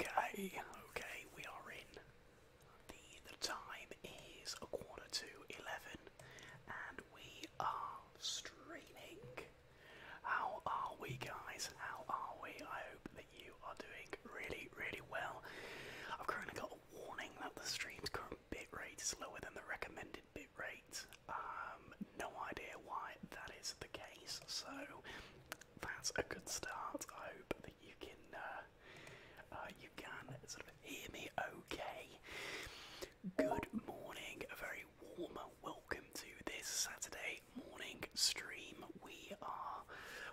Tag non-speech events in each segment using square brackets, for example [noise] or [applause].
Okay, okay, we are in. The the time is a quarter to eleven and we are streaming how are we, guys? How are we? I hope that you are doing really, really well. I've currently got a warning that the stream's current bitrate is lower than the recommended bitrate. Um, no idea why that is the case, so that's a good start. I hope that you can, uh, uh, you can sort of hear me okay. Good morning, a very warm welcome to this Saturday morning stream. We are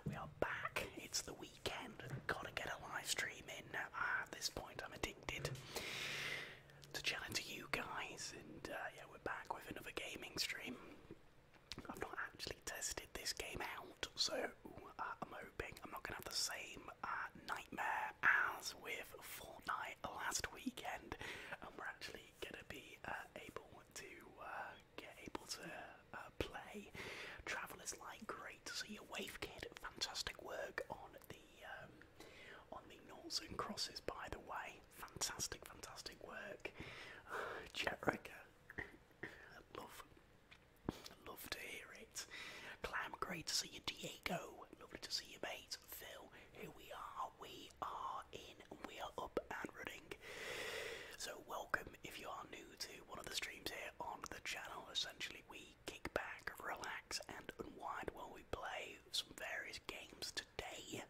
we are back. It's the weekend. Gotta get a live stream in. Ah, at this point, I'm addicted to chatting to you guys. And uh, yeah, we're back with another gaming stream. I've not actually tested this game out, so uh, I'm hoping I'm not gonna have the same uh, nightmare as with Fortnite last weekend. And we're actually going to be uh, able to uh, get able to uh, play. Traveller's Light, great to see you. Wave Kid, fantastic work on the um, on the noughts and crosses. By the way, fantastic, fantastic work. Uh, [sighs] Jetrica, love, love to hear it. Clam, great to see you. Diego, lovely to see you, mate it's Phil. Here we are, we are in, we are up and running. So, welcome if you are new to one of the streams here on the channel. Essentially, we kick back, relax, and unwind while we play some various games today.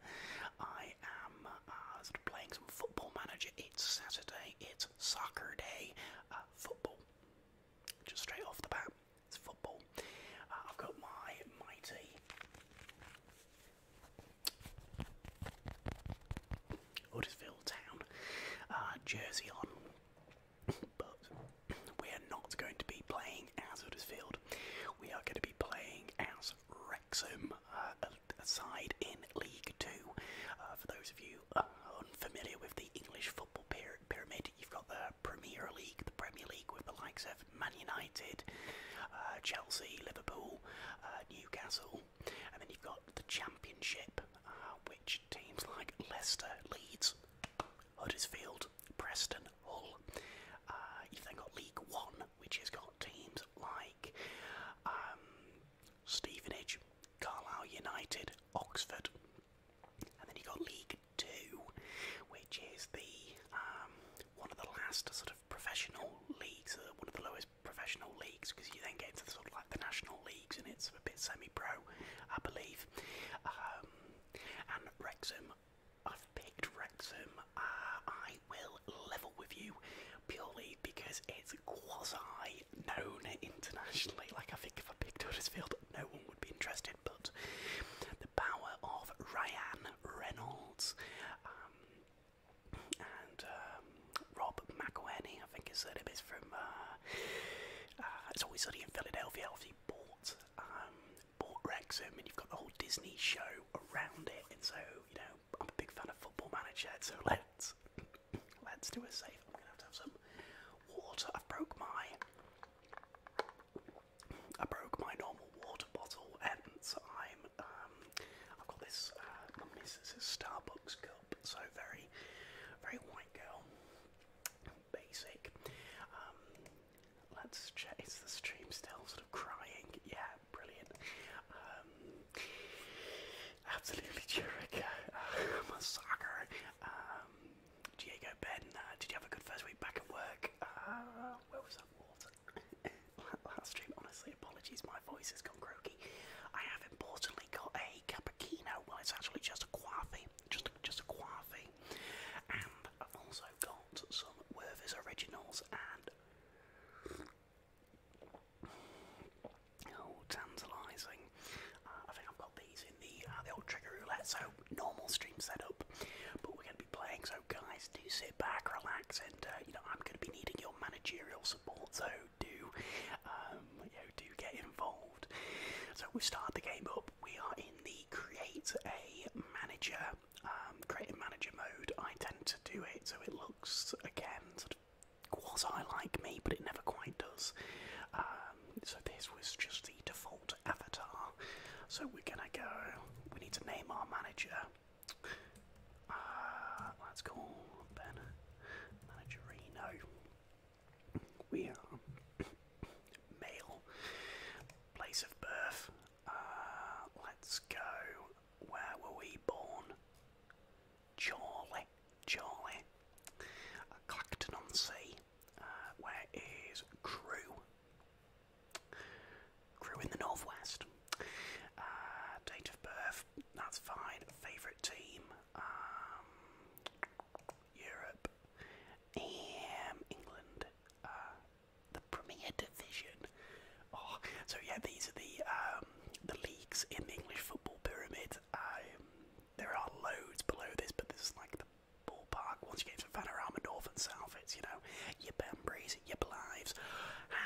I am uh, playing some Football Manager. It's Saturday, it's soccer day, uh, football. Just straight off the bat, it's football. Uh, I've got my mighty Huddersfield Town, uh, jersey on, [coughs] but we are not going to be playing as Huddersfield. We are going to be playing as Wrexham, uh, a, side in League Two. Uh, for those of you unfamiliar with the English football pyramid, you've got the Premier League, the Premier League with the likes of Man United, uh, Chelsea, Liverpool, uh, Newcastle, and then you've got the Championship, uh, which teams like Leicester, Leeds, Huddersfield, Preston, Hull. you've then got League One, which has got teams like um, Stevenage, Carlisle United, Oxford, and then you've got League Two, which is the um, one of the last sort of professional leagues, uh, one of the lowest professional leagues, because you then get into the sort of like the national leagues and it's a bit semi-pro, I believe. Um, and Wrexham, I've picked Wrexham. Uh, I will level with you purely because it's quasi known internationally. Like I think if I picked Huddersfield, no one would be interested. But the power of Ryan Reynolds. Uh, um, and um, Rob McElhenney, I think his surname is from. Uh, uh, it's always sunny in Philadelphia. Obviously, bought um, bought Wrexham, and you've got the whole Disney show around it. And so, you know, I'm a big fan of Football Manager. So [laughs] let's let's do a save. I'm gonna have to have some water. I've broke my I broke my normal water bottle, and I'm um, I've got this uh, my missus' Starbucks cup, so very, very white girl, basic. Um, let's check. Is the stream still sort of crying? Yeah, brilliant. Um, absolutely, Jurica, [laughs] I'm a sucker. Um, Diego Ben, uh, did you have a good first week back at work? Uh, where was that water? [laughs] last stream. Honestly, apologies, my voice has gone croaky. I have importantly got a cappuccino. Well, it's actually just a coffee, just just a coffee, and I've also got some Werther's originals and. Oh, tantalising! Uh, I think I've got these in the uh, the old trigger roulette, so normal stream setup. But we're going to be playing, so guys, sit back, relax, and uh, you know I'm going to be needing your managerial support. So do, um, do get involved. So we start the game up. We are in the create a manager, um, create a manager mode. I tend to do it so it looks again sort of quasi like me, but it never quite does. Um, so this was just the default avatar. So we're gonna go. We need to name our manager. Uh, let's call Ben Managerino. We are [coughs] male, place of birth. Uh, let's go. Where were we born? Chorley, Chorley. Clacton on Sea. Uh, where is Crewe? Grew in the northwest. Uh, date of birth, that's fine. Favourite team, um, Europe, and England, uh, the Premier Division. Oh, so yeah, these are the um, the leagues in the English football pyramid. Um, there are loads below this, but this is like the ballpark. Once you get to Vanarama North and South, it's you know your Bamburies,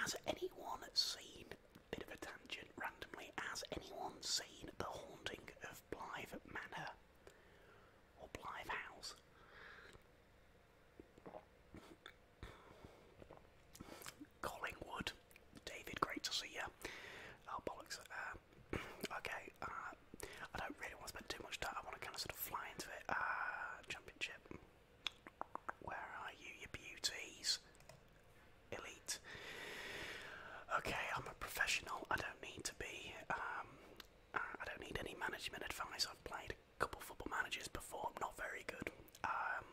Has anyone seen, bit of a tangent randomly, has anyone seen The Haunting of Blythe Manor? Or Blythe House? Collingwood. David, great to see you. Oh, bollocks. Uh, [clears throat] okay, uh, I don't really want to spend too much time. I want to kind of sort of fly into it. Uh, championship. Where are you, your beauties? Elite. Okay, I'm a professional. I don't need to be. Um, I don't need any management advice. I've played a couple football managers before. I'm not very good. Um,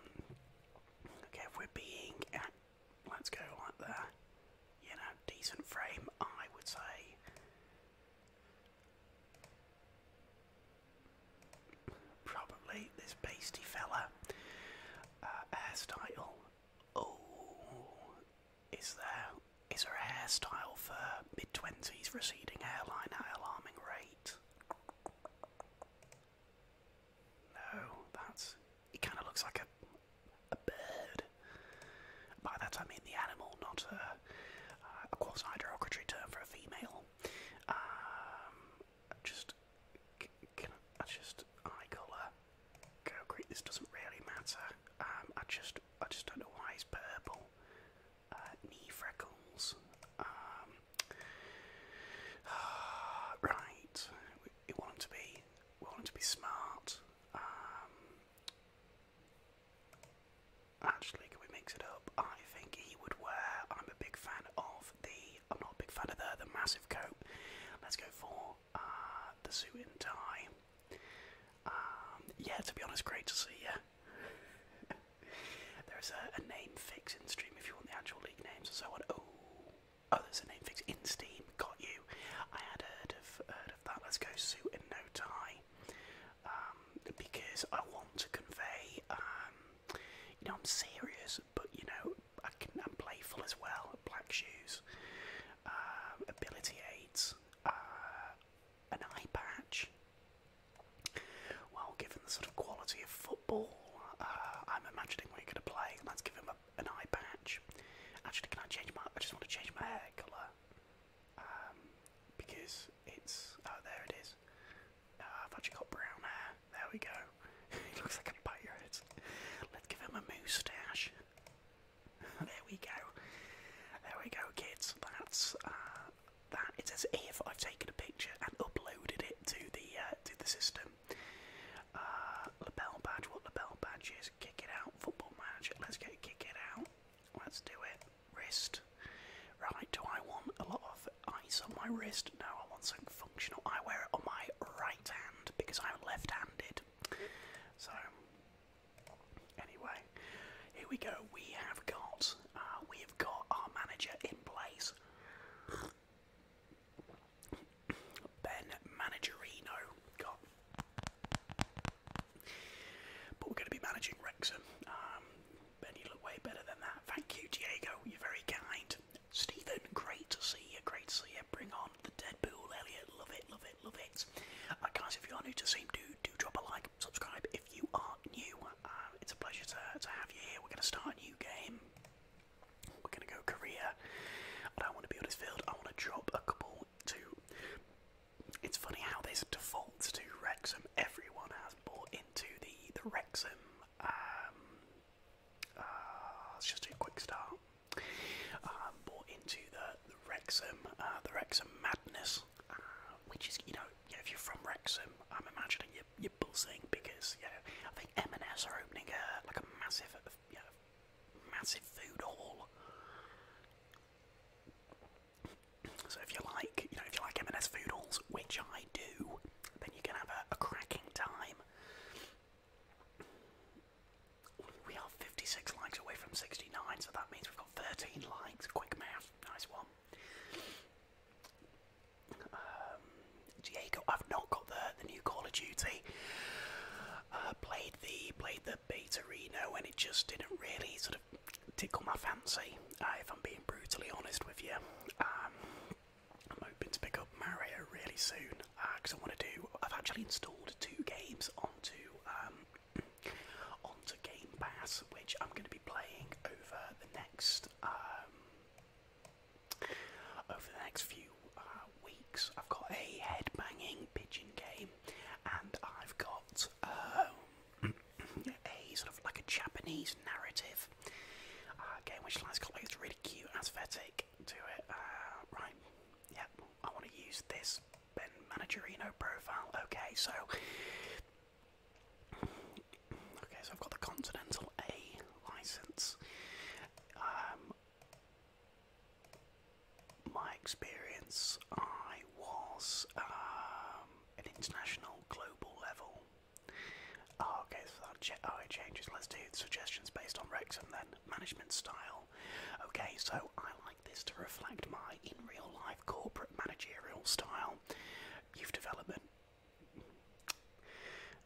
okay, if we're being, let's go like there. You know, decent frame. I would say Probably this pasty fella. Uh, hairstyle. Oh, is there? Is there a hairstyle for mid twenties receding hairline at alarming rate? No, that's. He kind of looks like a a bird. By that I mean the animal, not a, uh, quasi derogatory term for a female. Um, just I, just eye oh colour? Uh, go This doesn't really matter. Um, I just I just don't know why it's purple. Uh, knee freckles. Um, [sighs] right. We, want to be. We want to be smart. Um, actually, can we mix it up? I think he would wear. I'm a big fan of the. I'm not a big fan of the the massive coat. Let's go for uh, the suit and tie. Um, yeah, to be honest, great to see you. [laughs] there's a, a name fix in Steam if you want the actual league names. So on. Oh, oh, there's a name fix in Steam. Got you. I had heard of heard of that. Let's go suit and no tie. Um, because I want to convey, um, you know, I'm serious, but you know, I can, I'm playful as well. Black shoes, um, ability aids, uh, an eye patch. Well, given the sort of quality of football, uh, I'm imagining we're going to play. Let's give him an eye patch. Actually, can I change my? I just want to change my hair colour because it's oh there it is. Ah, I've actually got brown hair. There we go. it [laughs] looks like a pirate. Let's give him a moustache. there we go. There we go, kids. That's uh, that. It's as if I've taken a picture and uploaded it to the uh, to the system. Uh, label badge. What label badge is? Kick it out. Football manager. Let's go. Kick it out. Let's do it wrist. Right, do I want a lot of ice on my wrist? No, I want something functional. I wear it on my right hand because I'm left handed. So, anyway, here we go. We have got, uh, we have got our manager in place. Ben Managerino. But we're going to be managing Wrexham. Um, and you look way better than that. Thank you, Diego. You're very kind. Stephen, great to see you. Great to see you. Bring on the Deadpool, Elliot. Love it, love it, love it. Uh, guys, if you are new to the do do drop a like, subscribe. If you are new, uh, it's a pleasure to to have you here. We're gonna start a new game. We're gonna go Korea. I don't want to build this field. I want to drop a couple to. It's funny how this defaults to Wrexham. Everyone has bought into the the Wrexham let's um, um, uh, just do a quick start. Um, into the, the Wrexham, uh, the Wrexham madness, uh, which is you know, yeah, if you're from Wrexham, I'm imagining you're, you buzzing because you know I think M&S are opening a like a massive, you massive food hall. So if you like, you know, if you like M&S food halls, which I do, then you can have a, cracking time. We are 56 likes away from 69, so that means we've got 13 likes. Quick math, nice one. Um, Diego, I've not got the the new Call of Duty. Uh, played the played the beta and it just didn't really sort of tickle my fancy i being brutally honest with you. Um, I'm hoping to pick up Mario really soon because uh, I want to do. I've actually installed two games onto um, [clears throat] onto Game Pass, which I'm going to be playing over the next um, over the next few uh, weeks. I've got a head banging pigeon game, and I've got um, [clears throat] a sort of like a Japanese narrative uh, game, which has got like this really cute aesthetic to it. Uh, right, yeah, I want to use this Ben Managerino profile. Okay, so okay, so I've got the Continental A license. Um, my experience, I was um, an international, global level Oh, okay, so that oh, it changes. Let's do suggestions based on Rex and then. Management style. Okay, so I like this to reflect my in real life corporate managerial style. Youth development.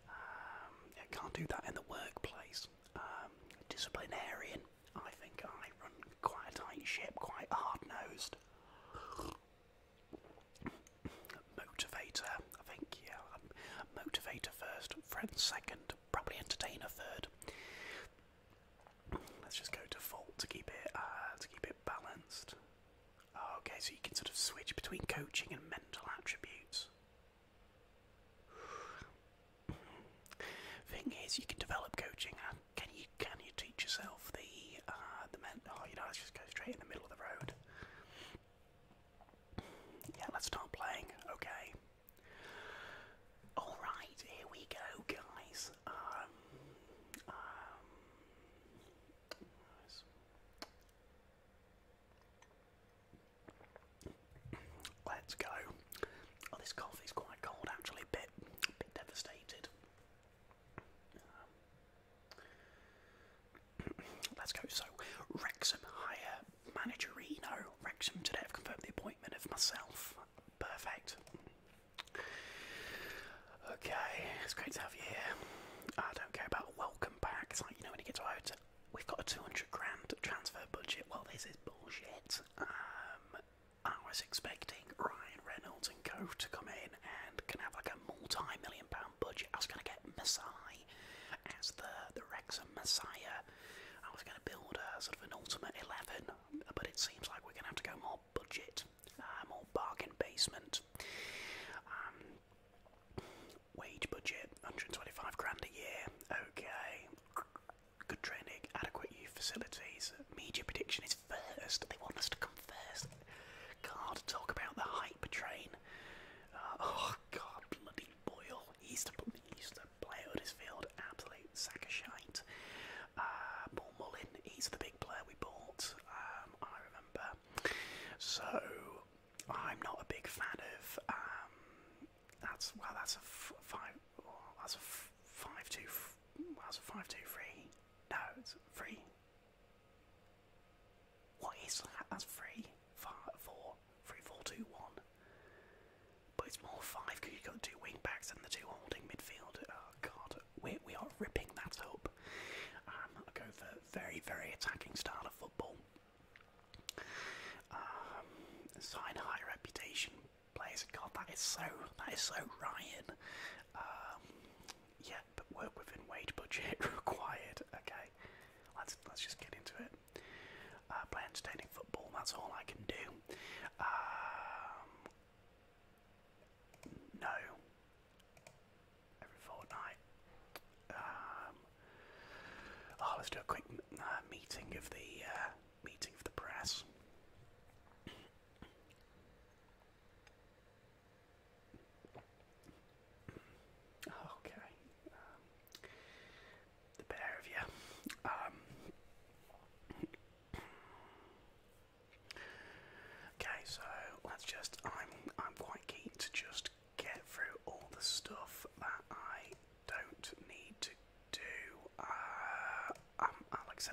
Um, I can't do that in the workplace. Um, disciplinarian. I think I run quite a tight ship, quite hard nosed. Motivator, I think, yeah. Motivator first, friend second, probably entertainer third. Let's just go default to keep it uh, to keep it balanced. okay, so you can sort of switch between coaching and mental attributes. Thing is, you can develop coaching. Uh, can you can you teach yourself the uh, the mental? Oh, you know, let's just go straight in the middle of the road. Yeah, let's start playing. Okay. All right, here we go, guys. Um, um, let's go. Oh, this coffee's quite cold, actually. Bit, bit devastated. Um, let's go. So, Wrexham hire Managerino. Wrexham today have confirmed the appointment of myself. Perfect. Okay, it's great to have you here. I don't care about a welcome back. It's like, you know, when you get to our hotel, we've got a 200 grand transfer budget. Well, this is bullshit. Um, I was expecting Ryan Reynolds and Co. to come in and can have like a multi million pound budget. I was going to get Messiah as the, the Wrexham Messiah. I was going to build a, sort of an ultimate 11, but it seems like we're going to have to go more budget, uh, more bargain basement. Um, wage budget, 125 grand a year. Okay. Good training, adequate youth facilities. Media prediction is first. They want us to come first. God, talk about the hype train. Uh, oh god, bloody Boyle. He used to, he used to play Huddersfield, absolute sack of shite. Uh, Paul Mullin, he's the big player we bought, um, I remember. So, I'm not a big fan of, um, that's, well, that's a 5 well thats a five, well, that's a f five oh, two, well, that's a five two three, no, it's three, what is that? That's three, five, four, three, four, two, one. But it's more five because you've got two wing backs and the two holding midfield. Oh god, we we are ripping that up. Um, I go for very very attacking style of football. Um, sign high reputation players. God, that is so that is so Ryan. Um, yeah, but work within wage budget [laughs] required. Okay, let's let's just get into it. Uh, play entertaining football. That's all I can do. Um, no. Every fortnight. Um, oh, let's do a quick uh, meeting of the uh, meeting of the press. Okay, um, the pair of you. Um, okay, so let's just. I'm. I'm quite keen to just get through all the stuff that I don't need to do. Uh, um,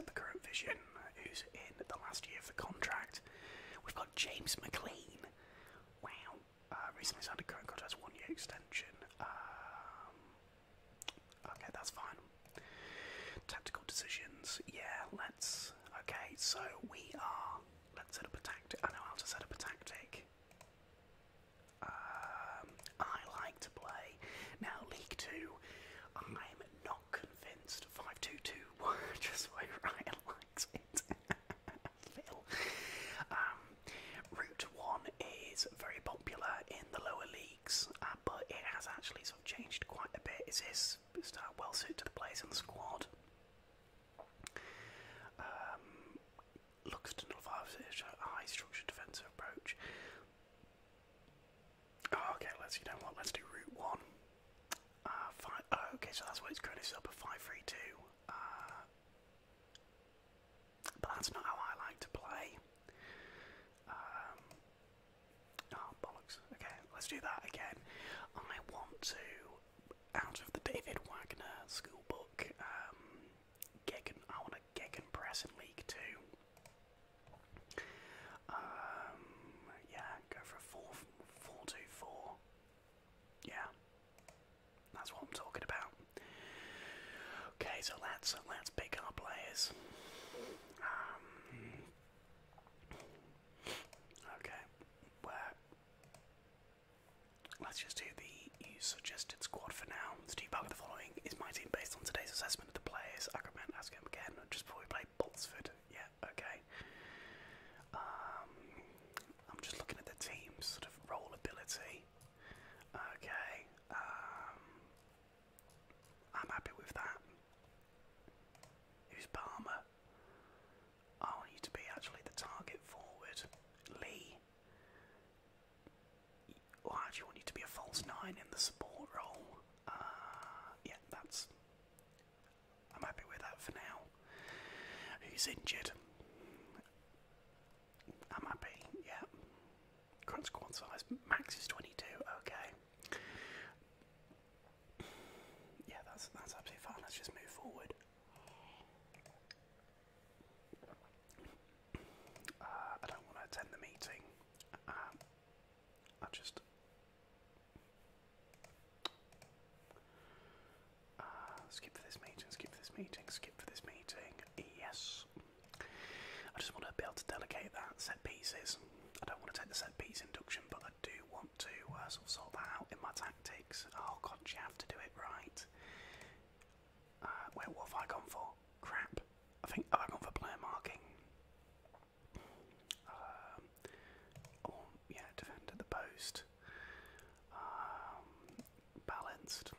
the current vision, who's in the last year of the contract. We've got James McLean. Wow. Uh, recently signed a current contract, one year extension. Um, okay, that's fine. Tactical decisions. Yeah, let's. Okay, so we are. Let's set up a tactic. I know how to set up a tactic. Um, I like to play. Now, League 2, I'm not convinced 5 2 2 [laughs] just way Ryan likes it. [laughs] Um, Route 1 is very popular in the lower leagues, uh, but it has actually sort of changed quite a bit. Is this well suited to the players in the squad? Um, looks to nullify a high structured defensive approach. Oh, okay, let's you know what, let's do Route 1. Uh, five, oh, okay, so that's what it's currently set up at 532. Uh, but that's not how I like to play. Um, oh, bollocks. Okay, let's do that again. I want to, out of the David Wagner school book, um, Gegen, I want a Gegenpress in League 2. Um, yeah, go for a 4 yeah, that's what I'm talking about. Okay, so let's uh, let's pick our players. Um, okay, where? Let's just do the suggested squad for now. Steve Barker, the following is my team based on today's assessment of the players. I recommend asking him again just before we play Boltsford. Yeah, okay. Um, I'm just looking at the team's sort of role ability. Okay, um, I'm happy with that. Who's Palmer? Oh, I want you to be actually the target forward. Lee. Why do you want you to be a false nine in the support role? Uh, yeah, that's I'm happy with that for now. Who's injured? I'm happy, yeah. Grunt squad size, max is 22, okay. Yeah, that's, that's absolutely fine, let's just move forward. Uh, I don't want to attend the meeting. Uh, I just uh, skip for this meeting, skip for this meeting, skip for this meeting. Yes. I just want to be able to delegate that set pieces. I don't want to take the set piece induction, but I do want to uh, sort of sort that out in my tactics. Oh god, you have to do it right. Uh, where have I gone for? Crap. I think oh, I've gone for player marking. Um, yeah, defend at the post. Um, balanced.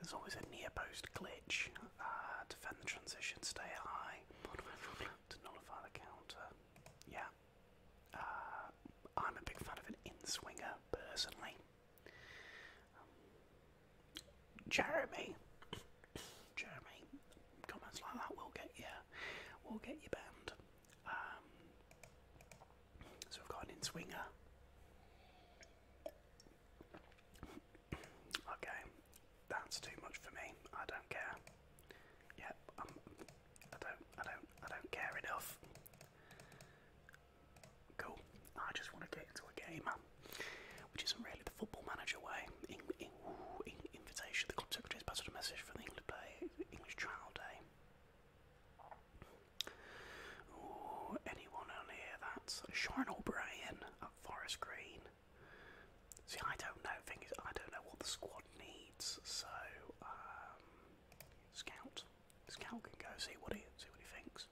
There's always a near post glitch. Uh, defend the transition, stay high. To nullify the counter. Yeah. Uh, I'm a big fan of an in swinger personally. Jeremy, Jeremy, comments like that will get you, will get you banned. Um, so we've got in swinger. Okay, that's too much for me. I don't care. Yep, I'm, um, I don't, I don't care enough. Cool. I just want to get into a game, which isn't really the football manager way. invitation, the club secretary has a message for the England player English Trial Day. anyone on here that's Sean O'Brien at Forest Green. See, I don't know. Thing is, I don't know what the squad needs. So, um, Scout, Scout can go see what he see what he thinks.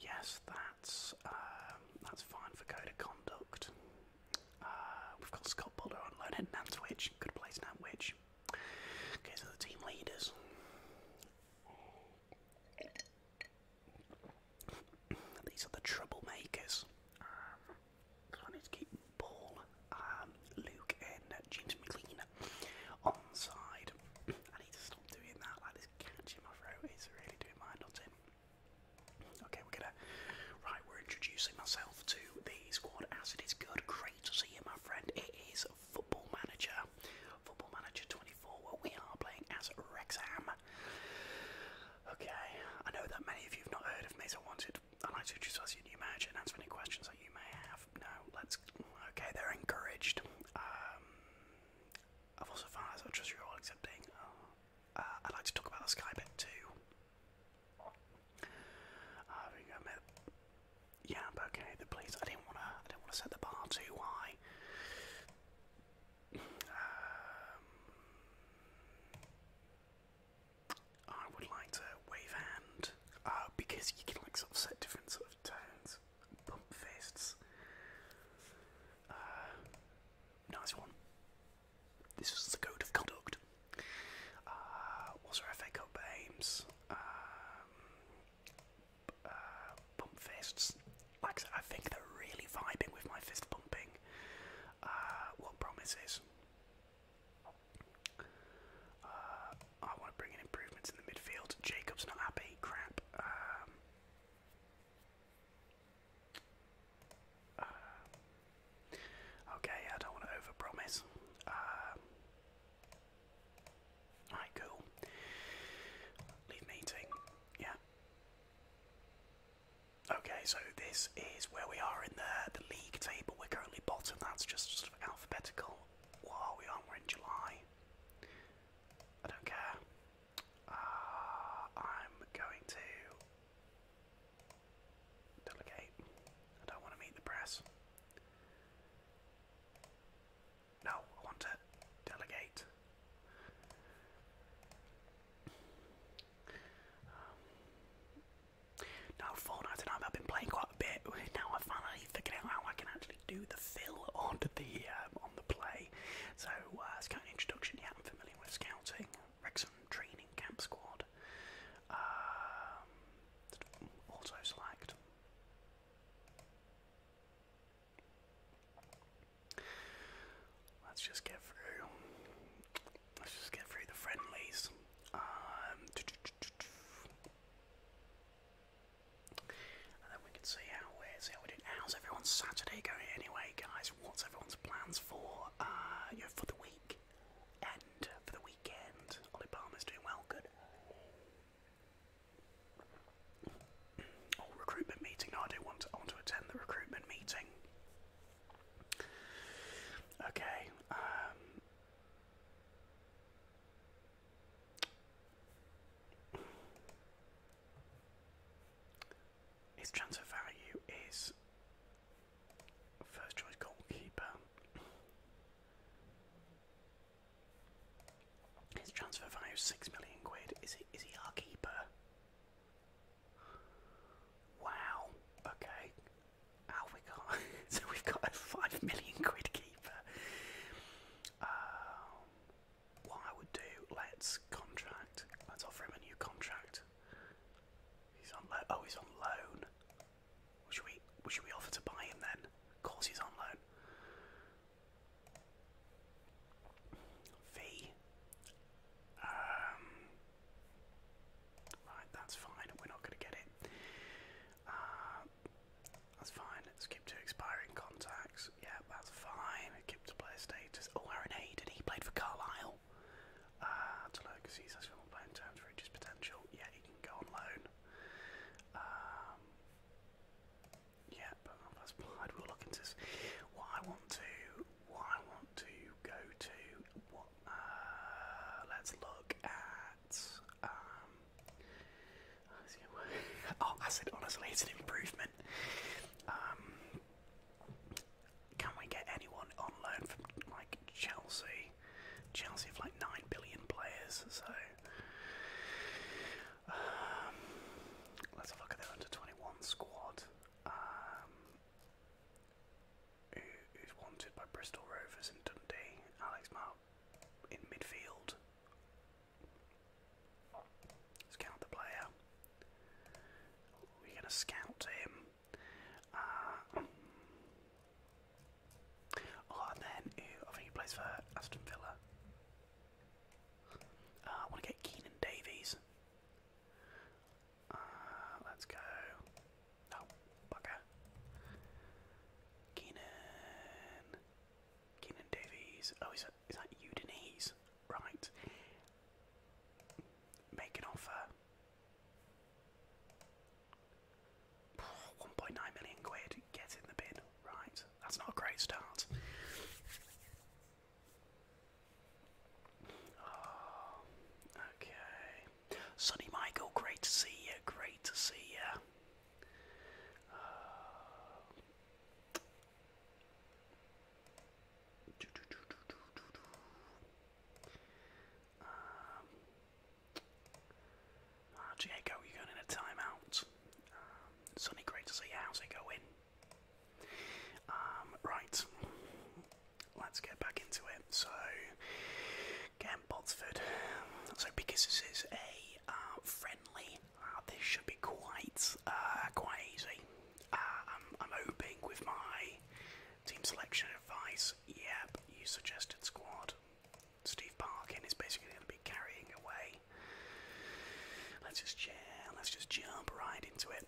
Yes, that's um, that's fine for code of conduct. Uh, we've got Scott Boulder on loan at Nantwich. Good place, Nantwich. Okay, so the team leaders. These are the troublemakers. Um, I need to keep Paul, um, Luke, and James McLean on side. I need to stop doing that. Like this catch in my throat is really doing my nutting. Okay, we're Right, we're introducing myself to the squad Acid is good. Great to see you, my friend. It is Football Manager, Football Manager 24, we are playing as Rexham. Okay, I know that many of you have not heard of me, so I wanted would like to introduce you new manager and answer any questions that you may have. No, let's. Okay, they're encouraged. Um, I've also found out I trust you're all accepting. Uh, uh, I'd like to talk about the Sky bet too. Yeah, but okay. The police. I didn't wanna. I didn't wanna set the bar too high. Um, I would like to wave hand. Uh, because you can like sort of set different sort of tones. Bump fists. Uh, nice one. This is the code of conduct. Uh, was FA Cup games? pump fists. Like I think they're really vibing with my fist pumping. Uh, what promises? Uh, I want to bring in improvements in the midfield. Jacob's not happy. Crap. Um, Ah. okay, I don't want to overpromise. Uh, cool. Leave meeting. Yeah. Okay, so this is where we are in the the league table. We're currently bottom. That's just sort of alphabetical. What are we on? We're in July. I don't care. Uh, I'm going to Delegate. I don't want to meet the press. No, I want to delegate. Um, now, Fortnite and I've been playing quite a bit. [laughs] Now I finally figured out how I can actually do the fill on the um, on the play. So, uh, scout introduction. Yeah, I'm familiar with scouting. Wrexham training camp squad. Um, select. Let's just get through. Let's just get through the friendlies. Um, and then we can see how we're see how we did. How's everyone Saturday going anyway, guys? What's everyone's plans for uh, you for the week? End for the week weekend. Ollie Palmer's doing well, good. Oh, recruitment meeting. No, I do want I want to attend the recruitment meeting. Okay. Um, his transfer value is First choice goalkeeper. His transfer value is six million quid. Is he he our keeper? Wow. Okay. [laughs] so we've got a five million quid keeper. Um, what I would do, let's contract. Let's offer him a new contract. He's on loan. Oh, he's on loan. Should we should we offer to buy him then? Of course he's on loan. V. Um, right, that's fine. We're not going to get it. Uh, that's fine. Skip to expiring contacts. Yeah, that's fine. Skip to player status. Oh, Aaron Hay, he played for Carlisle? well. Uh, to loan because he's actually on loan terms for his potential. Yeah, he can go on loan. Um, yeah, but that's I'd We'll look into this. What I want to, what I want to go to, what? Uh, let's look at. Um, [laughs] oh, I said honestly, it's an improvement. Um, can we get anyone on loan from like Chelsea? Chelsea have like 9 billion players, so. Um, let's have a look at their under 21 squad. Um, who's wanted by Bristol Rovers and Dundee? Alex Mark in midfield. Scout the player. We're going to scout him oh, then I think he plays for Aston Villa. Uh, I want to get Keenan Davies. Uh, let's go. Oh, bugger. Keenan. Keenan Davies. Oh, is that, is that Udinese? Right. Make an offer. 1.9 million quid, get in the bin. Right, that's not a great start. Ah, okay. Sonny Michael, great to see you, great to see you. Uh, you're going in a timeout. Um, great to see How's it going? Um, right, let's get back into it. So, again, Botsford. So, because this is a uh, friendly, uh, this should be quite, uh, quite easy. I'm hoping with my team selection advice yep, you suggested squad. Steve Parkin is basically going to be carrying away. Let's just chill, let's just jump right into it.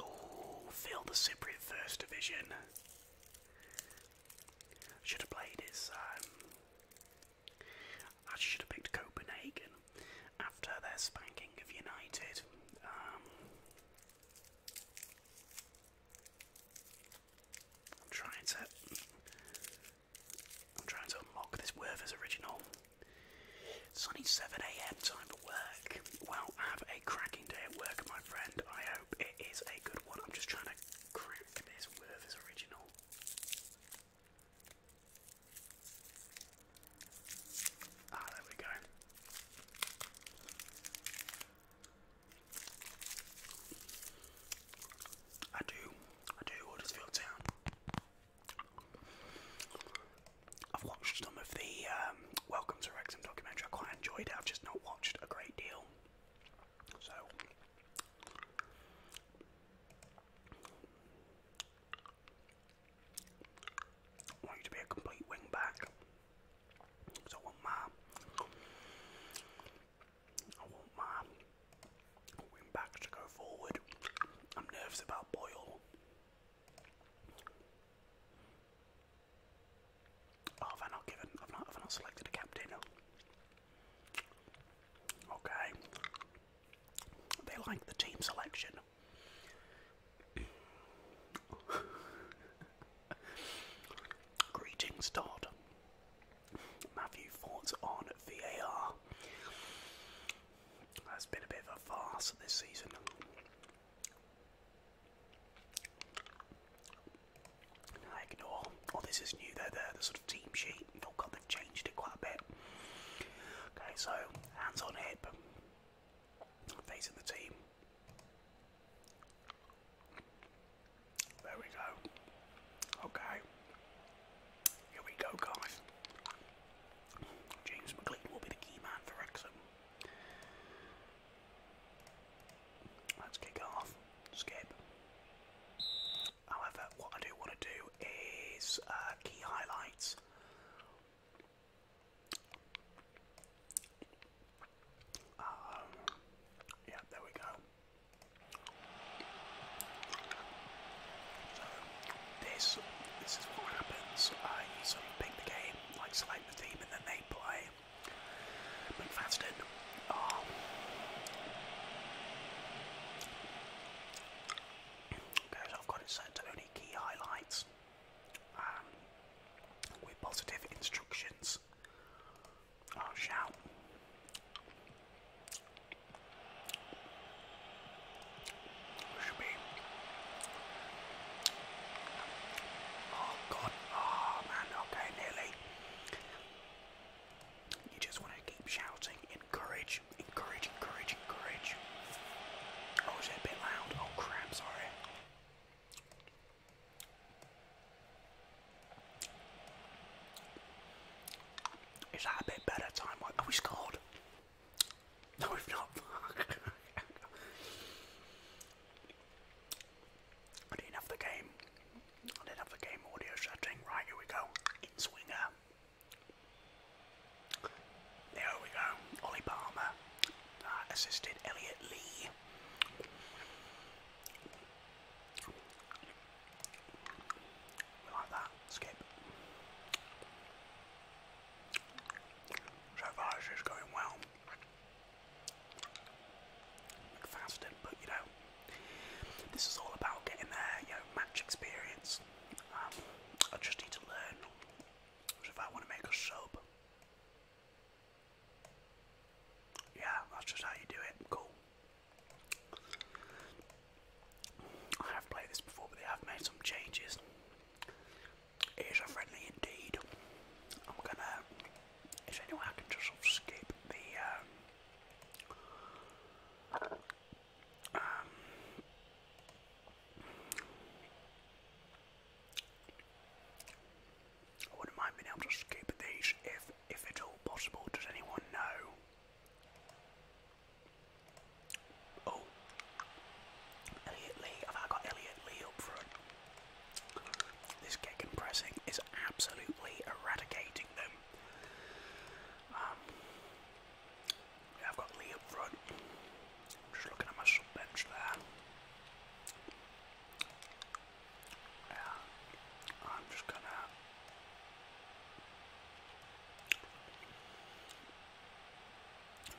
Oh, fill the Cypriot First Division. Should have played his. Um, I should have picked Copenhagen after their spanking of United. Um, I'm trying to I'm trying to unlock this Werther's original. It's only 7am time for work. Well, have a cracking day at work, my friend. I hope it is a good one. I'm just trying to crack this Werther's original. Ah, there we go. I do, I do Huddersfield Town. I've watched some of the um, Welcome to Wrexham documentary, I quite enjoyed it, I've just not watched a great deal. So. I want you to be a complete wing So I want my I want my wing to go forward. I'm nervous about Boyle. Oh, have I not given? Have I not selected a captain? Okay. They like the team selection. Greetings, Todd. Matthew, thoughts on VAR? has been a bit of a farce this season. ignore. Oh, this is new. they there. The sort of team sheet. Oh God, they've changed it quite a bit. Okay, so hands on hip, facing the team. There we go. Okay. Here we go, guys. James McLean will be the key man for Wrexham. Let's kick off. Skip. However, what I do want to do is uh, key highlights um, yeah, there we go. this this is what happens. Uh, you sort of pick the game, like select the team, and then they play. McFadden. Um, okay, so I've got it set to only key highlights. Um, with positive instructions or oh, shout. Should be. Oh god, oh man, okay, nearly. You just want to keep shouting, encourage, encourage, encourage, encourage. Oh, is it a bit loud? Oh crap, sorry. Is a bit better time? Have we scored? No, we've not. [laughs] I didn't have the game. I didn't have the game audio setting. Right, here we go. In swinger. There we go. Ollie Palmer uh, assisted Elliot Lee. We like that. Skip. So far, going well. McFaston, but you know, this is all about getting there, you know, match experience. Um, I just need to learn. So if I want to make a sub, yeah, that's just how you do it. Cool. I have played this before, but they have made some changes. It is a friendly indeed. I'm gonna. Is there anyone I can just sort of skip the. Um, um, wouldn't mind being able to skip these if if it's all possible. Does anyone know? Oh, Elliot Lee. Have I got Elliot Lee up front? This kick pressing is absolutely eradicating them. Um, yeah, have got Lee up front. Just looking at my sub bench there. Yeah, I'm just gonna.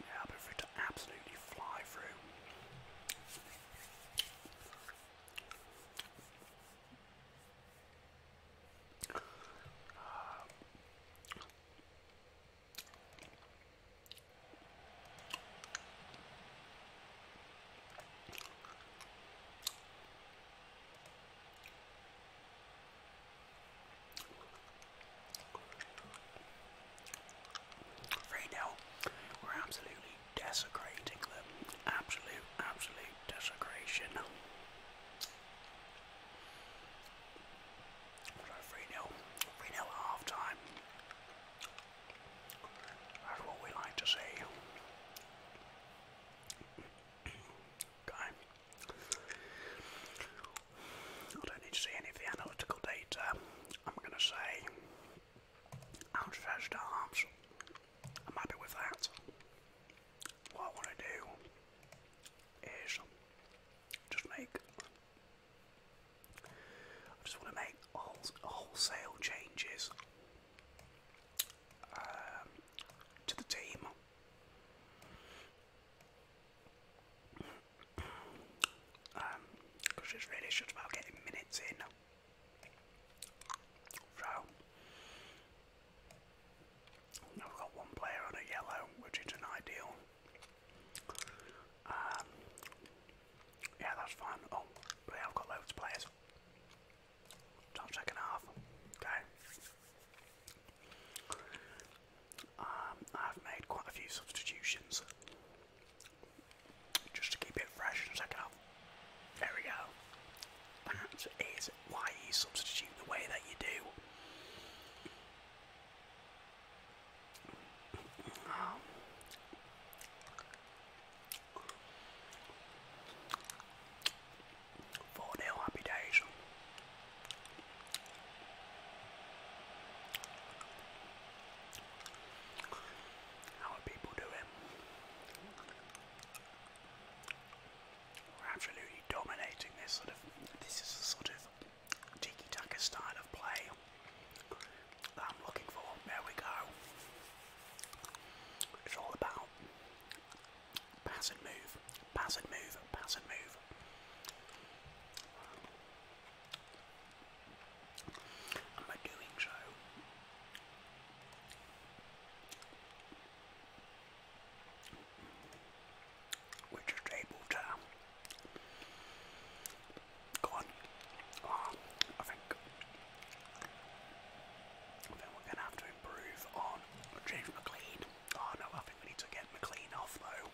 Yeah, be free to absolutely fly through. Right now, we're absolutely desecrating them. Absolute, absolute desecration. So 3 0, 3 at half that's what we like to see. okay. I don't need to see any of the analytical data. I'm going to say outstretched arms. I'm happy with that. What I want to do is just make I just want to make wholesale changes um, to the team. because um, it's really just about getting minutes in. So, now have got one player on a yellow, which isn't ideal. Um, yeah, that's fine. Oh, but have got loads of players. Top second half. Okay. Um, I've made quite a few substitutions just to keep it fresh in the second half. There we go. That is why you substitute the way that you do. Four nil happy days. How are people doing? We're absolutely dominating this sort of. This is a sort of tiki-taka style of play. I'm looking for. There we go. It's all about pass and move, pass and move, pass and move. And by doing so, we're just able to Go on. Oh, I think I we're gonna have to improve on James McLean. Oh no, I think we need to get McLean off though.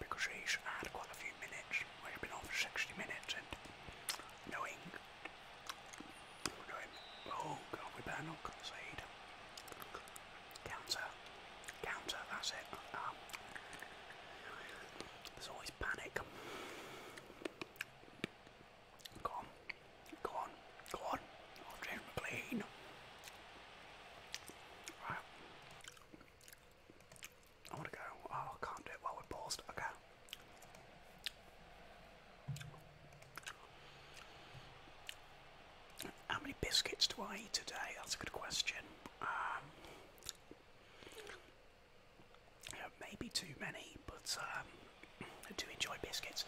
Because he's had quite a few minutes. Well, he been on for 60 minutes and knowing oh god, we better not concede. Counter, counter, that's it. there's always panic. Go on, go on, go on. Oh, James McLean. Right. I want to go. I can't do it while we're paused. Okay. How many biscuits do I eat today? That's a good question. Um, maybe too many, but um, I do enjoy biscuits.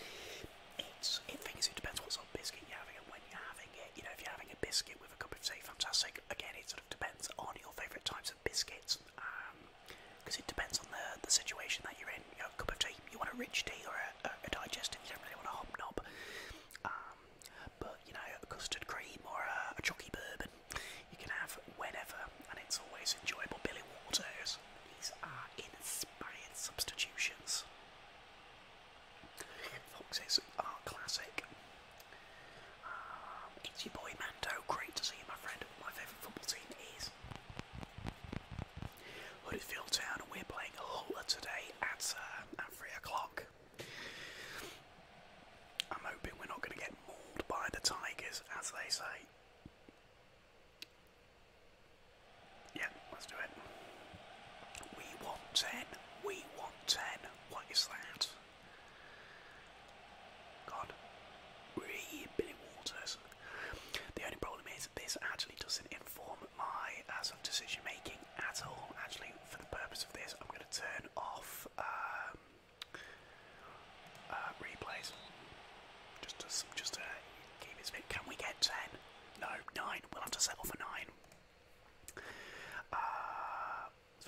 It's it things it depends what sort of biscuit you're having and when you're having it. You know, if you're having a biscuit with a cup of tea, fantastic. Again, it sort of depends on your favourite types of biscuits, because um, it depends on the the situation that you're in you a cup of tea. You want a rich tea or a, a, a digestive, you don't really want a hop Um, but, you know, custard cream or a, a bourbon, you can have whenever, and it's always enjoyable. Billy Waters, these are inspired substitutions. Foxes are classic. Um, it's your boy Mando, great to see you, my friend. My favourite football team is Huddersfield Town, and we're playing Hull today at, uh, at 3 o'clock. I'm hoping we're not going to get mauled by the Tigers, as they say. Yeah, let's do it. We want 10. We want 10. What is that? God. Billy Waters. The only problem is this actually doesn't inform my uh, sort of decision making at all. Actually, for the purpose of this, I'm going to turn off um, uh, replays. Just to just to keep it spin. Can we get ten? No, nine. We'll have to settle for nine.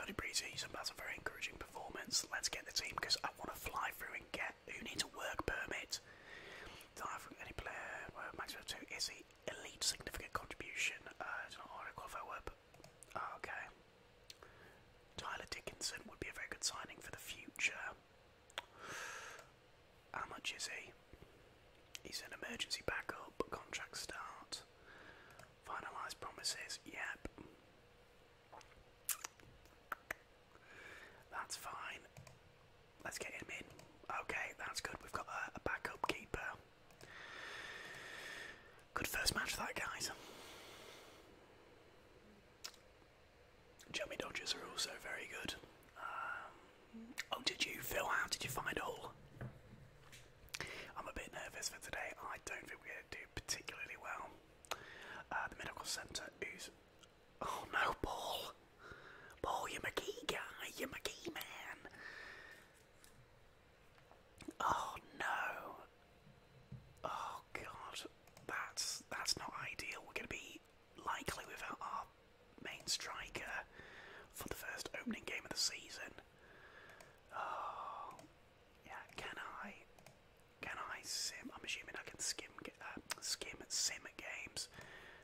very uh, pretty that's a very encouraging performance. Let's get the team because I want to fly through and get who needs a work permit. United. any player, well, two is the elite significant contribution. it's uh, not hard to qualify web. Ah, okay. Tyler Dickinson would be a very good signing for the future. How much is he? He's an emergency backup, contract start, finalised promises, yep. That's fine. Let's get him in. Okay, that's good. We've got a, backup keeper. Good first match, that guys. Jummy Dodgers are also very good. Um, oh, did you, Phil? How did you find all? I'm a bit nervous for today. I don't think we're going to do particularly well. Uh, the medical centre is Oh no, Paul. Paul, you're my key guy. You're my key man. Oh no. Oh god. That's that's not ideal. We're gonna be likely without our main striker for the first opening game of the season. Oh yeah, can I can I sim I'm assuming I can skim uh, skim sim games.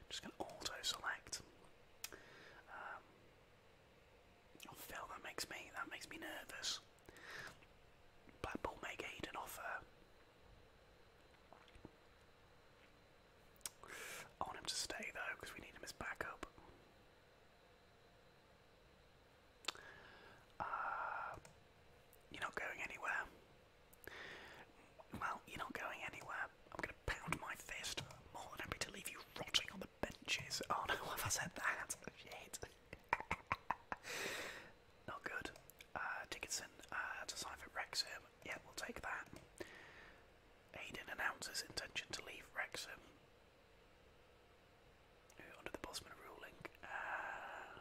just gonna auto select. Phil, um, that makes me that makes me nervous. Blackpool make Aid offer. I want him to stay though because we need him as backup. Uh, you're not going anywhere. Well, you're not going anywhere. I'm going to pound my fist. More than happy to leave you rotting on the benches. Oh no, have I said that? [laughs] [laughs] not good. Uh, Dickinson uh, to sign for Wrexham. Yeah, we'll take that. Aiden announces intention to leave Wrexham. Under the Bosman ruling. Uh,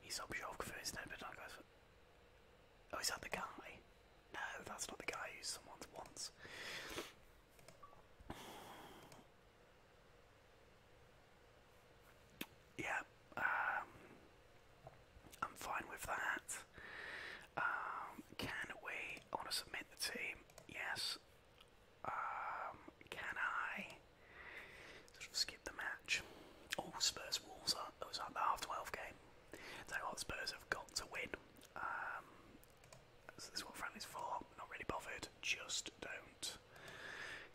he's Sobchak first, but I guess. Oh, is that the guy? No, that's not the guy who someone wants. Yeah, um, I'm fine with that. Um, can we? I want to submit the team. Yes. Um, can I? the match. All Spurs Wolves are it was like the half twelve game. So what Spurs have got to win. so um, this is what friendly's for. Not really bothered. Just don't,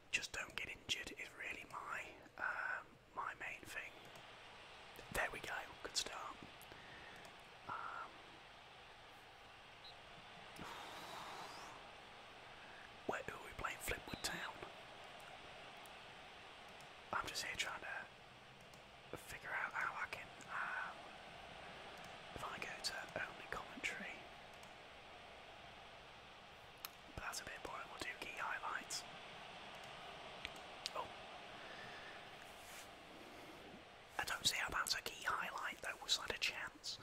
just don't get injured. Is really my um, my main thing. There we go. Good start. Um, [sighs] where are we playing? Flipwood Town. I'm just here trying to figure out how I can. Um, if I go to only commentary, that's a bit boring. We'll do key highlights. Oh. I don't see how that's a key highlight though. Was that a chance?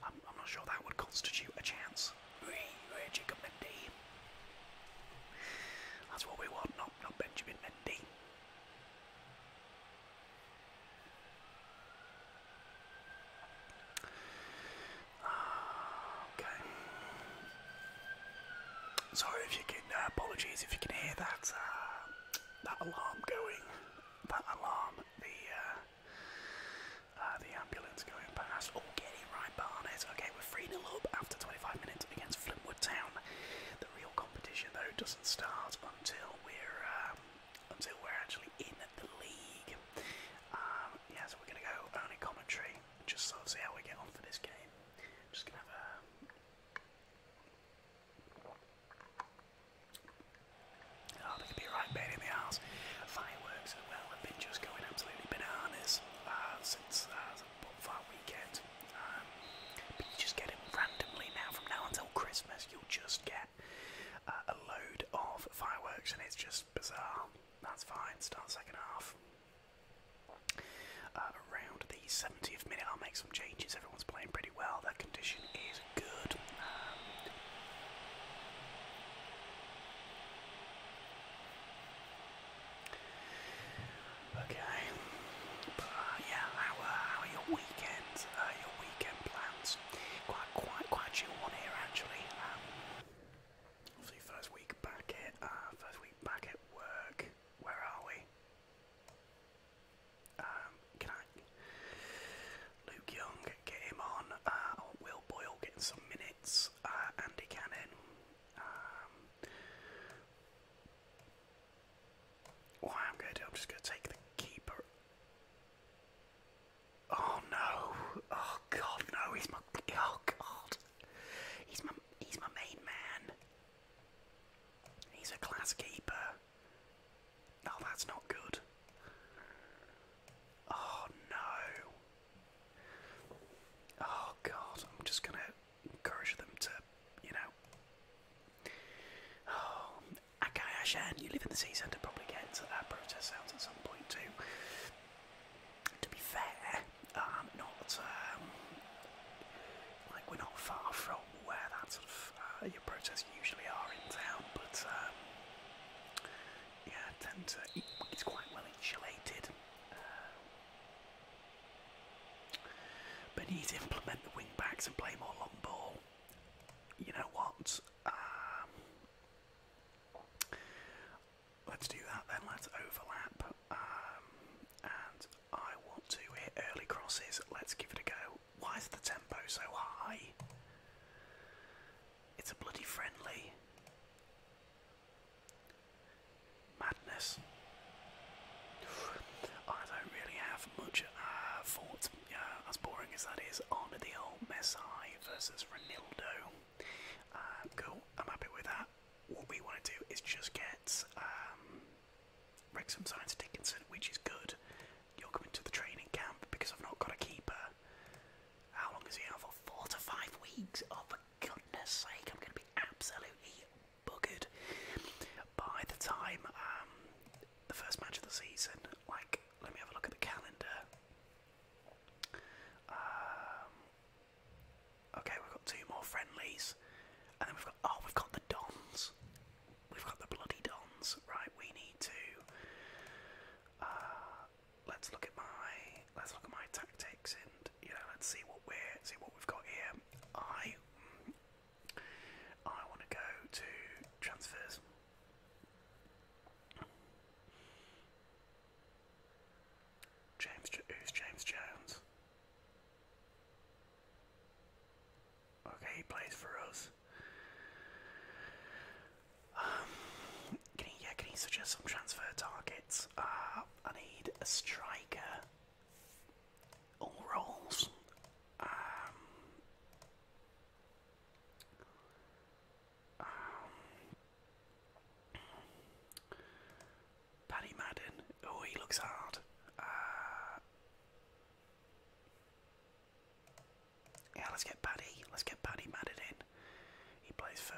I'm not sure that would constitute a chance. Mendes. Jacob Mendy. That's what we want, not, not Benjamin Mendy. Ah, okay. Sorry if you can. Uh, apologies if you can hear that uh, that alarm going. That alarm. The uh, the ambulance going past. Oh, getting Barnes. Okay, we're 3 0 up after 25 minutes against Flintwood Town. The real competition, though, doesn't start until we're um, until we're actually in the league. Um, yeah, so we're going to go only commentary just sort of see how we get on for this game. Just going oh, to be right bait in the arse. Fireworks as well have been just going absolutely bananas uh, since uh, but that weekend. Um, but just get them randomly now. From now until Christmas, you'll just get uh, a load of fireworks, and it's just bizarre. That's fine. Start second half. Uh, around the 70th minute, I'll make some changes. Everyone's playing pretty well. That condition is good. Um, Okay. But uh, yeah, uh, how, are your weekends? Uh, your weekend plans? Quite, quite, quite chill one here actually. Um, obviously, first week back at first week back at work. Where are we? Um, can I? Luke Young, get him on. Will Boyle getting some minutes. Andy Cannon. Um, what I'm going to I'm just going to take the keeper. Oh no! Oh god, no! He's my oh god! He's my he's my main man. He's a class keeper. No, that's not good. Oh no! Oh god, I'm just gonna encourage them to, you know. Oh, Akai you live in the city centre, probably get to that protest sounds at some point too. To be fair, um, not um, like we're not far from where that sort of uh, your protests usually are in town, but um, yeah, tend to it's quite well insulated. Uh, but you need to implement the wing backs and play more long ball. You know what? Um, let's do that then. Let's overlap. Um, and I want to hit early crosses. Let's give it a go. Why is the tempo so high? It's a bloody friendly. Madness. [sighs] I don't really have much uh, thought, as boring as that is, on the old Messi versus Ronaldo. Uh, cool, I'm happy with that. What we want to do is just get um, Wrexham Science Dickinson, which is good. You're coming to the training camp because I've not got a keeper. How long is he out for? Four to five weeks? Oh, goodness sake, I'm going to be absolutely buggered by the time um, the first match of the season. Like, let me have a look at the calendar. Um, okay, we've got two more friendlies, and then we've got oh, we've got the Dons. We've got the bloody Dons, right? We need to. Uh, let's look at my let's look at my tactics and you know, let's see what we're see what we've got here. I I want to go to transfers. James, who's James Jones? Okay, he plays for us. Um, can he? Yeah, can he suggest some transfer targets? Uh, I need a striker all roles. Um, um, Paddy Madden. Oh, he looks hard. Uh, yeah, let's get Paddy. Let's get Paddy Madden He plays for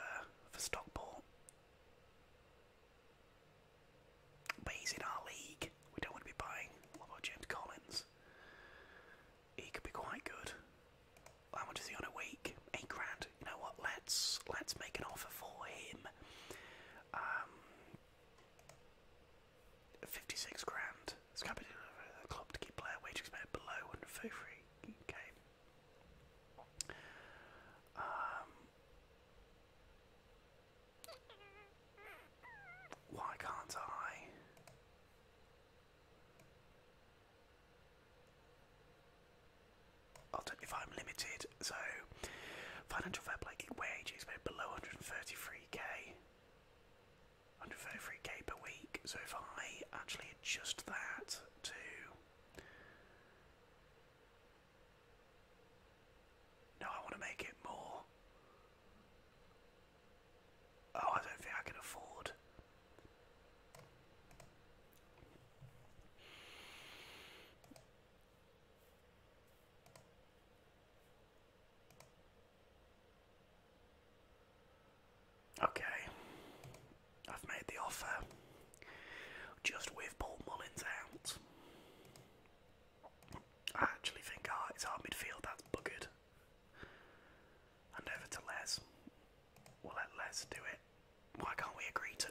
for Stockport. But he's in our league. We don't want to be buying. What about James Collins? He could be quite good. How much is he on a week? Eight grand. You know what? Let's let's make an offer for him. Um, fifty-six grand. It's to be the club to keep player wage expense below and free. Okay. Um, why can't I? I'll If I'm limited, so financial fair play wages were below 133k, 133k per week. So if I actually adjust that to no, I want to make it more. Oh, I don't think I can afford. Okay, I've made the offer. Just with Paul Mullins out, I actually think it's our midfield that's buggered. And over to Les. We'll let Les do it. Why can't we agree to?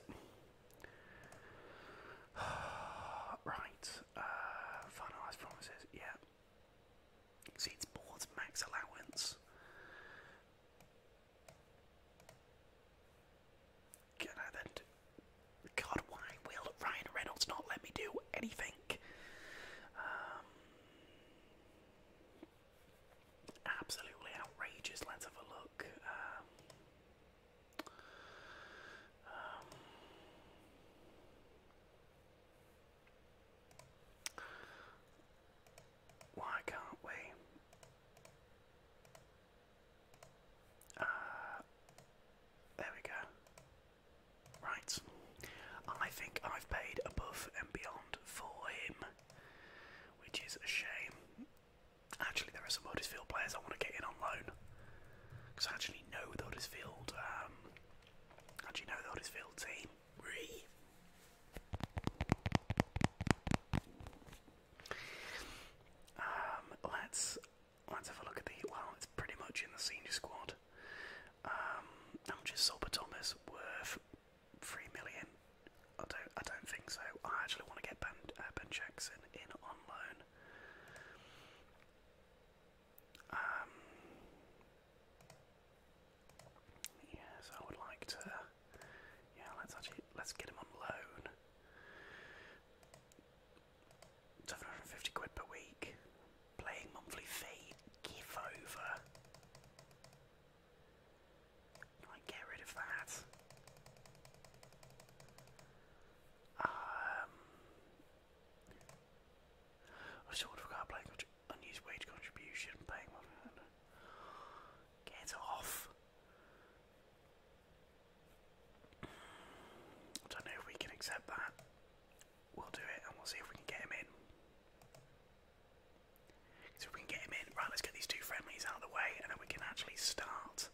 [sighs] right. Uh, finalised promises. Yeah. Exceeds board's max allowance. God, why will Ryan Reynolds not let me do anything? Um, absolutely outrageous. Let's have a look. Um, um, why can't we? Uh, there we go. Right. I think I've paid above and beyond for him, which is a shame. Actually, there are some Huddersfield players I want to get in on loan. Because I actually know the Huddersfield, um, actually know Huddersfield team. Ree. Um, let's let's have a look at the. Well, it's pretty much in the senior squad. I'm um, just is Sober Thomas worth? Three million. I don't. I don't think so. I actually want to get Ben, uh, ben Jackson in on loan. Um, yes, I would like to. Yeah, let's actually let's get him on loan. 750 quid per week. Playing monthly fee. Give over. get rid of that. Um, I sort of forgot playing unused wage contribution. Paying. Get off. I don't know if we can accept that. We'll do it and we'll see if we can get him in. So we can get him in, right, let's get these two friendlies out of the way and then we can actually start.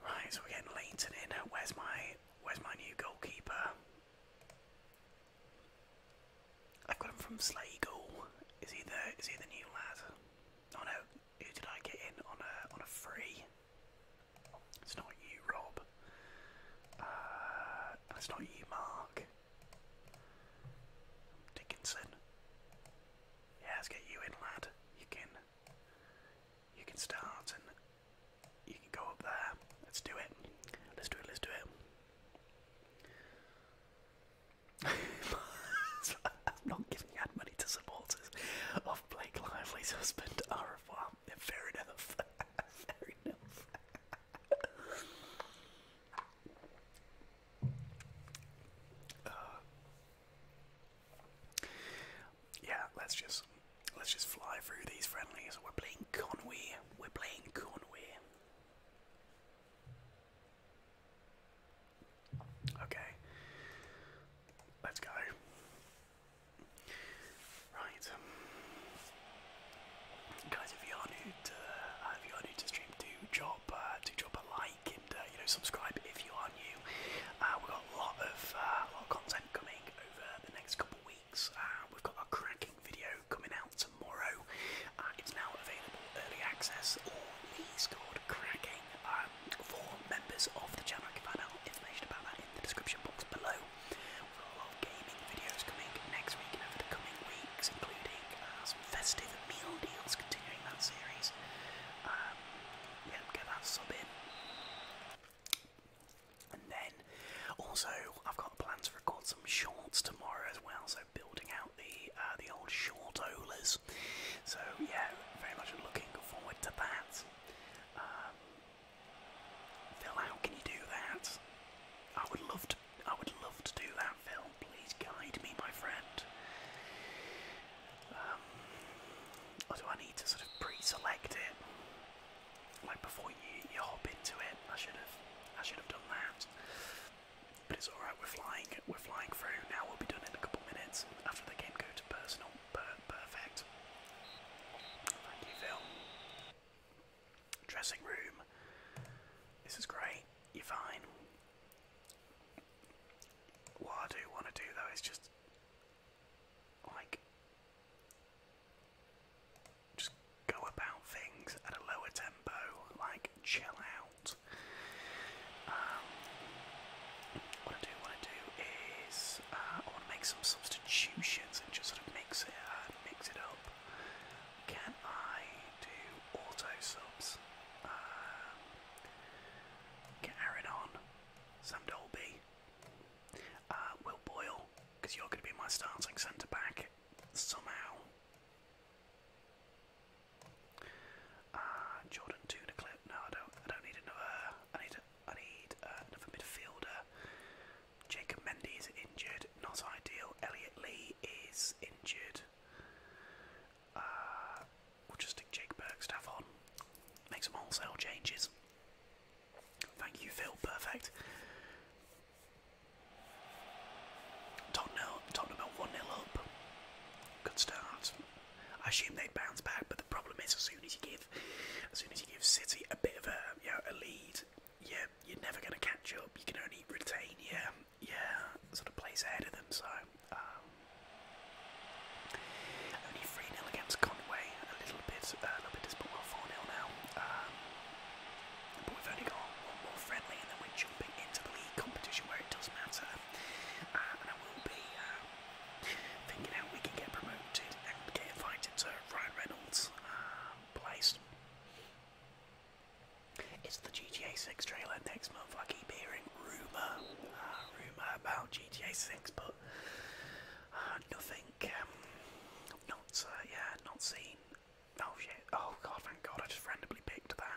Right, so we're getting Leighton in. Where's my where's my new goalkeeper? I've got him from Slagle. Is he the is he the new lad? Oh no, who did I get in on a on a free? It's not you, Rob. Uh, it's not you, Mark. Dickinson. Yeah, let's get you in, lad. You can you can start and you can go up there. Let's do it. Let's do it. Let's do it not giving ad money to supporters of Blake Lively's husband, Arafat. Fair enough. [laughs] Fair enough. Uh, yeah, let's just let's just fly through these friendlies. We're playing Conway. We're playing Conway. Okay. Let's go. Right. Guys, if you are new to uh, if you are new to stream, do drop uh, do drop a like and uh, you know subscribe if you are new. we've got a lot of lot of content coming over the next couple weeks. we've got a cracking video coming out tomorrow. it's now available early access. All these called cracking. Um, for members of the channel. You can find information about that in the description box below. We've got a lot of gaming videos coming next week and over the coming weeks, including uh, some festive meal deals, continuing that series. Um, yeah, get that sub in. And then also, I've got plans to record some shorts tomorrow as well. So building out the uh, the old short Olas. So yeah, very much looking forward to that. Um, Phil, how can you do that? I would love to. I would love to do that, Phil. Please guide me, my friend. Um, or do I need to sort of pre-select it? Like before you, you hop into it. I should have. I should have done that. But it's all right. We're flying. We're flying through now. We'll be done in a couple minutes after the game go to personal. perfect. Thank you, Phil. Dressing room. This is great. You're fine. What I do want to do though is just like just go about things at a lower tempo, like chill out. Um, what I do, what I do is uh, I want to make some substitutions and just sort of mix it, uh, mix it up. Can I do auto subs? Um, get Aaron Sam Dolby, uh, Will Boyle, because you're going to be my starting centre back somehow. Ah, Jordan two to clip. No, I don't. I don't need another. I need. A, I need uh, another midfielder. Jacob Mendy is injured. Not ideal. Elliot Lee is injured. Ah, we'll just stick Jake Bergstaff Make some wholesale changes. Thank you, Phil. Perfect. Tottenham, Tottenham 1 0 up. Good start. I assume they'd bounce back, but the problem is as soon as you give, as soon as you give City a bit of a you know, a lead, yeah, you're, never going to catch up. You can only retain yeah, yeah, sort of place ahead of them. So um, only three 0 against Conway. A little bit, uh, a little bit disappointing. Well, four 0 now. Um, but we've only got one more friendly, and then we're into the league competition where it does matter. Uh, and I will be. Um, thinking how we could get promoted and get invited to Ryan Reynolds' um, place. It's the GTA 6 trailer next month. I keep hearing rumour, uh, rumour about GTA 6, but uh, nothing. Um, not, uh, yeah, not seen. Oh shit! Oh god! Thank God! I just randomly picked that.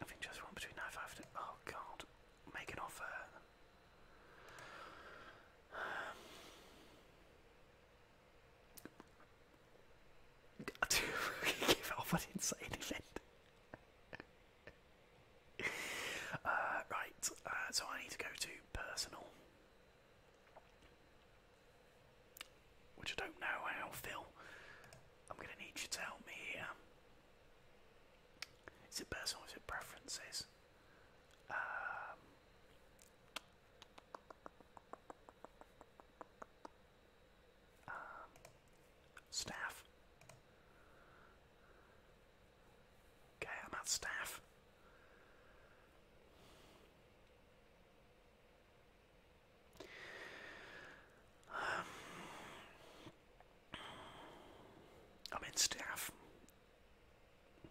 I think just one between 9.5 and... Oh, God. Make an offer. I [sighs] do give it didn't say anything. right, uh, so I need to go to personal. Which I don't know how, Phil. I'm going to need you to help me here. Is it personal? Is it preferences? Um, um, staff. Okay, I'm at staff. I mean, staff.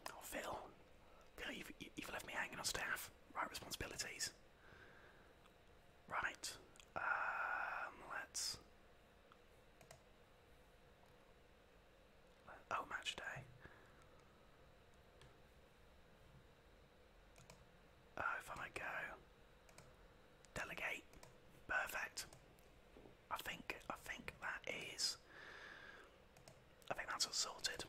Oh, Phil. you've, you've left me hanging on staff. Right responsibilities. Right. Um, let's. Oh, match day. Oh, if I go delegate, perfect. I think I think that is. I think that's all sorted.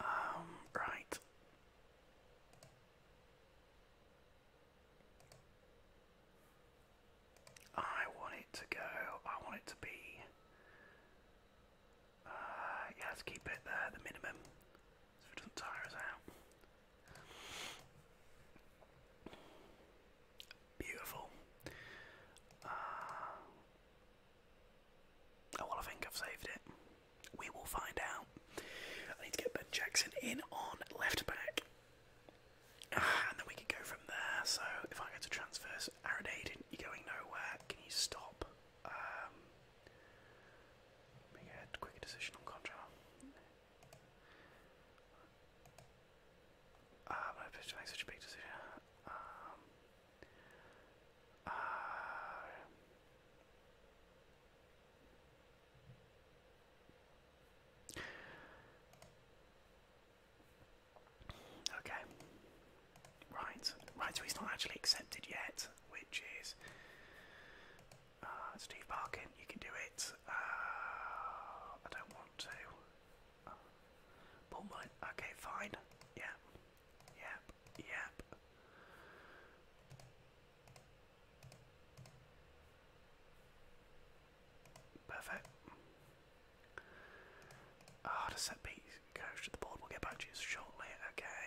Um, right. I want it to go, I want it to be, uh, yeah, keep it there, the minimum, so it doesn't tire us out. Beautiful. Uh, oh, well, I think I've saved it. We will find out. I need to get Ben Jackson in on left back. Ah, and then we can go from there. So if I go to transfers, Aaron Aiden, you're going nowhere. Can you stop? Um, make a quick decision on Contra. Um, I have to make such a big decision. Um, uh, Okay. Right. Right, so he's not actually accepted yet, which is uh, Steve Parkin. you can do it. Uh, I don't want to. Uh, okay, fine. Yep. Yep. Yep. Perfect. Ah, the set piece goes to the board. We'll get back to you shortly. Okay.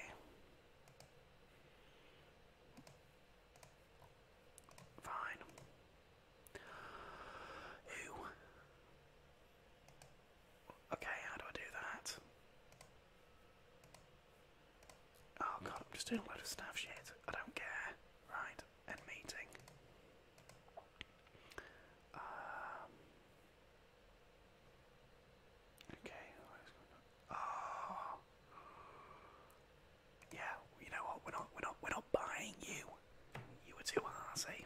Fine. Who? Okay, how do I do that? Oh god, I'm just doing a load of staff shit. I don't care. Right, end meeting. Um, okay, Oh, yeah. You know what? We're not. We're not. We're not buying you. You were too arsey.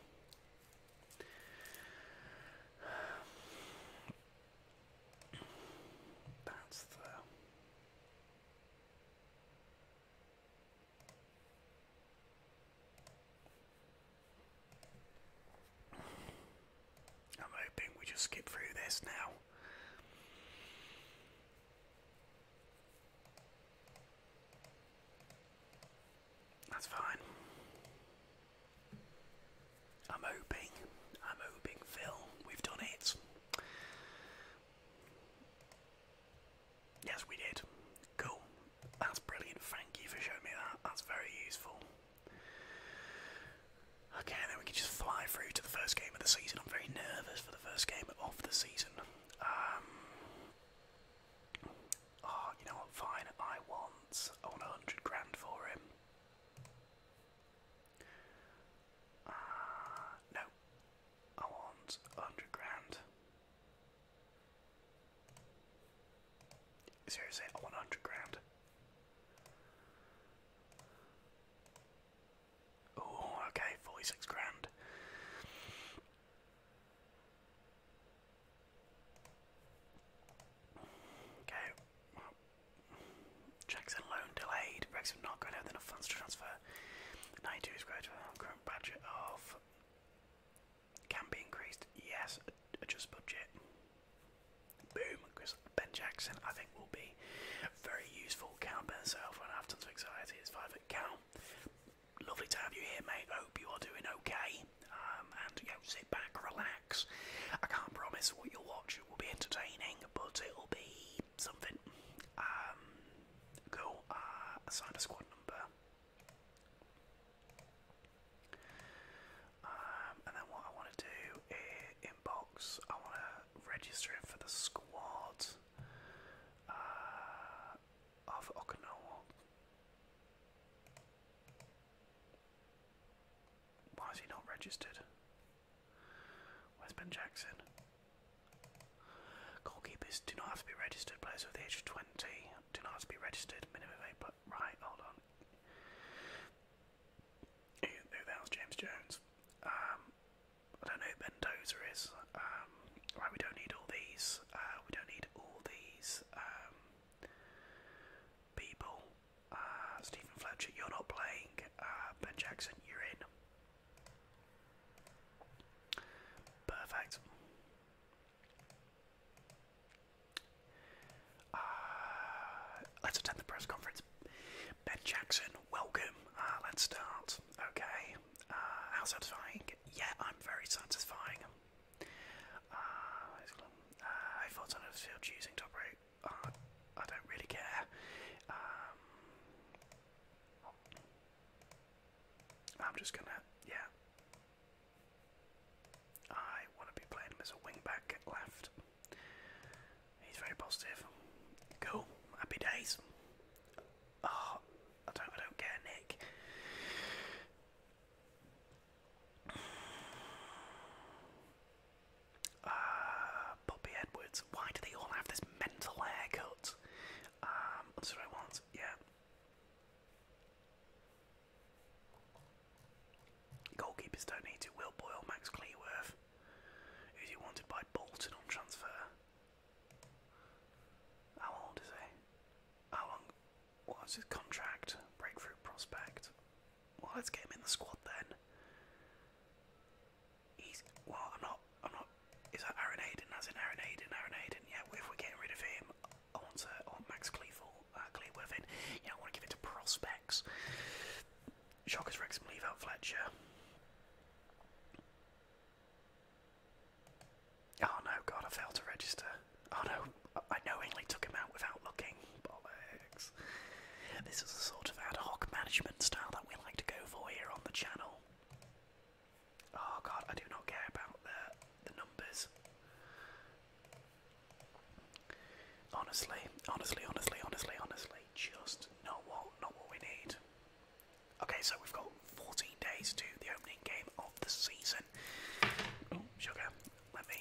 That's the. I'm hoping we just skip through this now. That's fine. I'm hoping, I'm hoping, Phil, we've done it. Yes, we did. Cool. That's brilliant. Thank you for showing me that. That's very useful. Okay, then we can just fly through to the first game of the season. I'm very nervous for the first game of the season. Um, oh, you know what? Fine. I want. I want a hundred grand for him. Uh, no. I want a hundred grand. Seriously, I 100 grand. Oh, okay, 46 grand. Okay. Jackson loan delayed. Brexit not going to have enough funds to transfer. 92 is great for our current budget of can be increased, yes. Adjust budget. Boom, because Ben Jackson I think will be very useful. Count Ben himself when I have anxiety. It's five at count. Lovely to have you here, mate. Hope you are doing okay. Um, and you sit back, relax. I can't promise what you'll watch. It will be entertaining, but it'll be something. Um, go. Cool. Uh, a squad number. Um, and then what I want to do is inbox. I want to register for the squad uh, of Okinawa. Why is he not registered? Where's Ben Jackson? Goalkeepers do not have to be registered players with the age of 20. Do not be registered. Minimum eight. right, hold on. who the hell's James Jones? Um, I don't know who Ben Dozer is. Um, right, we don't need all these. Uh, we don't need all these um, people. Uh, Stephen Fletcher, you're not playing. Uh, ben Jackson, you're in. Perfect. Uh, let's attend the press conference. Ben Jackson, welcome. Uh, let's start. Okay. Uh, how satisfying? Yeah, I'm very satisfying. I thought I was still to operate. I don't really care. Um, I'm just gonna, yeah, I want to be playing him as a wing back left. He's very positive. Cool. Happy days. Oh, I don't I don't care, Nick. Uh Bobby Edwards. Why do they all have this mental haircut? Um, that's what I want, yeah. Goalkeepers don't need to. Will Boyle, Max Cleworth, if you wanted buy Bolton on transfer. How old is he? How long? What's his contract? Breakthrough prospect. Well, let's get him in the squad then. He's well. I'm not. I'm not. Is that Aaron Aiden? As in Aaron Aiden? Aaron Aiden? Yeah. If we're rid of him, I want to, I Max Cleavel, uh, Clearworth in. I want to give it to prospects. Shockers Wrexham leave out Fletcher. Oh no, God, I failed to register. Oh no, I knowingly took him out without looking. Bollocks. This is the sort of ad hoc management style that we like to go for here on the channel. Oh God, I do not care about the the numbers. Honestly, honestly, honestly, honestly, honestly, just not what not what we need. Okay, so we've got 14 days to the opening game of the season. Oh, sugar, let me.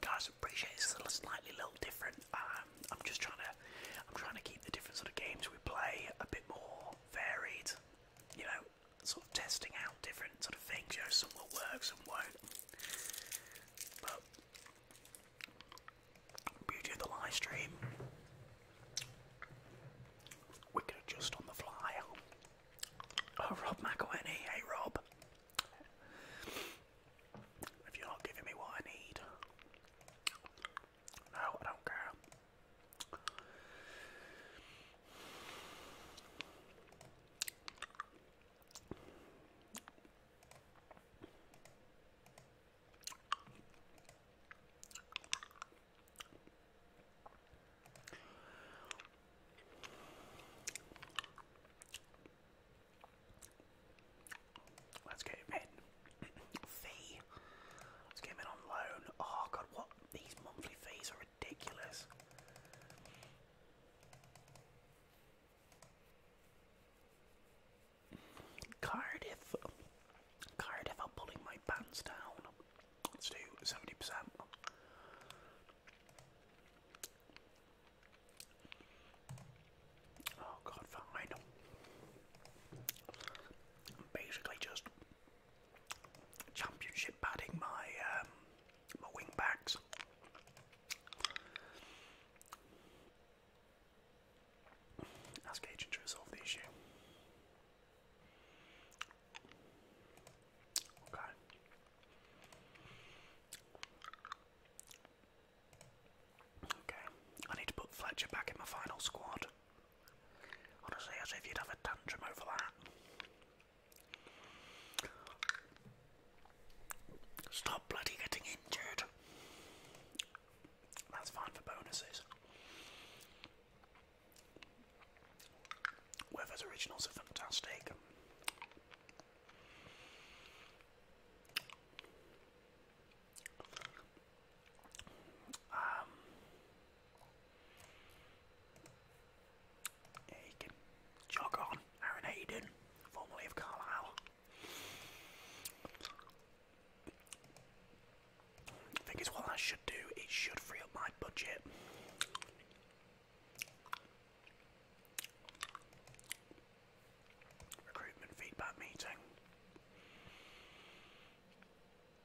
Guys, appreciate it's a slightly little different. Um, I'm just trying to, I'm trying to keep the different sort of games we play a bit more varied, you know, sort of testing out different sort of things, you know, some what works and won't. But beauty of the live stream we can adjust on the fly. Oh Rob McElhenney, hey Rob. If you're not giving me what I need, no, I don't care. Let's get him in fee. Let's on loan. Oh god, what? These monthly fees are ridiculous. Cardiff. Cardiff are pulling my pants down. Let's do 70%. Oh god, fine. I'm basically just championship padding my um, my wing backs. Ask agent to resolve the issue. Okay. Okay. I need to put Fletcher back in my final squad. Honestly, as if you'd have a tantrum over that. Stop bloody getting injured. That's fine for bonuses. Weather's originals are fantastic. Um, yeah, Aaron Hayden, formerly of Carlisle. I think it's what I should do. It should free up my budget. Recruitment feedback meeting. 92k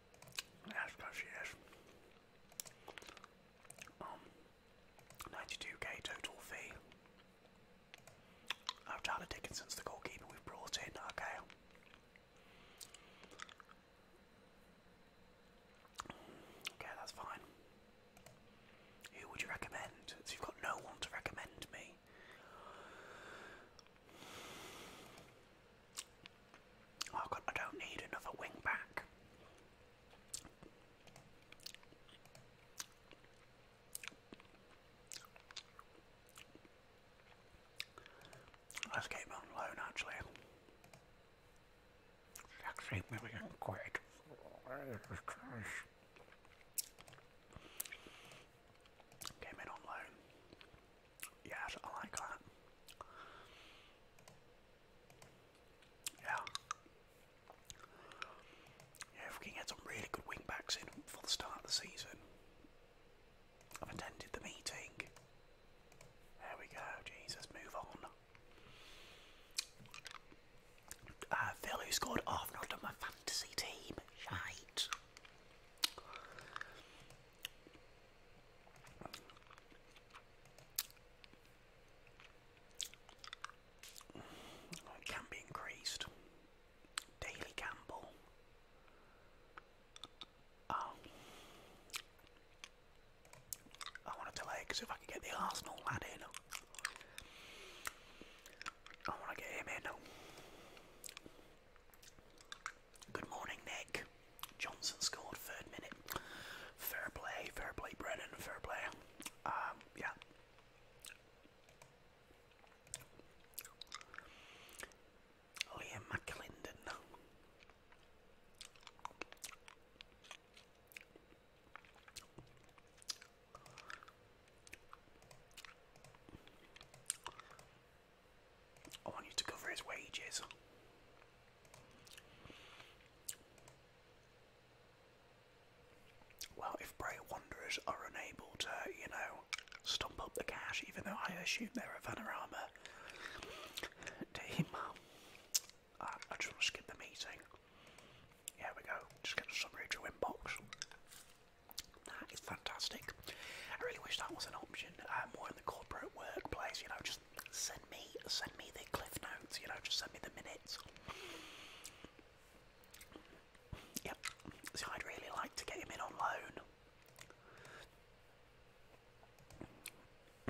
um, total fee. Oh, Tyler Dickinson's the goalkeeper we've brought in. Okay. Okay, that's fine. Who would you recommend? So you've got no one to recommend me. Oh god, I don't need another wingback. Let's get on loan actually. Actually, maybe I can quit. Came in on loan. Yes, I like that. Yeah. Yeah, we can get some really good wing backs in for the start of the season. I've attended the meeting. There we go, Jesus, move on. Uh, Phil, who scored? Oh, I've not done my fantasy team. Shite. It can be increased. Daily gamble. Um, I want to delay because if I can get the Arsenal lad in, I want to get him in. Good morning, Nick. Johnson scored third minute. Fair play, fair play, Brennan, fair play. Um, yeah. Liam McClendon. I want you to cover his wages. Well, if Bray Wanderers are unable to, you know, stump up the cash, even though I assume they're a Vanarama team, uh, I, just want to skip the meeting. Here we go, just get a summary to inbox. That is fantastic. I really wish that was an option um, more in the corporate workplace. You know, just send me, send me the cliff notes. You know, just send me the minutes. Yeah, See, I'd really like to get him in on loan.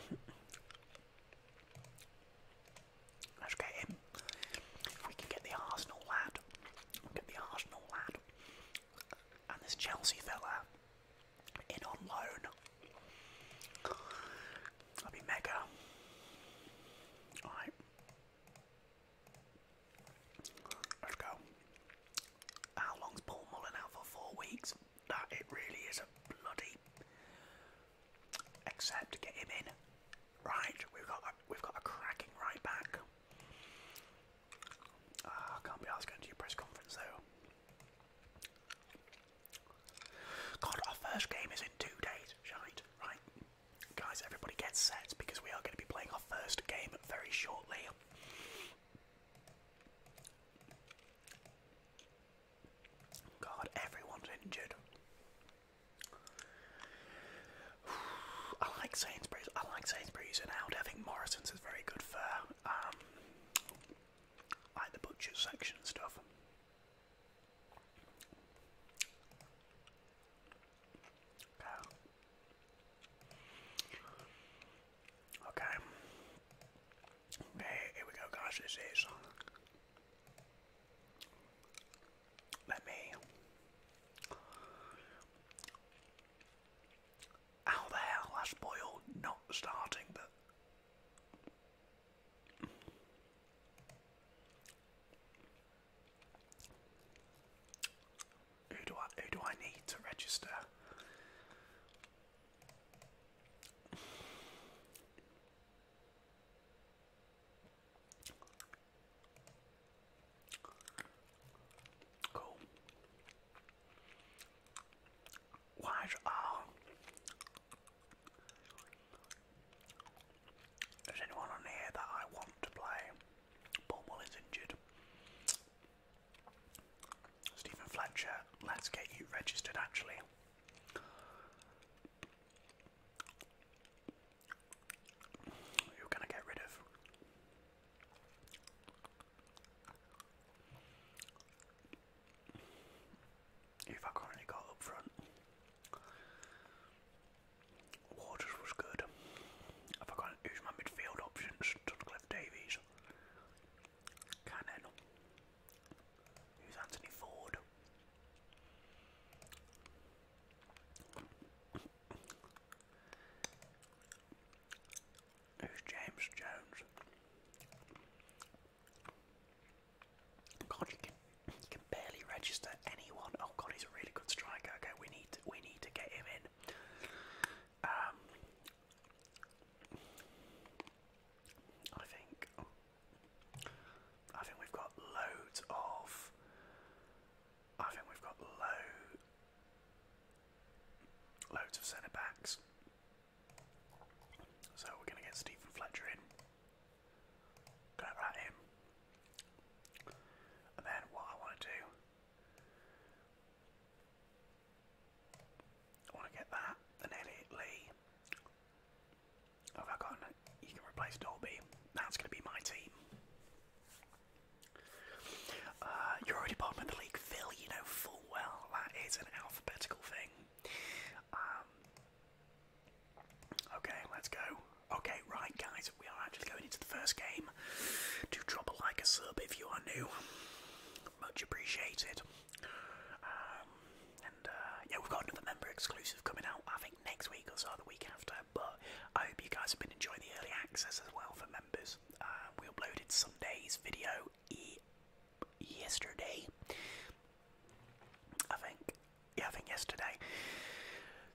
[coughs] Let's get him. If we can get the Arsenal lad, get the Arsenal lad, and this Chelsea fella in on loan. I'll be mega. Alright. Let's go. How long's Paul Mullen out for? Four weeks? That it really is a bloody except get him in. Right, we've got we've got a cracking right back. Ah, I can't be asked going to your press conference though. God, our first game is in two days, shite, right? Guys, everybody gets set because we are going to be playing our first game very shortly. God, everyone's injured. [sighs] I like Sainsbury's. I like Sainsbury's and out. I think Morrison's is very good for um, like the butcher section stuff. Okay. Okay, here we go, guys. This is. Uh, let me. How the hell has Boyle not starting? But who do I who do I need to register? Cool was all. Oh. There's anyone on here that I want to play. Bormwell is injured. Stephen Fletcher, let's get you registered actually. Who can I get rid of? If I currently got up front, Waters was good. If I can use my midfield options, Dudcliffe Davies, Cannon, use Anthony Ford who's James Jones. God, you can, barely register anyone. Oh God, he's a really good striker. Okay, we need we need to get him in. Um, I think I think we've got loads of. I think we've got low, loads of centre backs. So we're going to get Stephen Fletcher in. going that in. And then what I want to do, I want to get that, and Elliot Lee. Have I got? You can replace Dolby. That's going to be my team. you're already bottom of the league, Phil. You know full Oh well, that is an alphabetical thing. Um, okay, let's go. Okay, right, guys, we are actually going into the first game. Do drop a like, a sub if you are new. Much appreciated. Um, and uh, yeah, we've got another member exclusive coming out, I think, next week or so, the week after. But I hope you guys have been enjoying the early access as well for members. Uh, we uploaded Sunday's video yesterday. I think, yeah, I think yesterday.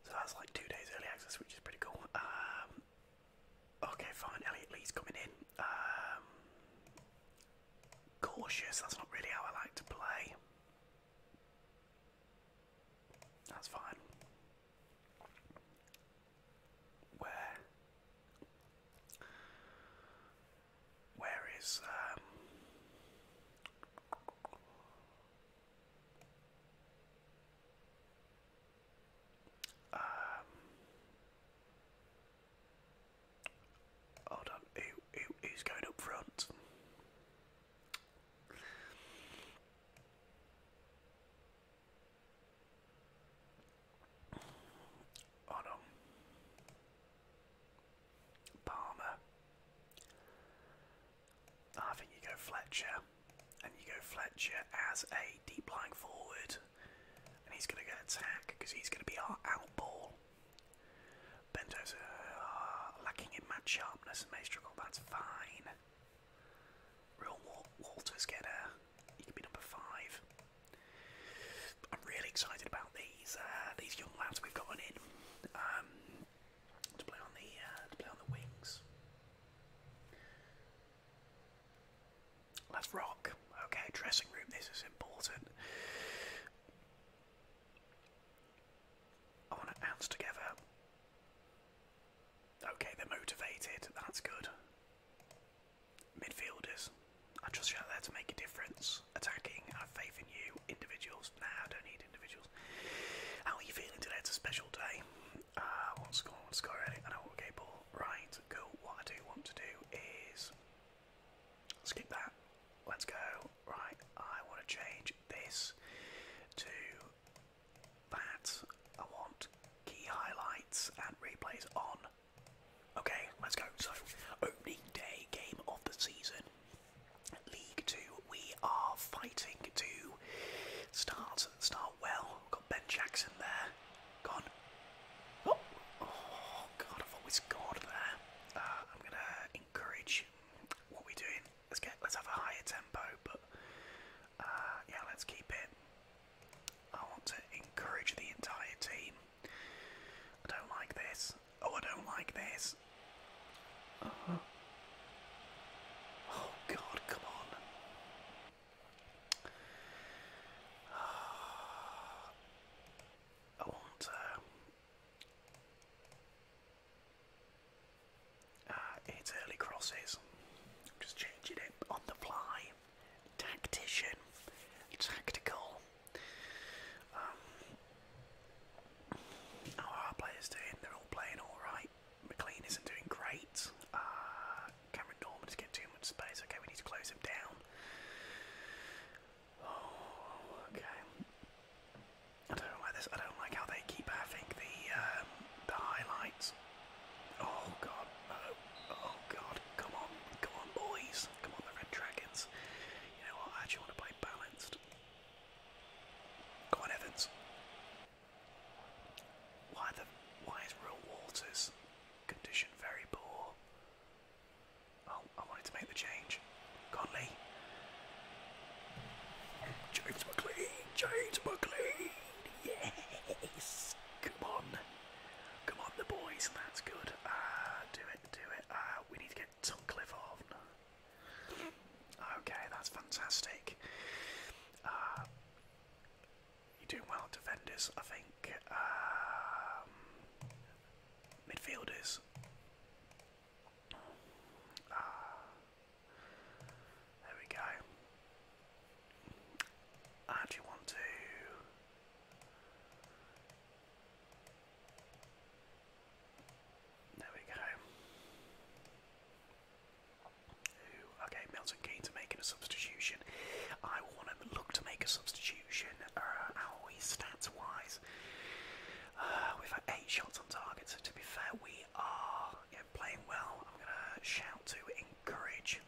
So that's like two days early access, which is pretty cool. Um, okay, fine. Elliot Lee's coming in. Um, cautious. That's not really how I like to play. That's fine. Where? Where is um um Hold on, who, who, who's going up front? on Palmer. I think you go Fletcher, and you go Fletcher as a deep lying forward, and he's going to go attack because he's going to be our out ball. Bento's uh, lacking in match sharpness may struggle. That's fine. Real Walters get He can be number five. I'm really excited about these uh, these young lads we've gotten in um, to play on the uh, to play on the wings. Let's rock. Okay, dressing room. This is important. I want to ounce together. Okay, they're motivated. That's good. Midfielders, I trust you out there to make a difference. Attacking, I have faith in you. Individuals, nah, I don't need individuals. How are you feeling today? It's a special day. Uh, I want to score, I want to score already. I know what okay, Right, cool. What I do want to do is skip that. Let's go. Right, I want to change this to that. I want key highlights and replays on. Okay, let's go. So, opening day game of the season. League Two, we are fighting to start start well. Got Ben Jackson there. Gone. Oh, oh God! I've always scored there. Uh, I'm gonna encourage what we're doing. Let's get. Let's have a higher tempo, but uh, yeah, let's keep it. I want to encourage the entire team. I don't like this. Oh, I don't like this. Uh-huh. Oh God, come on. [sighs] I want uh, uh, it's early crosses. I'm just changing it on the fly tactician, tactical. how um, are our players doing? They're all playing alright. McLean isn't doing great. Uh, Cameron Norman getting too much space. Okay, we need to close him down. Oh, okay. I don't like this. I don't like how they keep having the um, the highlights. Oh god. Oh, Oh god, come on, come on boys, come on the Red Dragons. You know what, I actually want to play balanced. Go on Evans. Why the why is Real Waters condition very poor? Oh, I wanted to make the change. Conley. James McLean, James McLean, yes, come on. Come on, the boys, that's good. Uh, do it, do it. Uh, we need to get Tunkliffe on. Okay, that's fantastic. Uh, you're doing well defenders, I think. Um, midfielders. there we go. I actually want to. There we go. Ooh, okay, Milton Keynes making a substitution. I want to look to make a substitution. Our uh, how are stats wise? Uh, we've had eight shots on target, so to be fair, we are playing well. I'm going to shout to encourage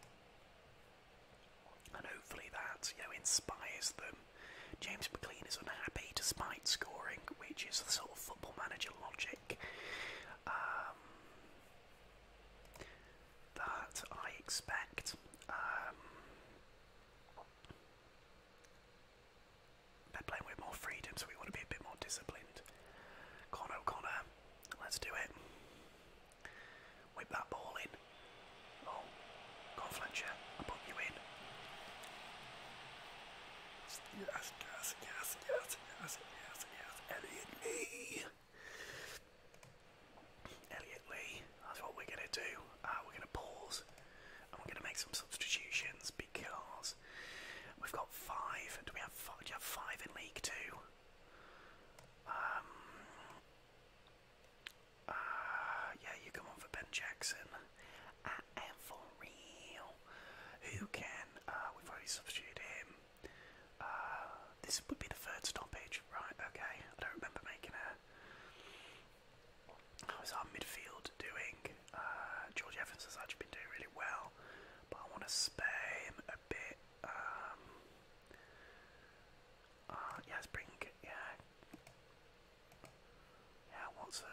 and hopefully that you know inspires them. James McLean is unhappy despite scoring, which is the sort of football manager logic um, that I expect. Um, are playing with more freedom, so we want to be a bit more disciplined. Con O'Connor, let's do it. Whip that ball in. Oh, go Fletcher, I put you in. Yes, yes, yes, yes, yes, yes, yes, Elliot Lee. Elliot Lee, that's what we're going to do. Uh, we're going to pause and we're going to make some substitutions because we've got five. Do we have five? Do you have five in League Two? Um, Ah, yeah, you come on for Ben Jackson. I am for real. Who can? Ah, we've already substituted him. Ah, this would be the third stoppage, right? Okay, I don't remember making a. How's our midfield doing? George Evans has actually been doing really well, but I want to spare him a bit. Um, bring yeah yeah, what's the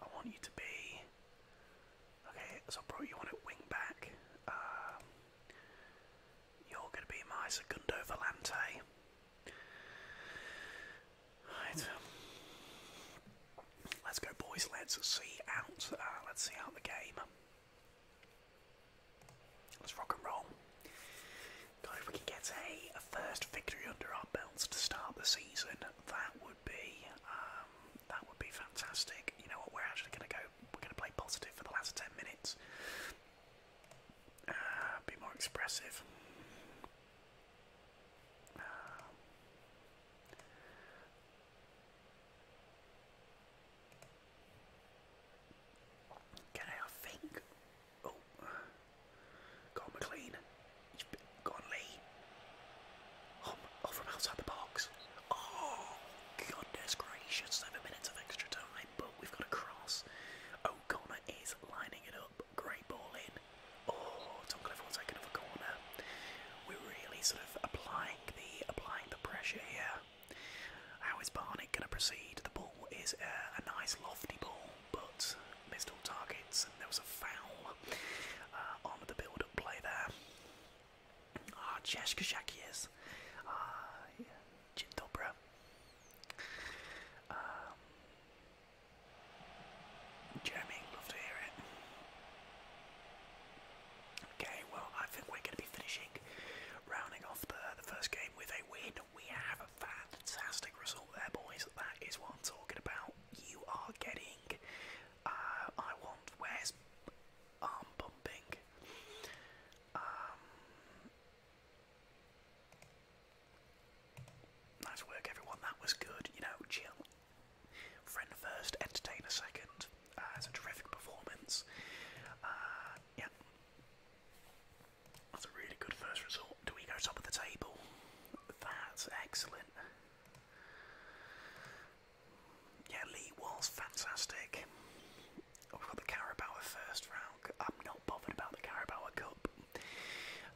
I want you to be. Okay, so bro, you want it wing back. Um, you're gonna be my Segundo Volante. Right. Let's go boys, let's see out uh, let's see out the game. Let's rock and roll. God, if we can get a, first victory under our belts to start the season, that would be um, that would be fantastic. You know what? We're actually going to go. We're going to play positive for the last ten minutes. Uh, be more expressive. Uh, I think Oh, Carl McLean. he Lee. Um, from outside the box. Oh, goodness gracious. Seven minutes of extra time, but we've got a cross. O'Connor is lining it up. Great ball in. Oh, Tom Clifford will another corner. We're really sort of applying the applying the pressure here. How is Barnett going to proceed? The ball ball is a nice lofty ball, but missed all targets, and there was a foul uh, on the build up play there. Ah, Cheshka Shakiers. Ah, yeah. Um, Jeremy, love to hear it. Okay, well, I think we're going to be finishing, rounding off the, the first game with a win we have a fantastic result there, boys. That is what I'm talking about. You are getting. Uh, I want. Where's arm pumping? Um, nice work, everyone. That was good. You know, chill. Friend first, entertain a second. Uh, a terrific performance. Uh, yeah. That's a really good first result. Do we go top of the table? That's excellent. Yeah, Lee was fantastic. Oh, we've got the Carabao first round. I'm not bothered about the Carabao Cup.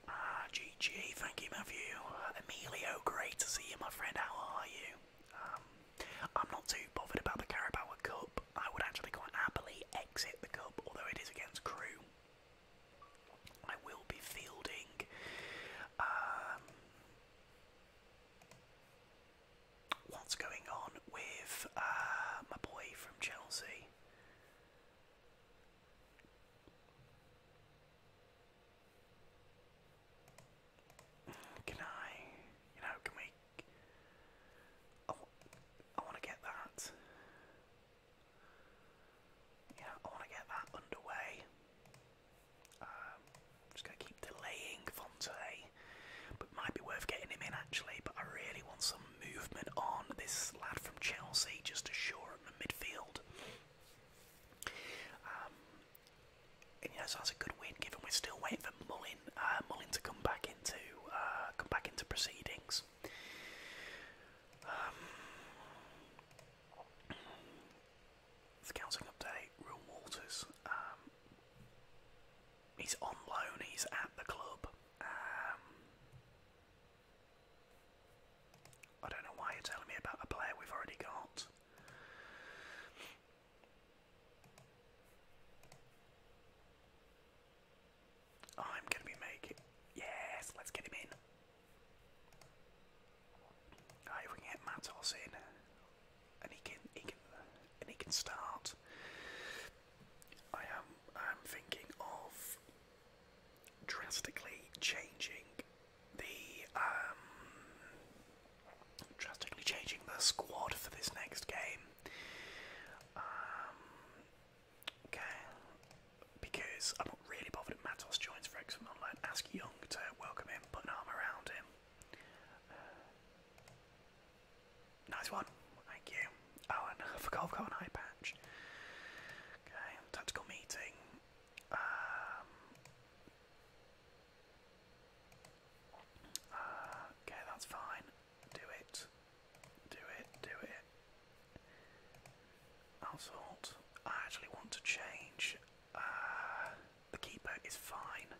Ah, GG. Thank you, Matthew. Uh, Emilio, great to see you, my friend. How are you? Um, I'm not too bothered about the Carabao Cup. I would actually quite happily exit the Cup, although it is against Crew. I will be fielding. Um, what's going on with uh, my boy from Chelsea? Can I, you know, can we? Oh, I want to get that. Yeah, I want to get that underway. Um, I'm just going to keep delaying Fonte, but might be worth getting him in actually. But I really want some movement on this lad from Chelsea just to shore up the midfield. Um, and you know, so that's a good win given we're still waiting for Mullin, uh, Mullin to come back into uh, come back into proceedings scouting um, update, Real Walters. Um, he's on loan, he's at the club. Um, I don't know why you're telling me about a player we've already got. I'm gonna be making. Yes, let's get him in. Right, if we can get Matos and he can, he can, and he can start. I am, I'm thinking of drastically changing the, um, drastically changing the squad for this next game. Um, Okay, because I'm not really bothered Matos joins for Online. Ask Young to welcome him, put an arm around him. nice one, thank you. Oh, and I [laughs] forgot I've Okay, tactical meeting. Um, uh, okay, that's fine. Do it. Do it. Do it. Assault. I actually want to change. Uh, the keeper is fine.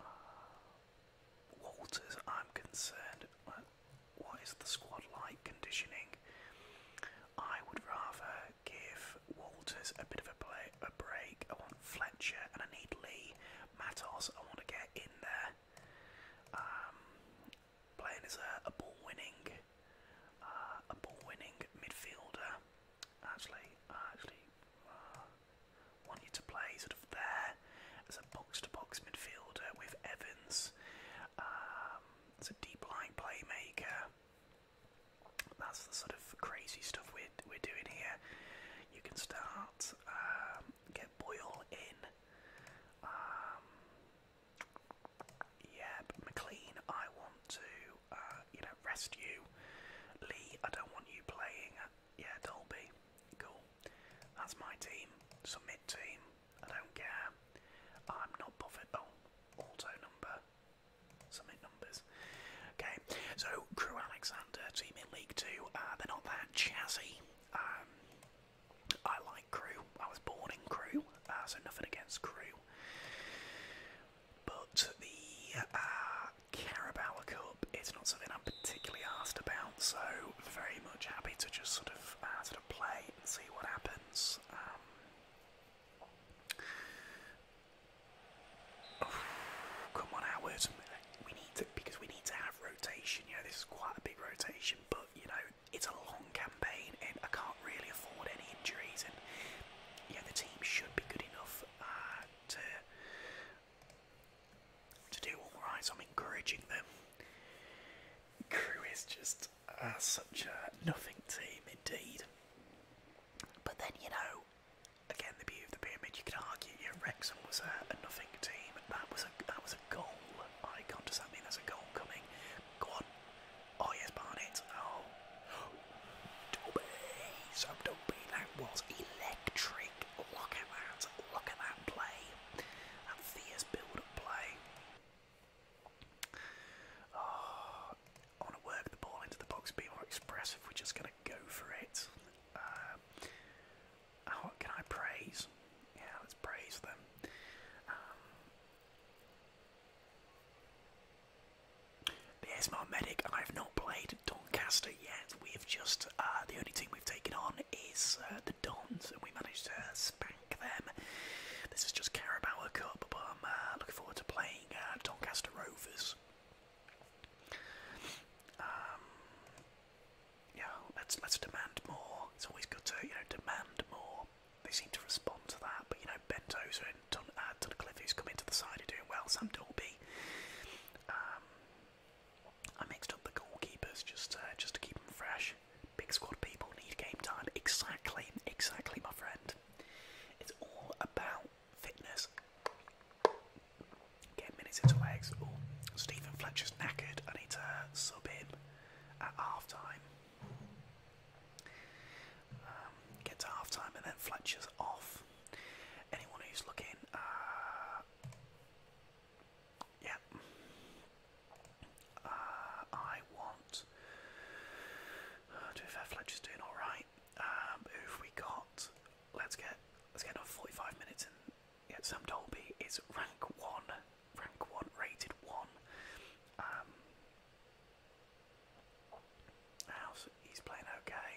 Uh, Walters, I'm concerned. what is the squad like conditioning? I would rather give Walters a bit of a, play, a break. I want Fletcher and I need Lee. Matos, I want to get in there. Um, playing as a, ball-winning, uh, a ball-winning midfielder. Actually, I uh, actually uh, want you to play sort of there as a box-to-box midfielder with Evans. It's um, a deep-line playmaker. That's the sort of crazy stuff we're we're doing here. You can start um, Boyle in. Um, yeah, McLean, I want to, uh, you know, rest you. Lee, I don't want you playing. Yeah, Dolby, cool. That's my team. Submit team. I don't care. I'm not bothered. Oh, auto number. Submit numbers. Okay, so Crew Alexander, team in League Two. Uh, they're not that chassis. I like Crew. I was born in Crew, uh, so nothing against Crew. But the uh, Carabao Cup, it's not something I'm particularly asked about, so very much happy to just sort of uh, sort of play and see what happens. Um, [sighs] come on, Howard! We need to because we need to have rotation. You know, this is quite a big rotation but you know, it's a long campaign and I can't really afford any injuries. And yeah, the team should be good enough uh, to to do all right. So I'm encouraging them. Crew is just uh, such a nothing team indeed. But then you know, again, the beauty of the pyramid. You could argue, yeah, Wrexham was a, nothing team. That was a that was that's a goal. Icon, does that mean there's a goal coming? Go Oh, yes, Barnett. Oh. [gasps] Dobby. So Dobby, that was electric. Look at that. Look at that play. That fierce build-up play. I want to work the ball into the box, be more expressive. We're just going to go for it. Uh, oh, can I praise? Yeah, let's praise them. Um, the ASMR Medic, I have not played Doncaster yet. We've just, uh, the only team we've taken on is uh, the Dons, and we managed to spank them. This is just Carabao Cup, but I'm uh, looking forward to playing Doncaster Rovers. Um, yeah, let's let's demand more. It's always good to you know demand more. They seem to respond to that, but you know Ben Tozer and Ton uh, Cliff who's come into the side are doing well. Some Dolby. Um, I mixed up the goalkeepers just uh, just to keep them fresh. Big squad people need game time. Exactly, exactly, my friend. It's all about fitness. Get minutes into legs. Stephen Fletcher's knackered. I need to sub him at halftime. Um, get to halftime and then Fletcher's off. Anyone who's looking, uh, yeah, uh, I want. Uh, to be fair, Fletcher's doing all right. Um, who've we got? Let's get let's get another forty-five minutes in yeah, Sam Dolby is rank one, rank one, rated one. Um, he's playing okay?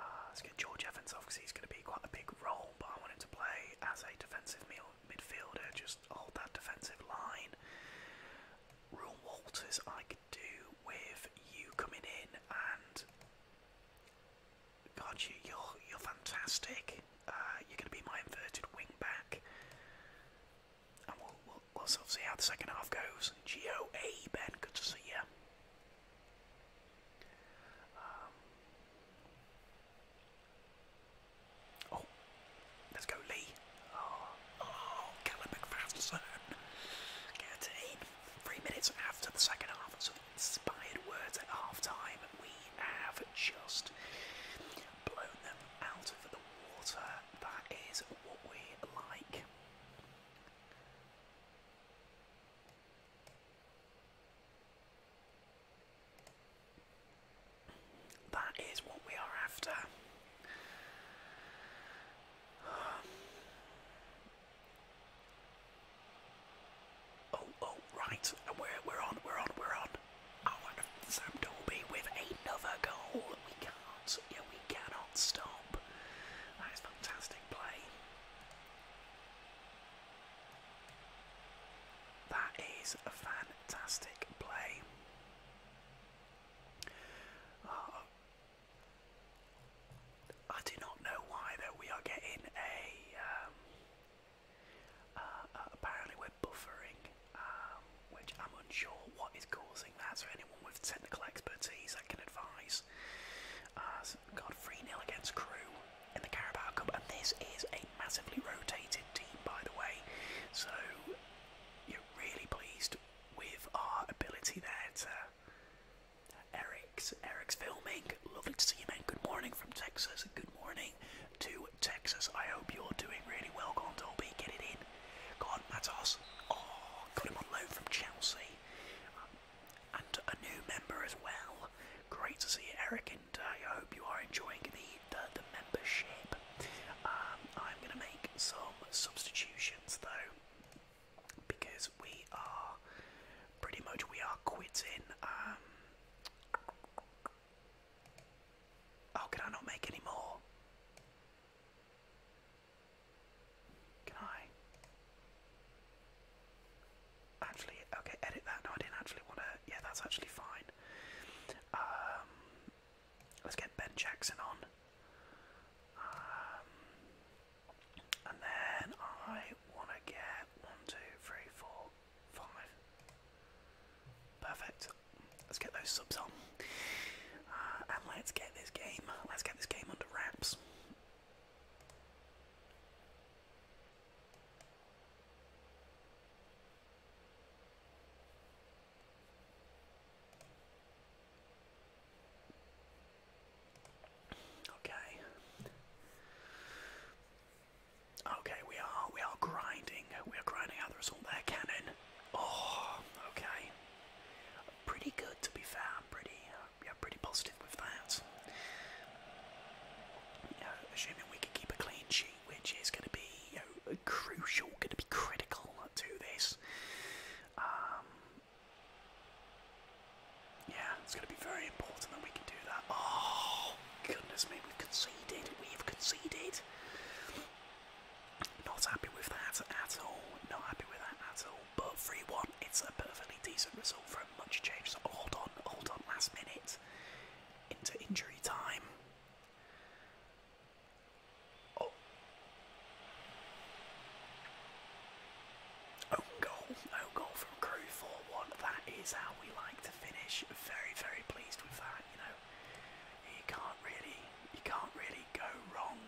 Uh, let's get George Evans off because he's going to be quite a big role, but I want to play as a defensive midfielder, just hold that defensive line. Rule Walters, I could do with you coming in and God, you, are you're fantastic. Uh, you're going to be my inverted wing and we'll we'll, we'll see how the second half goes. Geo Ben, good to see you. Um, oh, let's go Lee. Oh, oh Callum McPherson. Get in. Three minutes after the second half, inspired words at half time. We have just blown them out of the water. That is what we like. That is what we are after. Oh, oh, right. We're, we're on, we're on, we're on. Oh, Sam Dolby with another goal. We can't, yeah, we cannot stop. That is fantastic play. That is a fantastic play. Oh. I do not know why though we are getting a um, uh, uh, apparently we're buffering, um, which I'm unsure what is causing that. So anyone with technical expertise, I can advise. Uh, so got 3 0 against Crew in the Carabao Cup, and this is a massively rotated team, by the way. So you're really pleased with our ability there to. Eric's Eric's filming. Lovely to see you, man. Good morning from Texas. Good morning to Texas. I hope you're doing really well. Go Dolby, get it in. God, that's Matos. Oh, got him on loan from Chelsea. Um, and a new member as well. Great to see Eric, and uh, I hope you are enjoying the, the, membership. Um, I'm going to make some substitutions, though, because we are pretty much we are quitting. Um, Oh, can I not make any more? Can I? Actually, okay, edit that. No, I didn't actually want to. Yeah, that's actually fine. Um, let's get Ben Jackson on. Um, and then I want to get one, two, three, four, five. Perfect. Let's get those subs on, uh, and let's get this game. Let's get this game under wraps. Okay. Okay, we are we are grinding. We are grinding out the result there, Cannon. Oh, okay. Pretty good to be fair. Pretty, uh, yeah, pretty positive with that. Uh, assuming we can keep a clean sheet, which is going to be crucial, going to be critical to this. Um, yeah, it's going to be very important that we can do that. Oh, goodness me, we've conceded. We've conceded. Not happy with that at all. Not happy with that at all. But 3 1, it's a perfectly decent result for a much change. So hold on, hold on, last minute. Into injury time. Oh. Own goal, own goal from Crew 4 1. That is how we like very, very pleased with that. You know, you can't really, you can't really go wrong.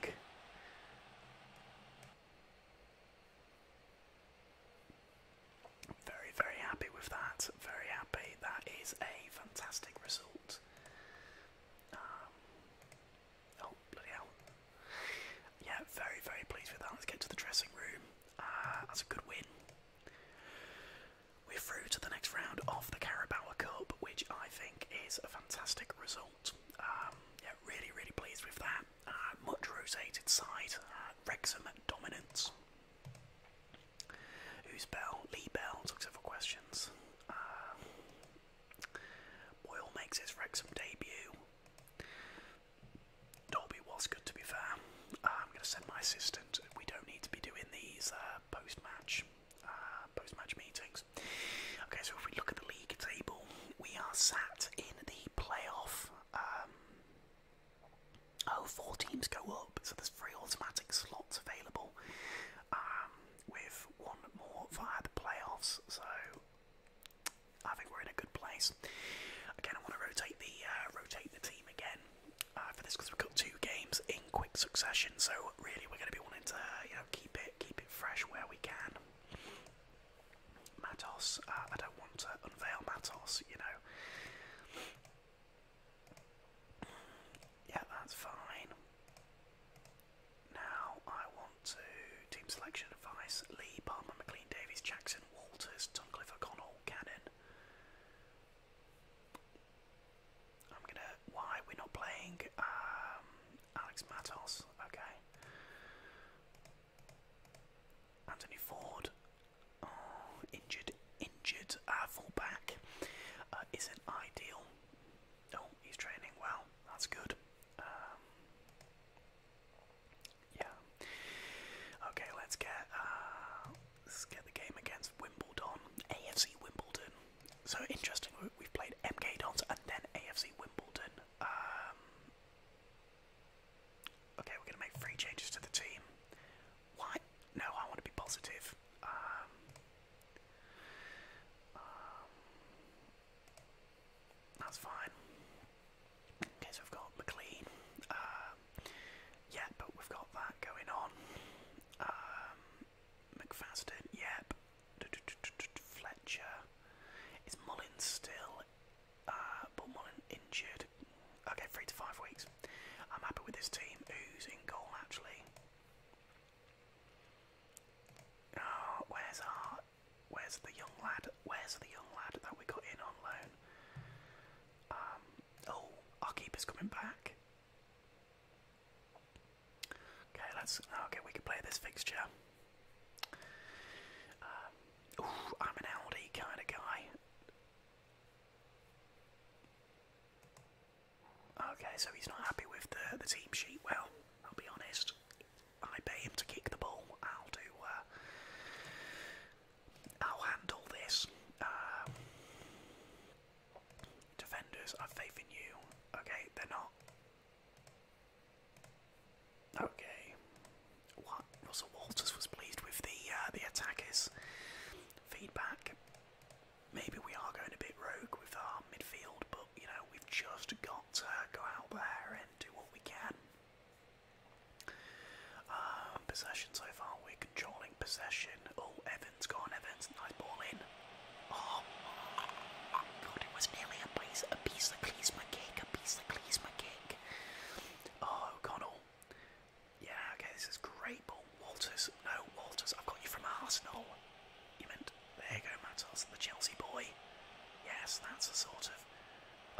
Very, very happy with that. Very happy. That is a fantastic result. Um, oh bloody hell! Yeah, very, very pleased with that. Let's get to the dressing room. Uh, that's a good win. We're through to the next round of the Carabao Cup, which I think is a fantastic result. Um, yeah, really, really pleased with that. Uh, much rotated side, uh, Wrexham dominance. Who's Bell? Lee Bell took several questions. Uh, Boyle makes his Wrexham debut. Dolby was good to be fair. I'm going to send my sister we don't need to be doing these uh, post-match, uh, post-match meetings. Okay, so if we look at the league table, we are sat in the playoff. Um, oh, four teams go up, so there's three automatic slots available, um, with one more via the playoffs. So. I think we're in a good place. Again, I want to rotate the uh, rotate the team again. Uh, for this because we've got two games in quick succession. So really, we're going to be wanting to you know keep it keep it fresh where we can. Matos, uh, I don't want to unveil Matos, you know. Yeah, that's fine. Now I want to team selection advice: Lee, Palmer, McLean, Davies, Jackson, Walters, Tuncliffe, O'Connell, Cannon. I'm gonna. Why we're not playing um, Alex Matos? Okay. Anthony Ford, oh, injured, injured uh, fullback uh, isn't ideal. Oh, he's training well. That's good. Um, yeah. Okay, let's get. Uh, Let's get the game against Wimbledon, AFC Wimbledon. So interesting, we've played MK Dons and then AFC Wimbledon. Um, okay, we're going to make three changes to the team. Why? No, I want to be positive. Um, um, that's fine. Okay, so we've got McLean, yeah, but we've got that going on. Um, McFadden, yep. Fletcher. Is Mullins still? but uh, Mullin injured. Okay, three to five weeks. I'm happy with this team. Who's goal actually? Oh, where's our? Where's the young lad? Where's the young lad that we got in on loan? Um, Oh, our keeper's coming back. Okay, let's. Okay, we can play this fixture. Um, I'm an Aldi kind of guy. Okay, so he's not happy with the the team sheet. Well, I'll be honest. I pay him to kick the ball. I'll do. Uh, I'll handle this. Um, defenders, I've faith in you. Okay, they're not. Okay. What? Russell Walters was pleased with the uh, the attackers' feedback. Maybe we are going a bit rogue with our midfield, but you know we've just got to go out there and do what we can. Um, possession so far, we're controlling possession. Oh, Evans, gone. Evans. Nice ball in. Oh, God, it was nearly a piece, a piece of Klinsmann kick, a piece of Klinsmann kick. Oh, O'Connell. Yeah, okay, this is great ball. Walters, no, Walters, I've got you from Arsenal. You meant, there you go, Matos, the Chelsea boy. Yes, that's a sort of,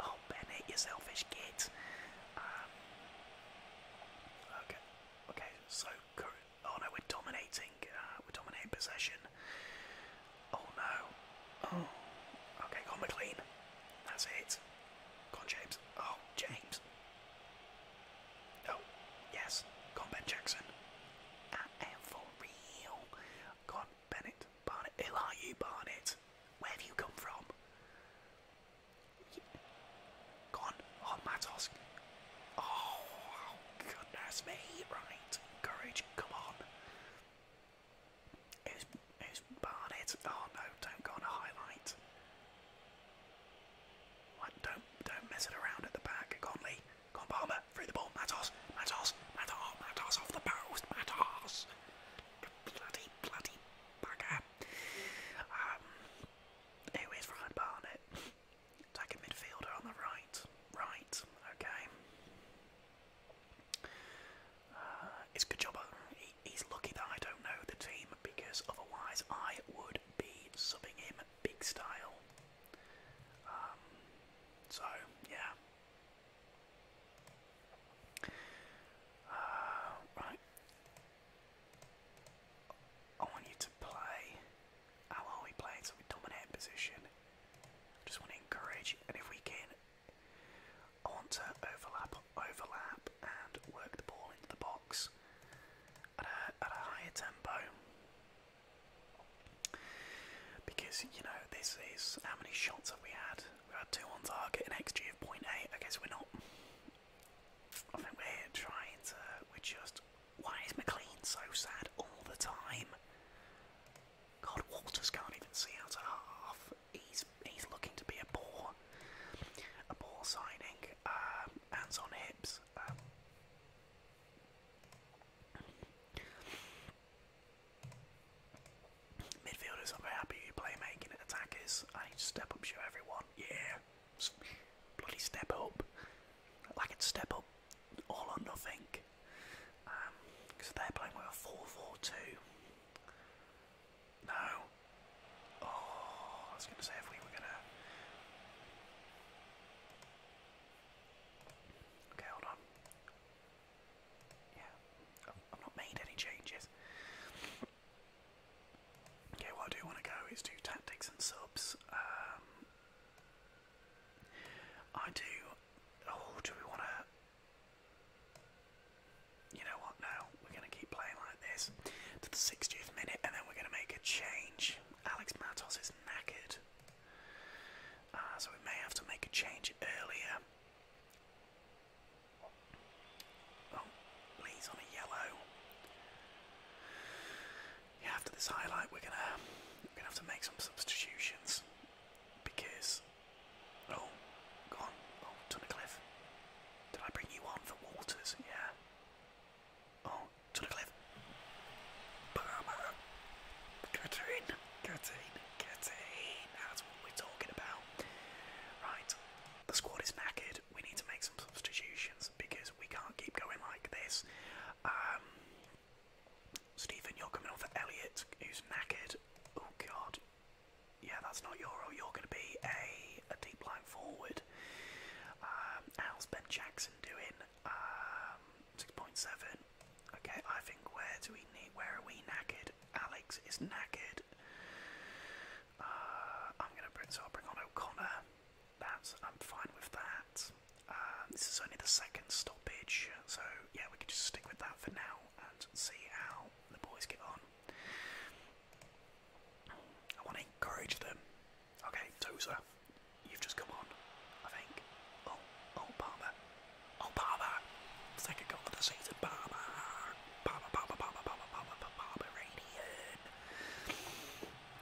oh, Bennett, you selfish git. Um, okay, Okay, so oh no, we're dominating. Uh, we're dominating possession. Oh no. Oh. Okay, go McLean. That's it. Go James. Oh, James. Oh, yes. Go Ben Jackson. I am for real. Go Bennett. Barnett. Who are you, Barnett? Where have you come from? Gone. Oh, Matos. Oh, goodness me. Right. Courage. Come on. Who's, who's Barnett? Oh, no. Don't go on a highlight. What? Don't, don't mess it around at the back. Conley. Con Palmer. Through the ball. Matos. Matos. Matos. Matos off the post. Matos. Bloody, bloody bugger. Um, Anyways, Ryan Barnett, like midfielder on the right. Right, okay. Uh, it's good job. he's lucky that I don't know the team because otherwise I would be subbing him big style. Um, so, yeah. Uh, right, I want you to play. How are we playing? So we dominate position. Just want to encourage, and if we can, I want to overlap, overlap, and work the ball into the box at a, at a higher tempo. Because you know this is how many shots have we had? We had two on target, an XG of 0.8. I guess we're not I think we're trying to. We're just. Why is McLean so sad all the time? God, Walters can't even see out of half. He's he's looking to be a bore. A bore signing. Um, hands on hips. Um. Midfielders, I'm happy you play making it. Attackers, I step up, show everyone. Yeah bloody step up, like it's step up all on nothing. Because um, they're playing with a 4 No. Oh, I was going to say if we were going to. Okay, hold on. Yeah, I've not made any changes. Okay, what I do want to go is do tactics and subs. Um, I do. Oh, do we want to? You know what? No, we're going to keep playing like this to the 60th minute, and then we're going to make a change. Alex Matos is knackered, uh, so we may have to make a change earlier. Oh, Lee's on a yellow. Yeah, after this highlight, we're gonna we're gonna have to make some substitutions because oh, gone. Oh, Tunnicliffe. Did I bring you on for Walters? Yeah. Oh, Tunnicliffe. Get in, get in, get in. That's what we talking about. Right, the squad is knackered we need to make some substitutions because we can't keep going like this. Um, Stephen, you're coming on for Elliot, who's knackered. Oh God, yeah, that's not Euro. You're going to be a a deep line forward. Um, how's Ben Jackson doing? Um, six point seven. Okay, I think where do we need? Where are we knackered? Alex is knackered. Uh, I'm gonna bring so I'll bring on O'Connor. That's I'm fine with that. this is only the second stoppage, so yeah, we can just stick with that for now and see how the boys get on. I want to encourage them. Okay, Tozer, you've just come on, I think. Oh, oh, Palmer. Oh, Palmer! Second goal of the season, Palmer! Palmer, Palmer, Palmer, Palmer, Palmer, Palmer, Palmer,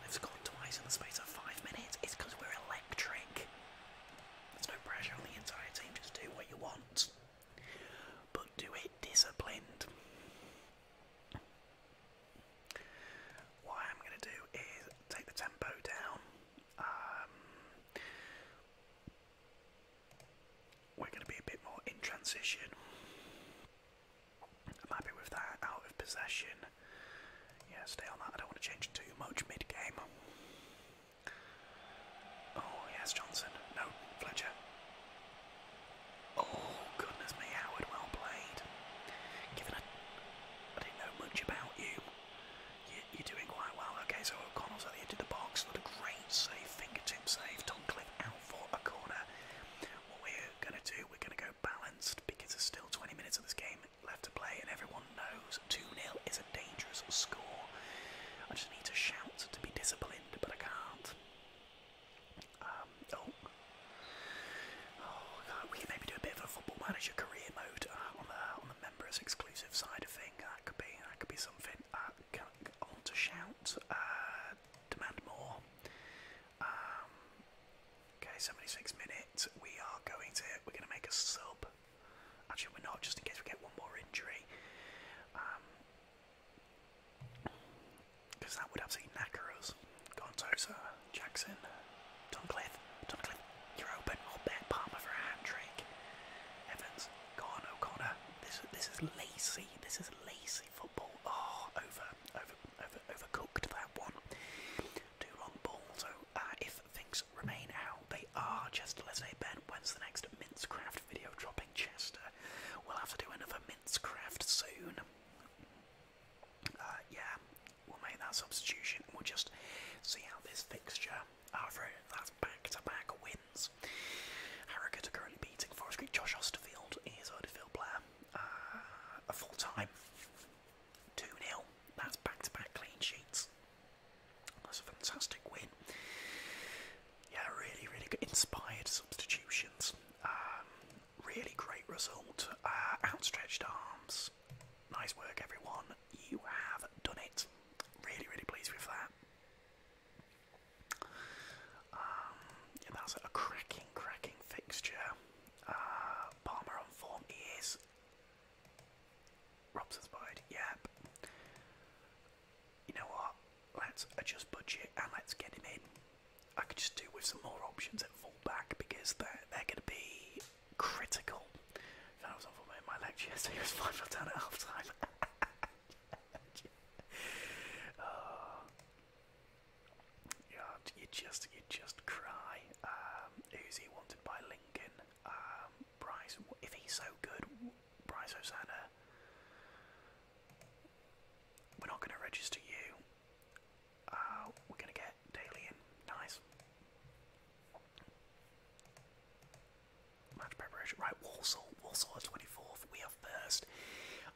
we have scored twice in the space of five minutes. It's because we're electric. There's no pressure on the entire team. Just do what you want, but do it disciplined. What I'm going to do is take the tempo down. Um, we're going to be a bit more in transition. I'm happy with that. Out of possession. Yeah, stay on that. I don't want to change too much mid game. Oh, yes, Johnson. No, Fletcher. Oh, goodness me, Howard, well played. Given a. I didn't know much about you. you are doing quite well. Okay, so O'Connell's at the edge of the box. What a great save, fingertip save. Tom Cliff out for a corner. What we're going to do, we're going to go balanced because there's still 20 minutes of this game left to play, and everyone knows 2 0 is a dangerous score. I just need to shout to be disciplined, but I can't. Um, oh. Oh, God, we can maybe do a bit of a football manager career mode uh, on the on the members exclusive side of thing. That could be that could be something. Uh, on to shout, uh, demand more. Um, okay, 76 minutes. We are going to. We're going to make a sub. Actually, we're not, just in case we get one more injury. Because um, that would have seen knacker us. Gontosa, Jackson, Duncliffe, Duncliffe, you're open. I'll bet Palmer for a hat trick. Evans, Gone, O'Connor. This, this is lacy. This is lacy football. Oh, over. Uh, over, over overcooked that one. Too long ball. So uh, if things remain how they are, Chester Leslie Ben, when's the next Mincecraft video dropping, Chester? We'll have to do another Mincecraft soon. Uh, yeah, we'll make that substitution. We'll just see how this fixture. Uh, that's back-to-back wins. Harrogate are currently beating Forest Creek. Josh Osterfield is Oderfield Blair. Uh, a full time. 2 nil. That's back to back clean sheets. That's a fantastic win. Yeah, really, really good. Inspired substitutions. Um, really great result. Uh, outstretched arms. Nice work, everyone. You have done it. Really, really pleased with that. Um, yeah, that's a cracking, cracking fixture. Uh, Palmer on form is. Robson's wide, yep. You know what? Let's adjust budget and let's get him in. I could just do with some more options at fullback because they're, they're going to be critical. If was on fullback in my lecture, so was 5 foot down at half time. [laughs] Uh, you just you just cry. Uzi um, wanted by Lincoln. Um, Bryce, if he's so good, Bryce Osana. We're not going to register you. Uh, we're going to get Daly Nice. Match preparation. Right, Walsall. Walsall 24th. We are first.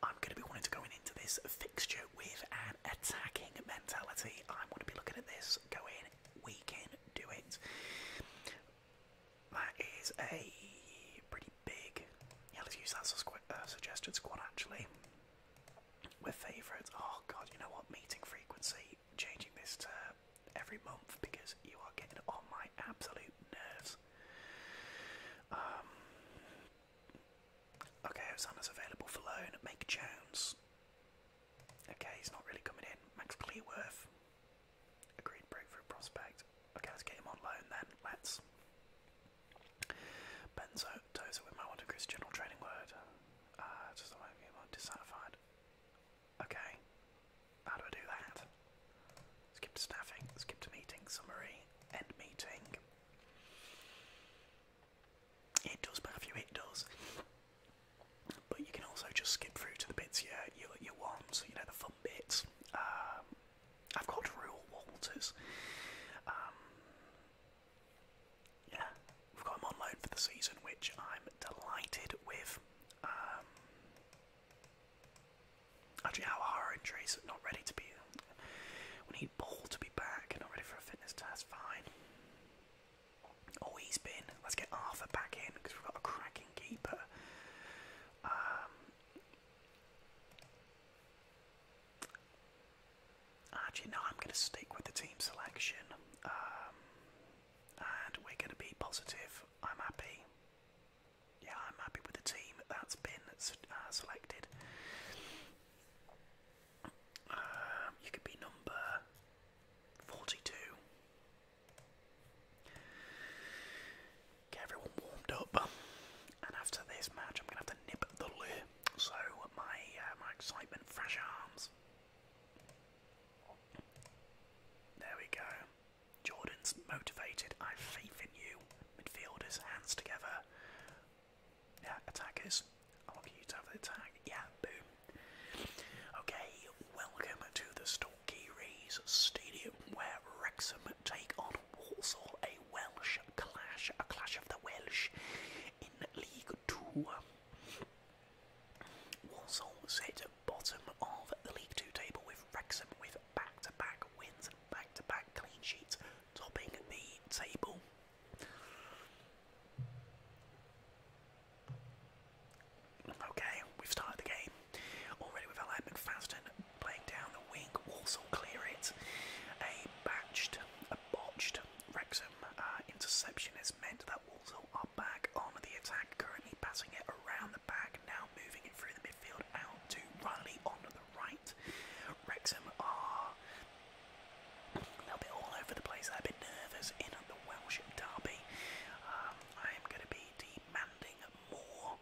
I'm going to be wanting to go into this fixture with an attacking mentality. I'm going to be looking at this Go in, we can do it. That is a pretty big. Yeah, let's use that uh, suggested squad actually. We're favourites. Oh god, you know what? Meeting frequency, changing this to every month because you are getting on my absolute nerves. Um, Okay, Hosanna's available for loan. Make Jones. Okay, he's not really coming in. Max Clearworth. Agreed breakthrough prospect. Okay, let's get him on loan then. Let's. Benzo Tozer with my one Chris general training word. Uh, just do make me dissatisfied. Okay. How do I do that? Skip to staffing, skip to meeting, summary, end meeting. It does Matthew, it does. But you can also just skip through to the bits you, you, want, so you know, the fun bits. Um, I've got Rule Walters. Um, yeah, we've got him on loan for the season, which I'm delighted with. Um, actually, our our injuries not ready to be we need Paul to be back. Not ready for a fitness test. Fine. Oh, he's been. Let's get Arthur back in because we've got a cracking keeper. Um, actually, no. I'm going to stick with the team selection, um, and we're going to be positive. I'm happy. Yeah, I'm happy with the team that's been uh, selected. Um, you could be number 42. Get everyone warmed up. And after this match, I'm going to have to nip the lure. So, my, uh, my excitement, fresh arms. There we go. Jordan's motivated. I have faith in you. Midfielders, hands together. Yeah, attackers. I want you to have the attack. Yeah, boom. Okay, welcome to the Stalky Rays Stadium where Wrexham take on Walsall, a Welsh clash, a clash of the Welsh in League Two. Walsall sit bottom of the League Two table with Wrexham with back-to-back wins and back to -back clean sheets, topping the table. Okay, we've started the game. Already with Alain McFadden playing down the wing. Walsall clear it. A batched, a botched Wrexham uh, interception has meant that Walsall are back on the attack, currently passing it around the back, now moving it through the midfield out to Riley on the right. Wrexham are a bit all over the place, a bit nervous in the Welsh derby. Um, I am going to be demanding more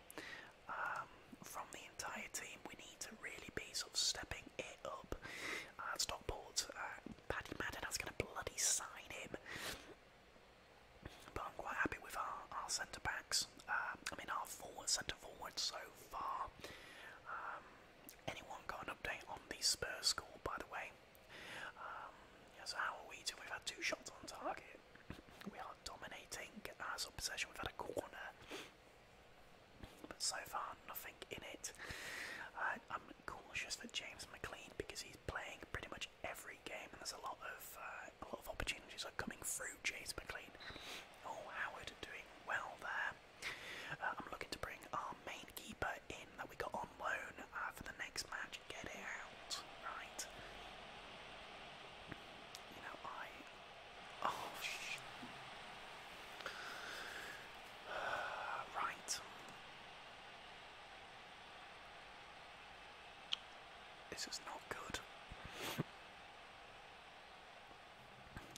um, from the entire team. We need to really be sort of stepping it up. Uh, Stockport, uh, Paddy Madden, that's got to bloody sign him. But I'm quite happy with our, centre backs. Um, I mean, our forward centre forwards so far. Anyone got an update on the Spurs score, by the way? Um, so how are we doing? We've had two shots on target. We are dominating our possession. We've had a corner, but so far nothing in it. I'm cautious for James McLean because he's playing pretty much every game, and there's a lot of uh, a lot of opportunities are coming through James McLean. Oh, Howard doing well there. I'm looking to bring our main keeper in that we got on loan uh, for the next match. Get it out, right? You know, I. Oh, [sighs] right. This is not good.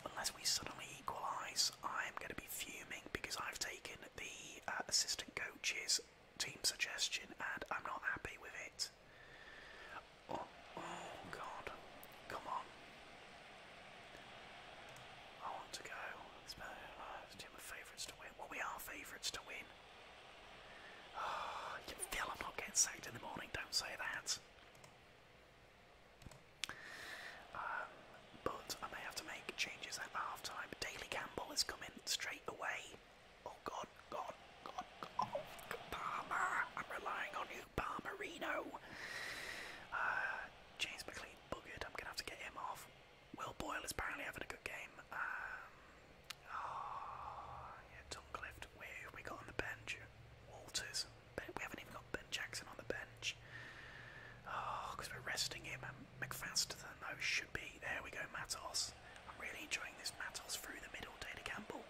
Unless we suddenly equalise, I'm going to be fuming because I've taken the uh, assistant coach's team suggestion and I'm not happy with it. Oh, oh God, come on. I want to go. It's better than Do favourites to win? Well, we are favourites to win. [sighs] you feel I'm not getting sacked in the morning, don't say that. Um, but I may have to make changes at halftime. time. Daily Campbell is coming straight away. Oh god, god, god, Palmer! I'm relying on you, Palmerino! Uh, James McLean buggered. I'm gonna have to get him off. Will Boyle is apparently having a good game. Um, oh, yeah, Where have we got on the bench? Walters. We haven't even got Ben Jackson on the bench. Oh, because we're resting him. And McFaster than those should be. There we go, Matos. I'm really enjoying this Matos through the middle, Data Campbell.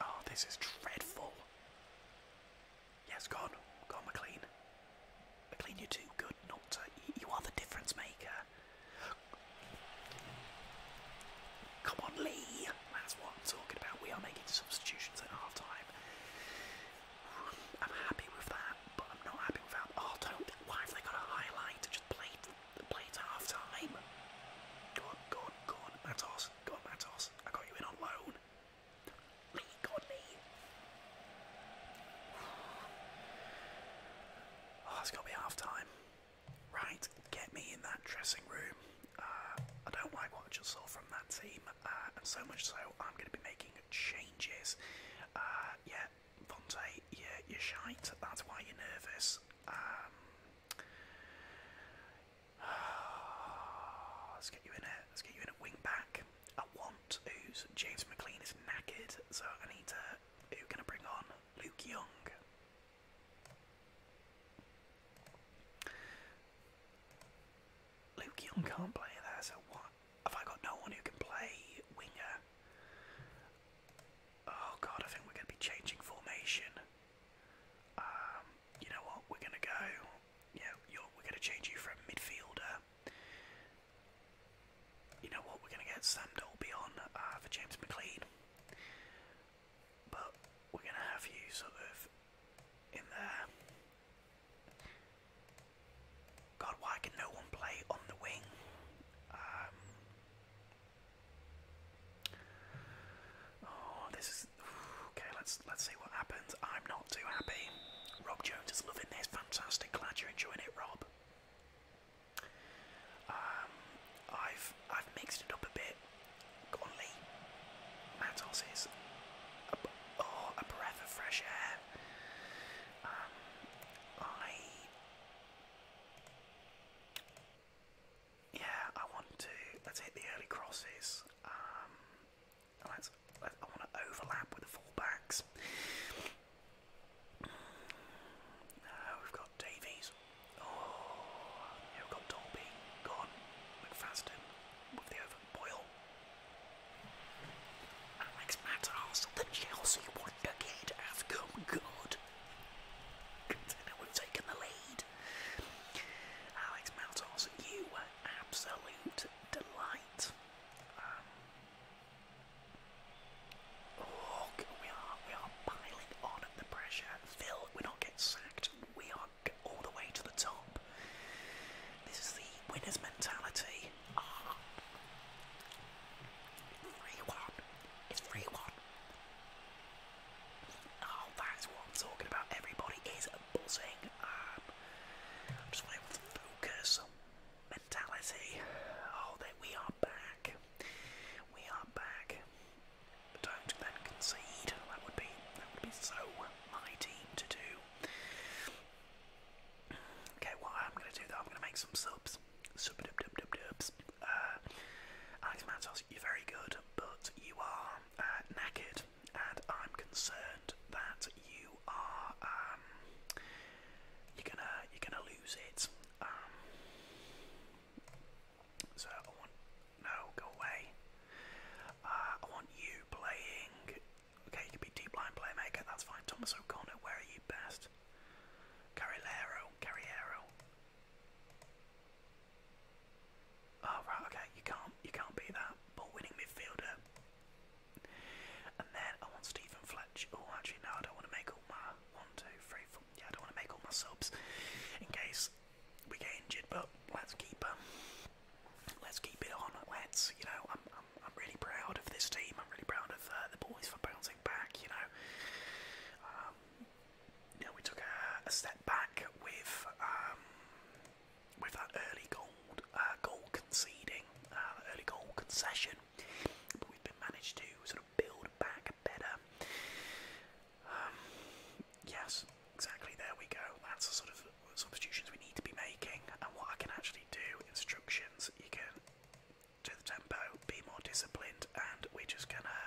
Oh, this is dreadful. Yes, gone. Gone, McLean. McLean, you're too good not to. You are the difference maker. Come on, Lee. That's what I'm talking about. We are making substitutions at half time. I'm happy with that, but I'm not happy without. Oh, don't. Why have they got a highlight to just play, play to half time? Go on, go on, go on, Matos. Go on, Matos. I got you in on loan. Lee got me. Oh, it's got to be half time. Right, get me in that dressing room. I don't like what I saw from that team, uh, and so much so I'm going to be making changes. Uh, yeah, Vontae, you you're shite, that's why you're nervous. Um, [sighs] let's get you in a let's get you in a wing back. I want who's James McLean is knackered, so I need to. Who can I bring on? Luke Young. Luke Young can't play there, so what? Have I got no one who can play winger? Oh god, I think we're going to be changing formation. Um, you know what? We're going to go. Yeah, we're going to change you from midfielder. You know what? We're going to get Sam Dolby on uh, for James McLean. But we're going to have you sort of in there. God, why can no one play on the wing? Um, oh, this is okay. Let's let's see what happens. I'm not too happy. Rob Jones is loving this. Fantastic. Glad you're enjoying it, Rob. Um, I've I've mixed it up a bit. Go on, oh, a breath of fresh air. Um, I. Yeah, I want to. Let's hit the early crosses. Um, let's. I want to overlap with the fullbacks. Uh, we've got Davies. Oh, we've got Dolby. Gone. McFadden with the Alex Matas, the Chelsea wonder has come good. we've taken the lead. Alex Matas, you were absolute delight. Um, we are we are piling on the pressure. Phil, we're not getting sacked. We are get all the way to the top. This is the winner's mentality. Oh. 1. It's 3 1. Oh, that's what I'm talking about. Everybody is buzzing. Um, I'm just wanting to focus. Mentality. Oh, that we are back. We are back. Don't then concede. That would be that would be so my team to do. Okay, what I'm going to do though, I'm going to make some subs. Sub dub dub dub dubs. Uh, Alex you're very good, but you are uh, and I'm concerned that you are um, you're gonna you're gonna lose it. Um, so no, go away. Uh, I want you playing. Okay, you can be deep line playmaker. That's fine. Thomas O'Connor, where are you best? Carrilero, Carriero. Oh right, okay. You can't, you can't be that ball-winning midfielder. And then I want Stephen Fletch. Oh, actually no, I don't want to make all my one, two, three, four. Yeah, I don't want to make all my subs in case we get injured, but let's keep um, let's keep it on. Let's, you know, I'm I'm, I'm really proud of this team. I'm really proud of uh, the boys for bouncing back. You know, um, you know, we took a, a step back with um, with that early goal uh, goal conceding, uh, early goal concession, but we've been managed to sort of build back better. Um, yes, exactly. There we go. That's the sort of substitutions we need to be making, and what I can actually do. Instructions. You can do the tempo, be more disciplined, and we're just gonna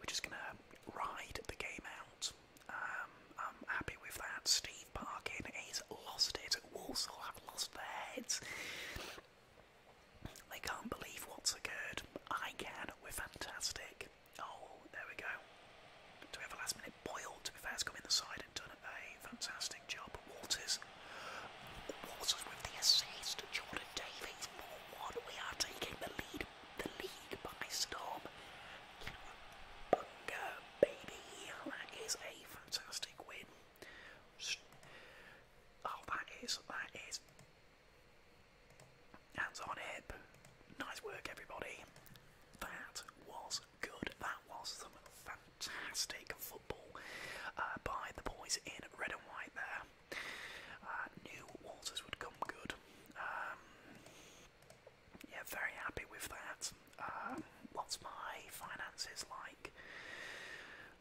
we're just gonna ride the game out. Um, I'm happy with that. Steve Parkin is lost it. Walsall have lost their heads. They can't believe what's occurred. I can. We're fantastic. Oh, there we go. Do we have a last minute boil? To be fair, has come in the side and done a fantastic job. Walters. Walters with the assist. Jordan Davies 4 1. We are taking the lead, the league by storm. Bunga, baby. That is a fantastic win. Oh, that is, that is. Hands on hip. Nice work, everybody. That was good. That was some fantastic football uh, by the boys in red and white there. Uh, knew Walters would come good. Um, yeah, very happy with that. Um, what's my finances like?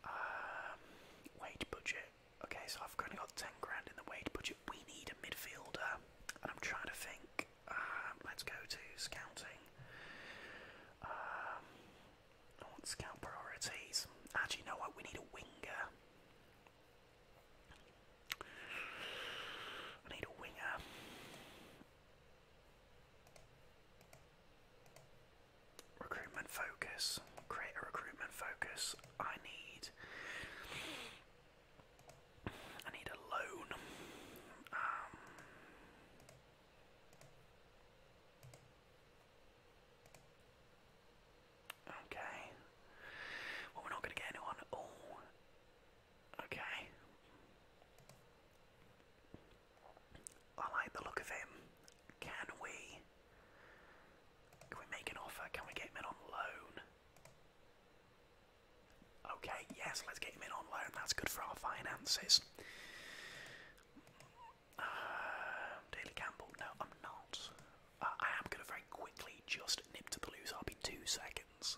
Um, wage budget. Okay, so I've currently got 10 grand in the wage budget we need a midfielder, and I'm trying to think. Um, let's go to scouting. Um, I want priorities. Actually, you know what? We need a winger. I need a winger. Recruitment focus. Create a recruitment focus. I need I need a loan. Um, okay. Well, we're not going to get anyone at all. Okay. I like the look of him. Can we? Can we make an offer? Can we get him on loan? Okay, yes, let's get him in on loan. That's good for our finances. Um, Daily Campbell, no, I'm not. Uh, I am going to very quickly just nip to the loose. I'll be two seconds.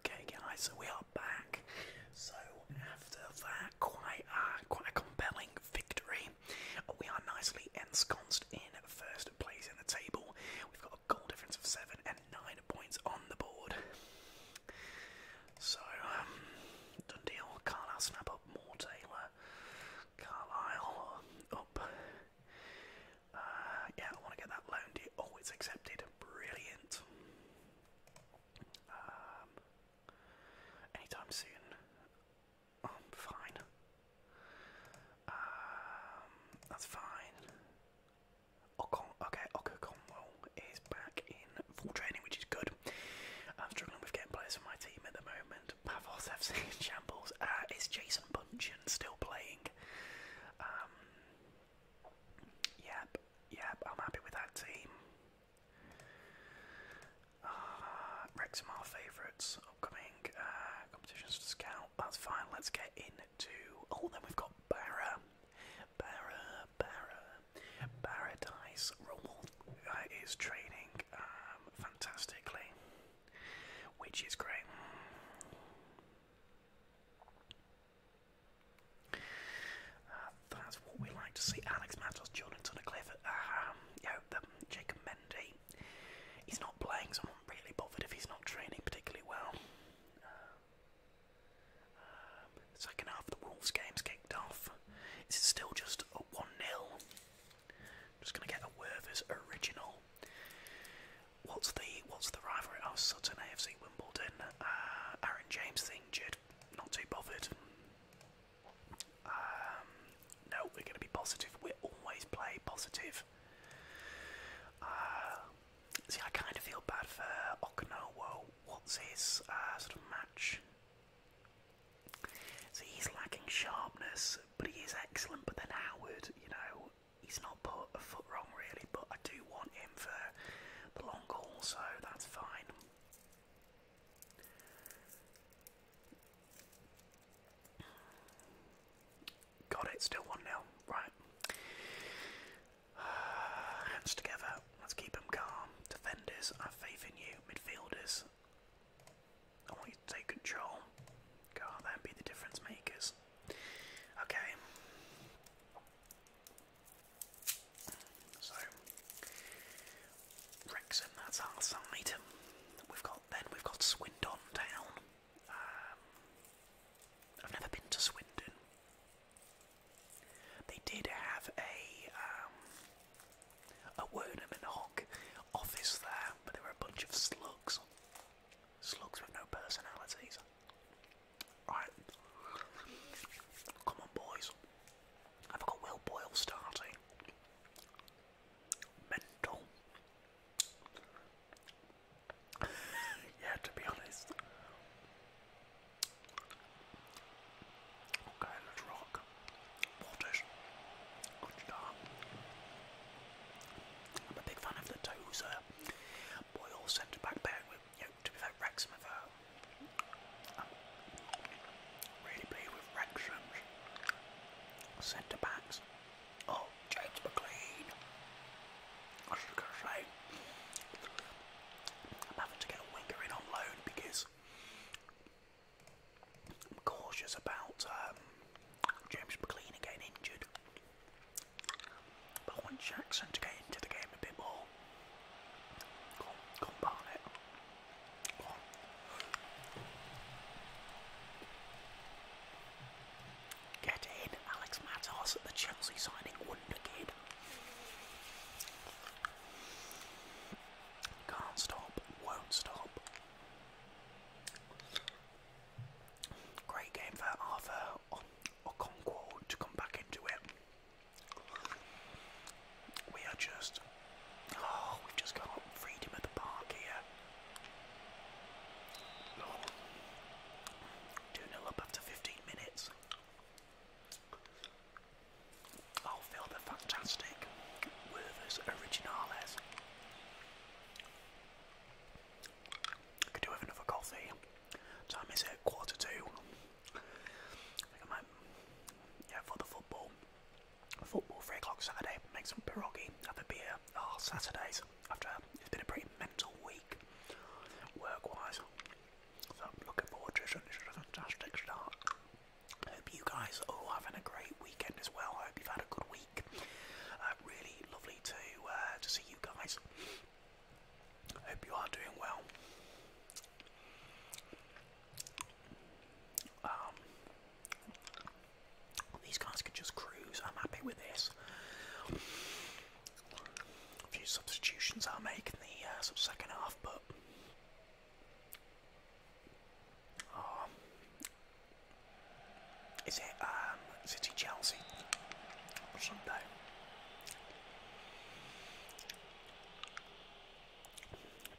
Okay, guys, so we are back. So after that, quite a, uh, quite a compelling victory. We are nicely ensconced in first place in the table. We've got a goal difference of seven and nine points on the board. So, um, done Carlisle snap up more Taylor. Carlisle up. Uh, yeah, I want to get that loan deal. Oh, it's accepted. Brilliant. Um, anytime soon. Oh, fine. Um, that's fine. Ocon, okay, Oka Conwell is back in full training, which is good. I'm struggling with getting players for my team at the moment. Pavos FC in [laughs] shambles. Uh, is Jason Buncheon still playing? Um, yep, yep, I'm happy with that team. Uh, Wrexham are favourites. Upcoming uh, competitions to scout. That's fine. Let's get into. Oh, then we've got Barra. Barra Barra Paradise Rummel is training um, fantastically, which is great. Uh, that's what we like to see. Alex Matos, Jordan Tunnicliffe, um, yeah, the, Jacob Mendy. He's not playing, so I'm not really bothered if he's not training particularly well. Uh, second half the Wolves game's kicked off. It's still just a 1 0? Just gonna get a Werther's original. What's the what's the rivalry? Oh, Sutton AFC Wimbledon. Uh, Aaron James thing, Jid. Not too bothered. Um, no, we're gonna be positive. We are always play positive. Uh, see, I kind of feel bad for Okanowo. What's his uh, sort of match? So he's lacking sharpness, but he is excellent. But then Howard, you know, he's not put a foot wrong really. But I do want him for the long haul, so that's fine. Got it, still 1 0. Right. [sighs] hands together. Let's keep them calm. Defenders, I have faith in you. Midfielders, I want you to take control. Go out there be the difference makers. Okay. So, Wrexham, that's our side. We've got then we've got Swindon Town. Um, I've never been to Swindon. They did have a um, a Wernham and Hawk office there, but there were a bunch of slugs, slugs with no personalities. Right, come on, boys. I've got Will Boyle starting. Mental. [laughs] yeah, to be honest. I'm a big fan of the toes. Uh, Boyle centre back pairing with, to be fair, Wrexham uh, really pleased with Wrexham's centre backs. Oh, James McLean. I was just going to say, I'm having to get a winger in on loan because I'm cautious about um, James McLean getting injured. But once want Jackson to into the game a bit more. Go on, go Get in, Alex Matos, the Chelsea signing wonder kid. Can't stop, won't stop. Great game for Arthur or, or to come back into it. We are just. Oh, we've just got freedom of the park here. 2 0 up after 15 minutes. Oh, Phil, they're fantastic. Werther's Originales. could do with another coffee. Time is at quarter two. yeah, for the football. Football, three o'clock Saturday. Make some pierogi, have a beer. Oh, Saturdays. After it's been a pretty mental week, work-wise. So I'm looking forward to it. a fantastic start. Hope you guys are all having a great weekend as well. I hope you've had a good week. Uh, really lovely to uh, to see you guys. Hope you are doing well. Um, these guys could just cruise. I'm happy with this. A few substitutions I make in the uh, second half, but is it City um, Chelsea or Sunday?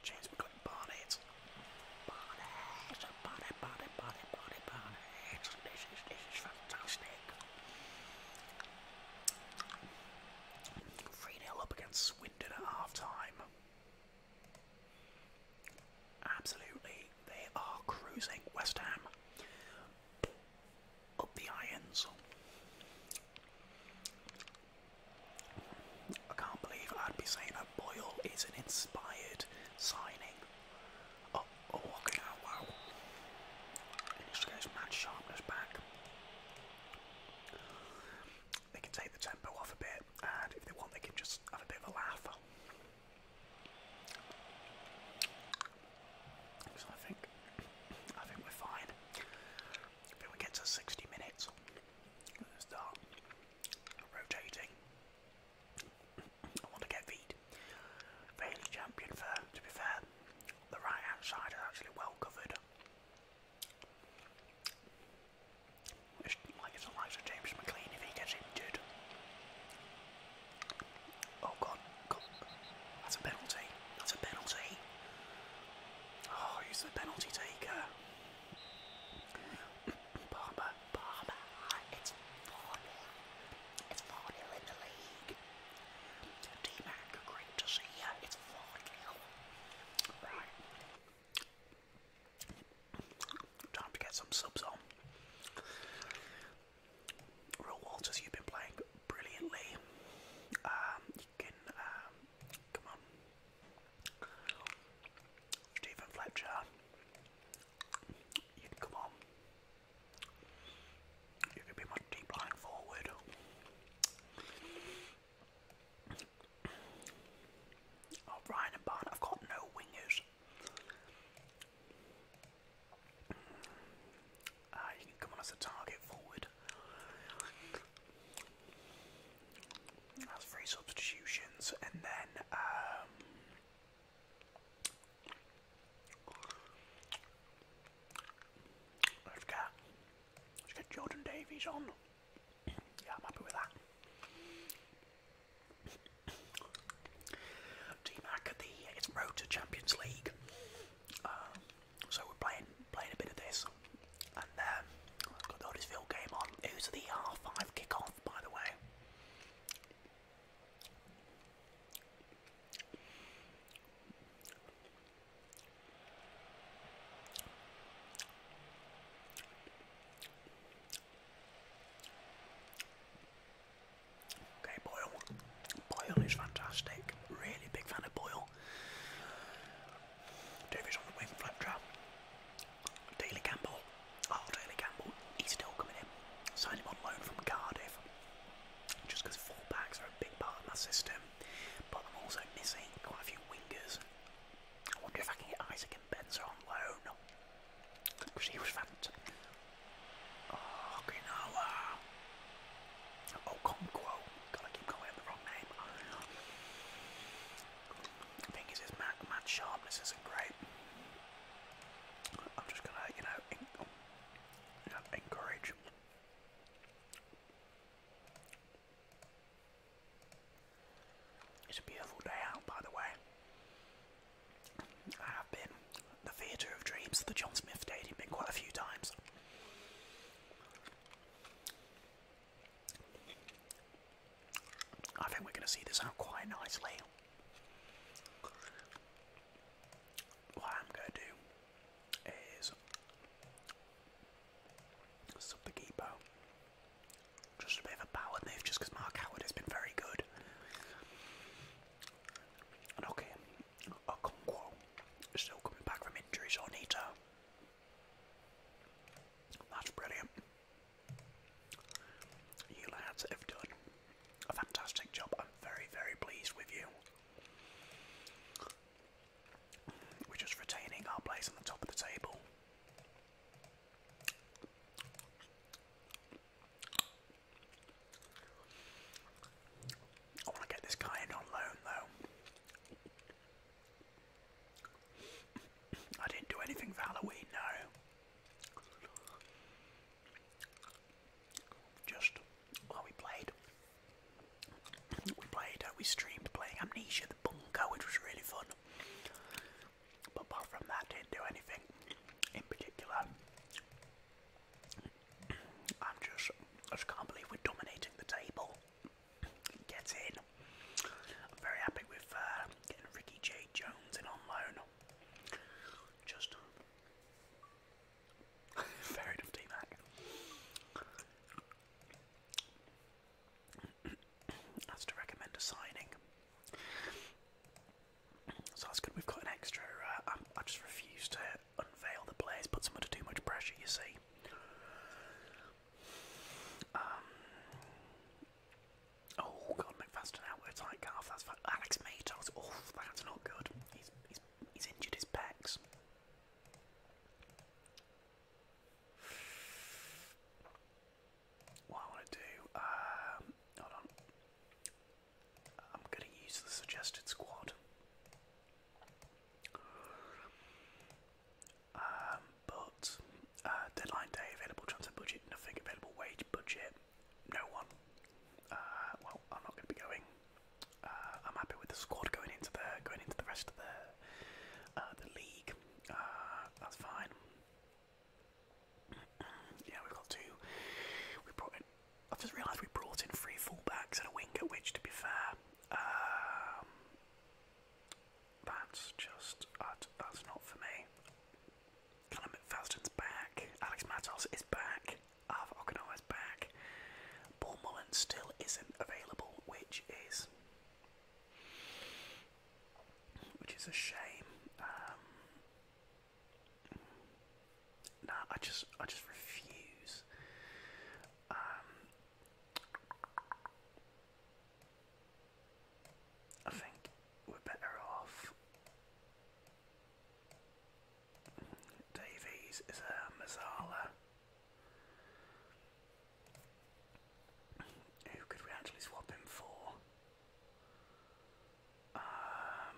James McCoy Barnett. Barnett, Barnett, Barnett, Barnett, Barnett, Barnett. This is, this is fantastic. 3 0 up against Swindon at half Absolutely, they are cruising. West Ham up the irons. I can't believe I'd be saying that Boyle is an inspired signing. Oh, oh, okay wow. In this case, Matt Sharpness back they can take the tempo off a bit, and if they want, they can just have a bit of a laugh. So I think, I think we're fine. I we get to 60 minutes. Let's start rotating. I want to get Veed. Bailey champion for, to be fair, the right hand side is actually well covered. It's like it's the likes of James McLean if he gets injured. Oh god, god, that's a penalty. That's a penalty. Oh, he's the penalty taker. [coughs] Barber, Barber, it's 4 It's 4 0 in the league. D Mac, great to see you. It's 4 0. Right. Time to get some subs on. Real Walters, you've been playing brilliantly. Um, you can, um, come on. Stephen Fletcher, you can come on. You can be my deep line forward. Oh, and Barn, I've got no wingers. Ah, you can come on as a target forward. That's three substitutions, and then um, Let's get, let's get Jordan Davies on. Yeah, I'm happy with that. DMAC at the it's Road to Champions League. Um, so we're playing playing a bit of this. And um I've got the Huddersfield game on. It at the half five kickoff by the way. Okay, Boyle. Boyle is fantastic. Really big fan of Boyle. Davies on the wing, Flapjack. Daily Campbell. Oh, Daily Campbell. He's still coming in. Signed him on loan from Cardiff. Just because full backs are a big part of my system. But I'm also missing quite a few wingers. I wonder if I can get Isaac and Benzer on loan. Because he was fantastic. Okinawa. Okonkwo. God, I keep calling him the wrong name. The thing is, his mad, sharpness isn't great. I'm just gonna, you know oh, encourage. It's a beautiful day out, by the way. I have been the Theatre of Dreams, the John Smith Stadium, been quite a few times. I think we're going to see this out quite nicely. What I'm going to do is sub the keeper just a bit of a power move just because Mark Howard has been very good. And okay, Okonkwo still coming back from injuries. so I That's brilliant. You lads have done a fantastic job. I'm very, very pleased with you. We're just retaining our place on the top of the table. I want to get this guy in on loan though. I didn't do anything for Halloween, no. Just while we played, we played, uh, we streamed playing Amnesia the Bunker, which was really fun. But apart from that, didn't do anything in particular. I'm just, I just can't believe we're dominating the table. Get in. I'm very happy with uh, getting Ricky J. Jones in on loan. Just [laughs] fair enough, T Mac as to recommend a signing. So that's good. We've got an extra. Uh, I, just refuse to unveil the players, Put them under too much pressure. You see. Um, oh God, McFadden out tight calf. That's fine. Alex Matos. Oh, that's not good. He's he's he's injured his pecs what I want to do, um, hold on, I'm going to use the suggested squad. Um, but uh, deadline day, available transfer budget, nothing, available wage budget, no one. Uh, well, I'm not going to be going. Uh, I'm happy with the squad going into the going into the rest of the uh, the league. Ah, that's fine. [clears throat] yeah, we've got two. We brought in. I've just realised we brought in three fullbacks and a winger, which, to be fair, um, that's just that's not for me. Callum McFadden's back. Alex Matos is back. Alva Okanoa back. Paul Mullen still isn't available, which is which is a shame. Um, no, I just, I just refuse. Um, I think we're better off. Davies is a Mazzala. Who could we actually swap him for? Um,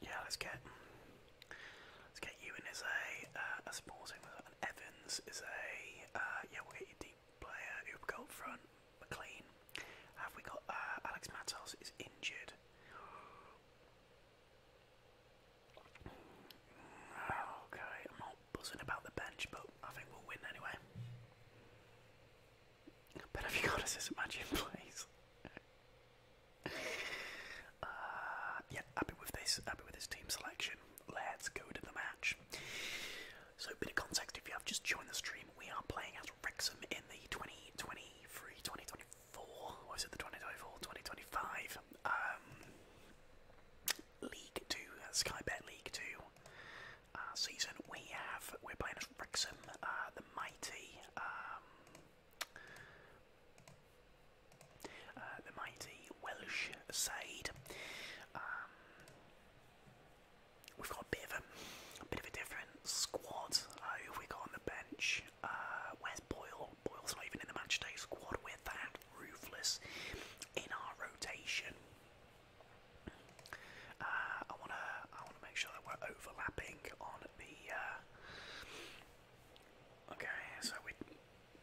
yeah, let's get let's get you as a uh, a sporting Evans is a uh, yeah we'll get you deep player who front McLean. Have we got uh, Alex Matos is injured? Okay, I'm not buzzing about the bench, but I think we'll win anyway. But have you got us this match in yeah, happy with this. Happy with this team selection. Let's go to the match. So, bit of context: if you have just joined the stream, we are playing as Wrexham in the 2023, 2024. it? The 2024, League Two, uh, Sky Bet League Two uh, season. We have we're playing as Wrexham, uh, the mighty, um, the mighty Welsh side. Um, we've got a bit of a, bit of a different squad. Uh, who have we got on the bench? with Boyle. Boyle's not even in the matchday squad. We're that ruthless in our rotation. Uh, I wanna, I wanna make sure that we're overlapping on the. Uh... Okay, so we,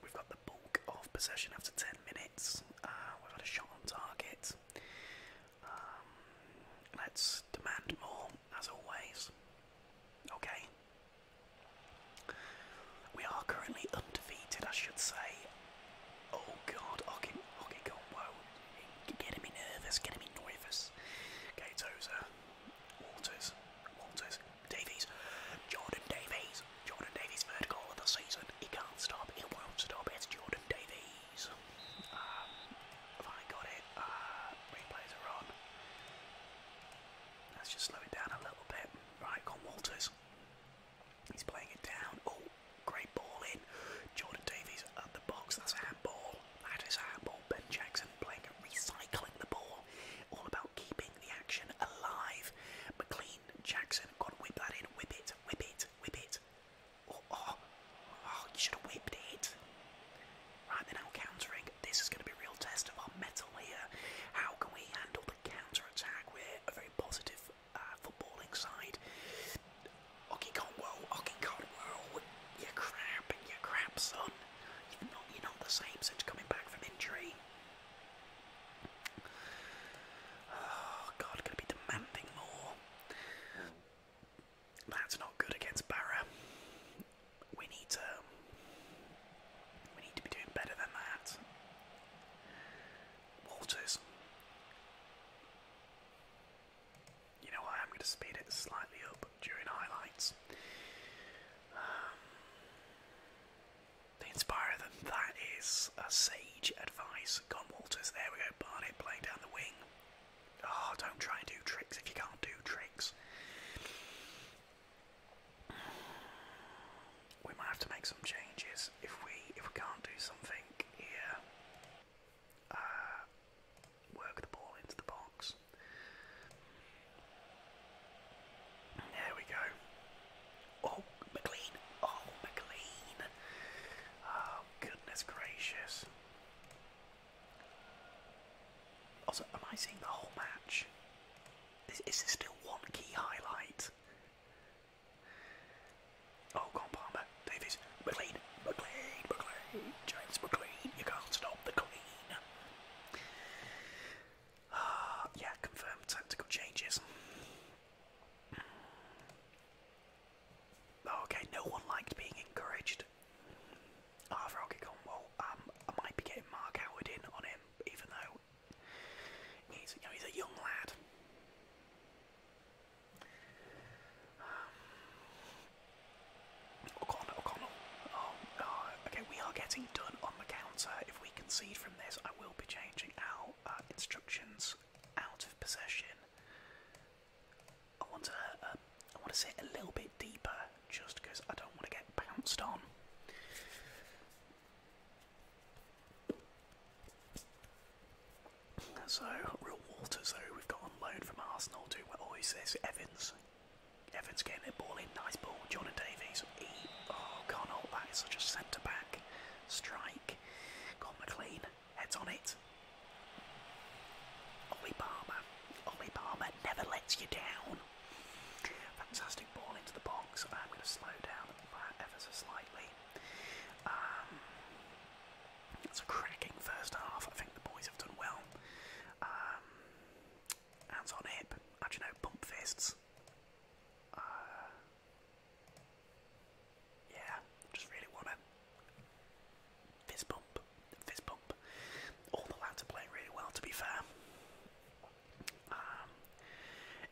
we've got the bulk of possession after ten minutes. Uh, we've had a shot on target. Um, let's demand more, as always. Okay, we are currently undefeated, I should say. Oh god, okay, okay, go, whoa. Getting me nervous, getting me nervous. Okay, Tozer, Walters, Walters, Davies, Jordan Davies, Jordan Davies, third goal of the season. He can't stop, he won't stop, it's Jordan Davies. Um, I got it? Uh, replays are on. Let's just slow it down a little bit. Right, Con Walters. He's playing it down. Oh, great ball in. Jordan Davies at the box. That's a handball. That is a handball. Ben Jackson playing recycling the ball. All about keeping the action alive. McLean Jackson. Got to whip that in. Whip it. Whip it. Whip it. Oh, oh, oh, you should have whipped it. Right, they're now countering. This is going to be a real test of our metal here. How can we handle up, counter-attack. We're a very positive uh, footballing side. Oki Conwell, Oki Conwell, you crap, you crap, son. You're not, you're not the same since coming back from injury. Oh God, gonna be demanding more. That's not good against Barra. We need to we need to be doing better than that. Walters. You know I'm going to speed it slightly up during highlights. Um, the inspirer that is a sage advice. Gone Walters. There we go. Barnett playing down the wing. Oh, don't try and do tricks if you can't do tricks. We might have to make some changes if we if we can't do something here. Uh, work the ball into the box. There we go. Oh, McLean! Oh, McLean! Oh, goodness gracious. Also, am I seeing the whole match? Is, is still one key highlight? Oh, go Palmer. Davies. McLean. McLean. McLean. James McLean. You can't stop the Queen. Ah, yeah, confirmed tactical changes. Oh, okay, no one liked being encouraged. Arthur Rocky Cornwall, um, I might be getting Mark Howard in on him, even though He's, a young lad. Um, O'Connell, O'Connell. Um, uh, okay, we are getting done on the counter. If we concede from this, I will be changing our uh, instructions out of possession. I want to, um, I want to sit a little bit deeper, just because I don't want to get bounced on. So, Real Waters, who we've got on loan from Arsenal, too. Oh, is this Evans? Evans getting the ball in, nice ball. John and Davies, oh, can't It's such a centre back strike. Got McLean, heads on it. Ollie Palmer, Ollie Palmer never lets you down. Fantastic ball into the box. I'm going to slow down ever so slightly. Um, it's a cracking first half. I think the boys have done well. Um, hands on hip. How you know? Bump fists. Uh, yeah, just really want to fist bump, fist bump. All the lads are playing really well, to be fair. Um,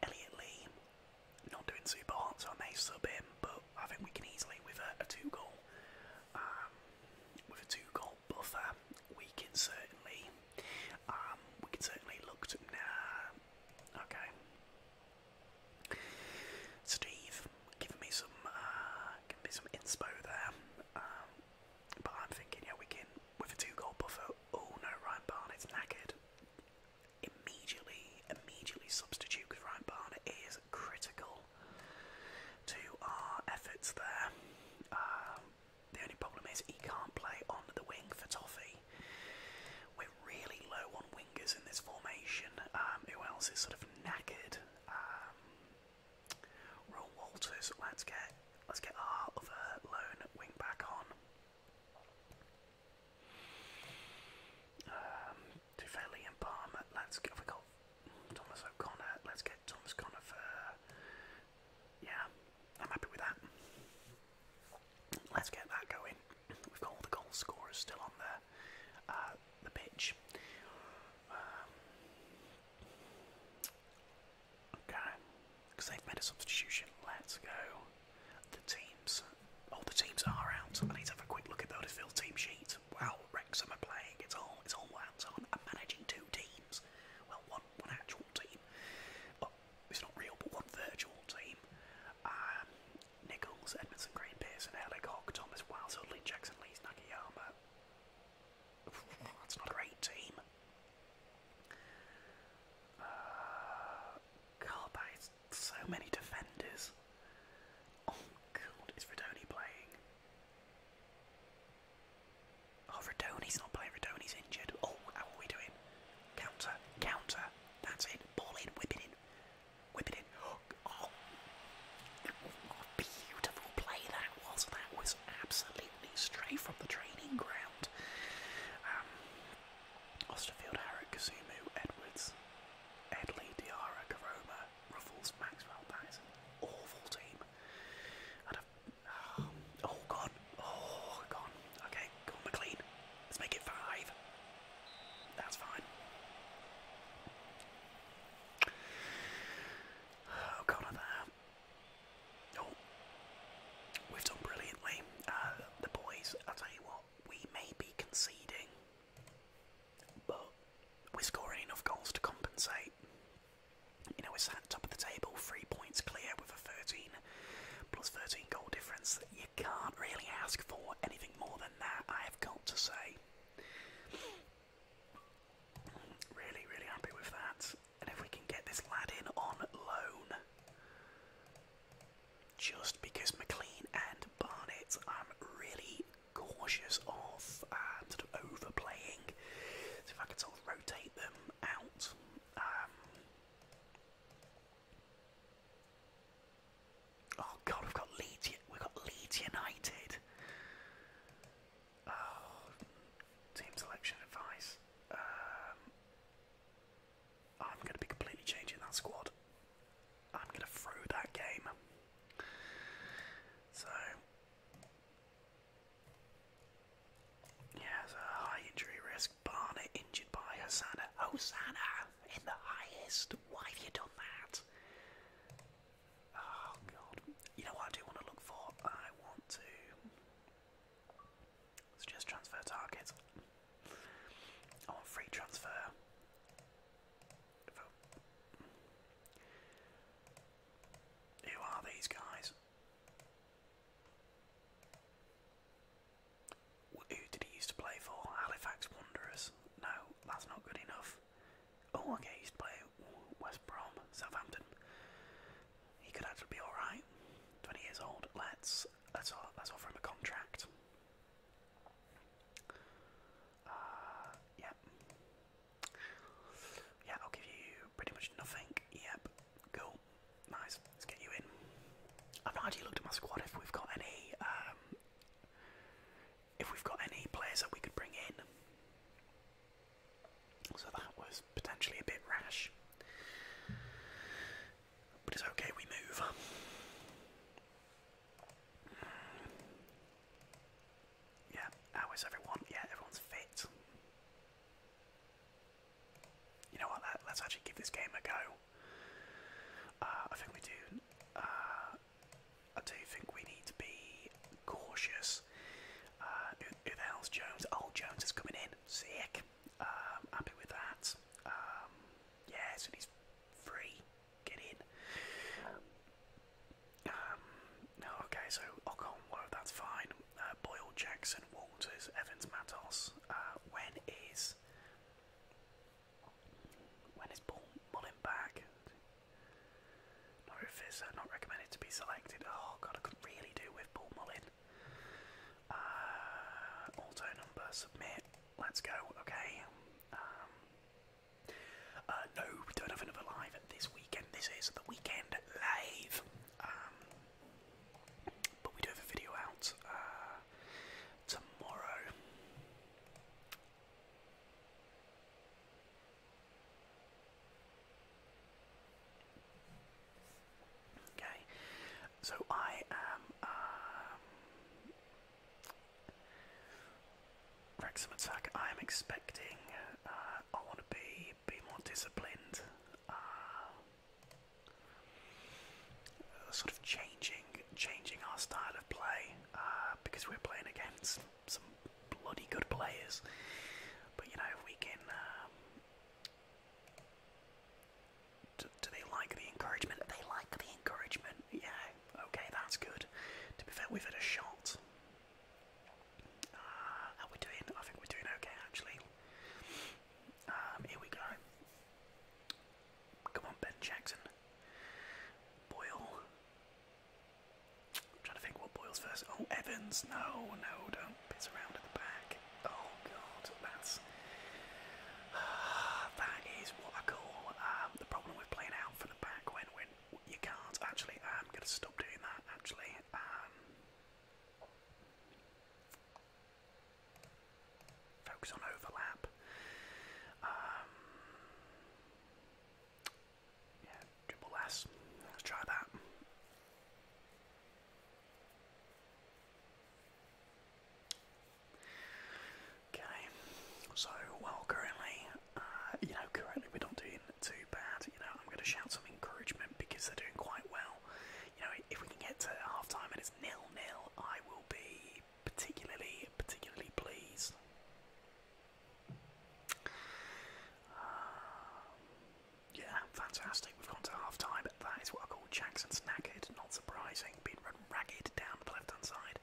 Lee, not doing super hot, so I may sub him, but I think we can easily, with a, two goal, um, with a two goal buffer, we can certainly, um, we can certainly look at. nah, okay. Steve, giving me some, uh, me some inspo there, um, but I'm thinking, yeah, we can, with a two goal buffer. Oh no, Ryan Barnett's knackered. Immediately, immediately substitute because Ryan Barnett is critical to our efforts there. Um, the only problem is he can't play on the wing for Toffee. We're really low on wingers in this formation. Um, who else is sort of knackered? Um, Ron Walters. Let's get let's get our other lone wing back on. Um, and Palmer. Let's get. We got Thomas O'Connor. Let's get Thomas Connor Yeah, I'm happy with that. Let's get that going. We've got all the goal scorers still on there. Uh, the pitch. Um, Okay, because they've made a substitution. Let's go. The teams. All oh, the teams are out. I need to have a quick look at the Bodifield team sheet. Wow, Wrexham are playing. It's all it's all hands on. I'm managing two teams. Well, one one actual team. Well, it's not real, but one virtual team. Um, Nichols, Edmondson, Green, Pearson, Eric, Hawk, Thomas, Wiles, Hudley, Jackson, Lees, Nakayama. That's not a great team. Uh, God, so many defenders. Oh God, is Redoni playing? Oh, Redoni's not playing. Redoni's injured. Oh, how are we doing? Counter, counter. That's it. Ball in, whip it in, whip it in. [gasps] Oh, beautiful play that was. That was absolutely straight from the training ground. Um, Osterfield, Harrod, Kazumu, Edwards, Edley, Diarra, Karoma, Ruffles, Maxwell. That is an awful team. Oh, oh, gone. Oh, gone. Okay, go McLean. Let's make it five. That's fine. Oh, God, Oh, we've done brilliantly. Uh, the boys, i tell you what, we may be conceding, but we're scoring enough goals to compensate. You know, we're sat top of the table, three points clear with a 13 plus 13 goal difference. You can't really ask for anything more than that, I have got to say. Really, really happy with that. And if we can get this lad in on loan, just because McLean and Barnett I'm really cautious of uh, sort of overplaying. So if I could sort of rotate them out. Um, oh god, we've got Leeds. We've got Leeds United. Oh, team selection advice. Um, I'm going to be completely changing that squad. I'm going to throw that game. So, yeah, there's a high injury risk. Barnett injured by Hosanna. Hosanna in the highest. Why have you done that? Oh, God. You know what I do want to look for? I want to. Suggest transfer target. I want free transfer. Who are these guys? Who did he used to play for? Halifax Wanderers. No, that's not good enough. Oh, okay, used to play West Brom, Southampton. He could actually be alright. 20 years old. Let's that's all. That's all from a contract. Uh, yep. Yeah, I'll give you pretty much nothing. Yep. Cool. Nice. Let's get you in. I've not looked at my squad if we've got any um, if we've got any players that we could bring in. So that was potentially a bit rash. But it's okay, we move. Yeah, how is everyone? Yeah, everyone's fit. You know what? Let, us actually give this game a go. Uh, I think we do. Uh, I do think we need to be cautious. Uh, who, who Jones? Oh, Jones is coming in. Sick. Um, happy with that. Um, yeah, so he's free. Get in. Um, okay, so Ocon, well, that's fine. Uh, Boyle, Jackson, Walters, Evans, Matos. Uh, when is when is Bull Mullen back? Not if it's uh, not recommended to be selected. Oh god, I could really do with Paul Mullin. Uh, auto number, submit. Let's go. Okay. Um, uh, no, we don't have another live this weekend. This is the weekend live. Um, but we do have a video out uh, tomorrow. Okay, so I am um, Wrexham attack. Uh, I am expecting. I want to be be more disciplined. Uh, sort of changing, changing our style of play uh, because we're playing against some bloody good players. But you know, we can. Um, do, they like the encouragement? They like the encouragement. Yeah, okay, that's good. To be fair, we've had a shot. how uh, we doing? I think we're doing okay, actually. Um, here we go. Come on, Ben Jackson. Boyle. trying to think what Boyle's first. Oh, Evans. No, no, don't piss around at the back. Oh god, that's [sighs] that is what I call um, the problem with playing out from the back when when you can't actually. I'm gonna stop doing that actually. Um, focus on overlap. Um, yeah, dribble less. Let's try that. Okay, so well, currently, uh, you know, currently we're not doing too bad. You know, I'm going to shout some encouragement because they're doing quite well. You know, if we can get to half time and it's nil nil, I will be particularly, particularly pleased. Um, yeah, fantastic. We've gone to half that is what I call Jackson snackered, not surprising, being run ragged down the left hand side.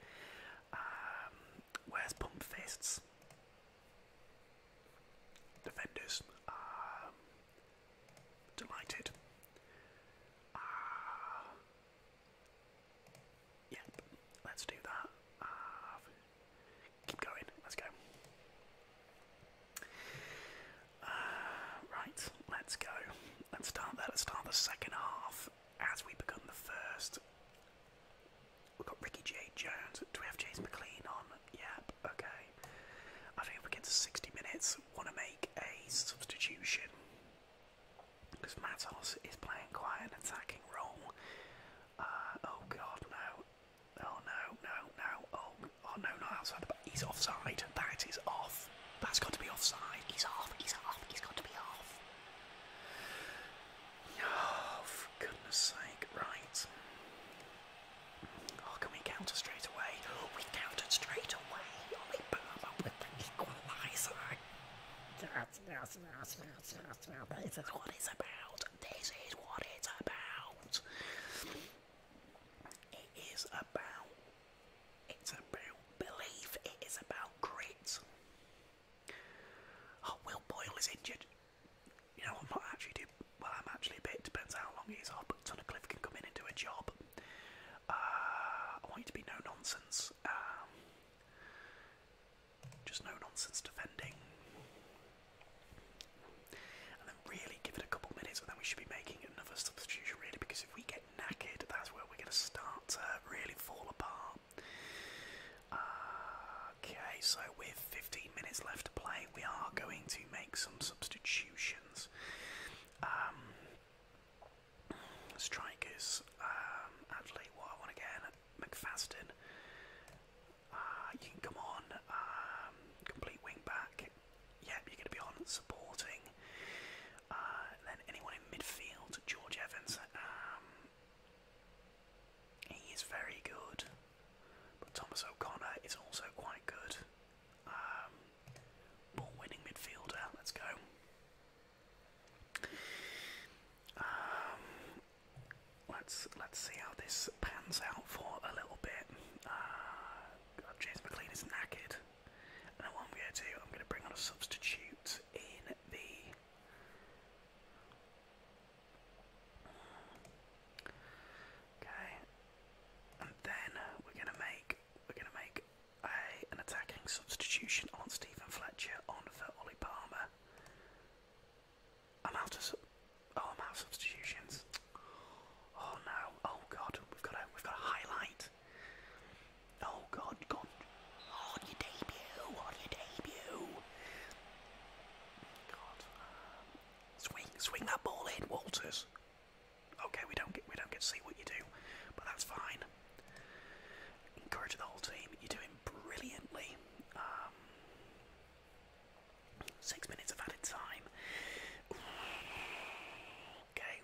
Um, where's Pump Fists? Defenders, delighted. Uh, yep, let's do that. Uh, keep going, let's go. Uh, right, let's go and start that at start the second half as we become the first. We've got Ricky J. Jones. Do we have James McLean on? Yep, okay. I think if we get to 60 minutes, want to make a substitution because Matos is playing quite an attacking role. Uh, oh god, no. Oh no, no, no. Oh, oh no, No! outside the He's offside. That is off. That's got to be offside. He's off, he's off, he's got to be off. Oh, [sighs] for goodness sake, right. Oh, can we counter straight away? Oh, [gasps] we countered straight away. Oh, we put them up with an equaliser. This is what it's about. This is what it's about. It is about it's about belief, it is about grit. Oh, Will Boyle is injured. You know, I'm actually too, well, I'm actually a bit, depends how long he's off, but Tunnicliffe can come in and do a job. Uh, I want you to be no nonsense. Um, just no nonsense defending. And then really give it a couple minutes we should be making another substitution really because if we get that's where we're going to start to really fall apart. okay, so with 15 minutes left to play, we are going to make some substitutions. Um, strikers, um, actually, what I want to get uh, you can come on, um, complete wing back, yeah, you're going to be on supporting. Uh, then anyone in midfield, George Evans. Um, he is very good, but Thomas O'Connor is also quite good. Um, winning midfielder. Let's go. Um, let's let's see how this pans out for a little bit. Uh, James McLean is knackered. And what I'm going to do, I'm going to bring on a substitute in the. Okay, and then we're going to make we're going to make a an attacking substitution on Stephen Fletcher on for Ollie Palmer. I'm out of oh I'm out of substitutions. Oh no! Oh god! We've got a we've got a highlight. Oh god, god. on your debut, on your debut. God. swing, swing that ball in, Walters. Okay, we don't get we don't get to see what you do, but that's fine. Encourage the whole team. You're doing brilliantly. Um, six minutes of added time. Okay,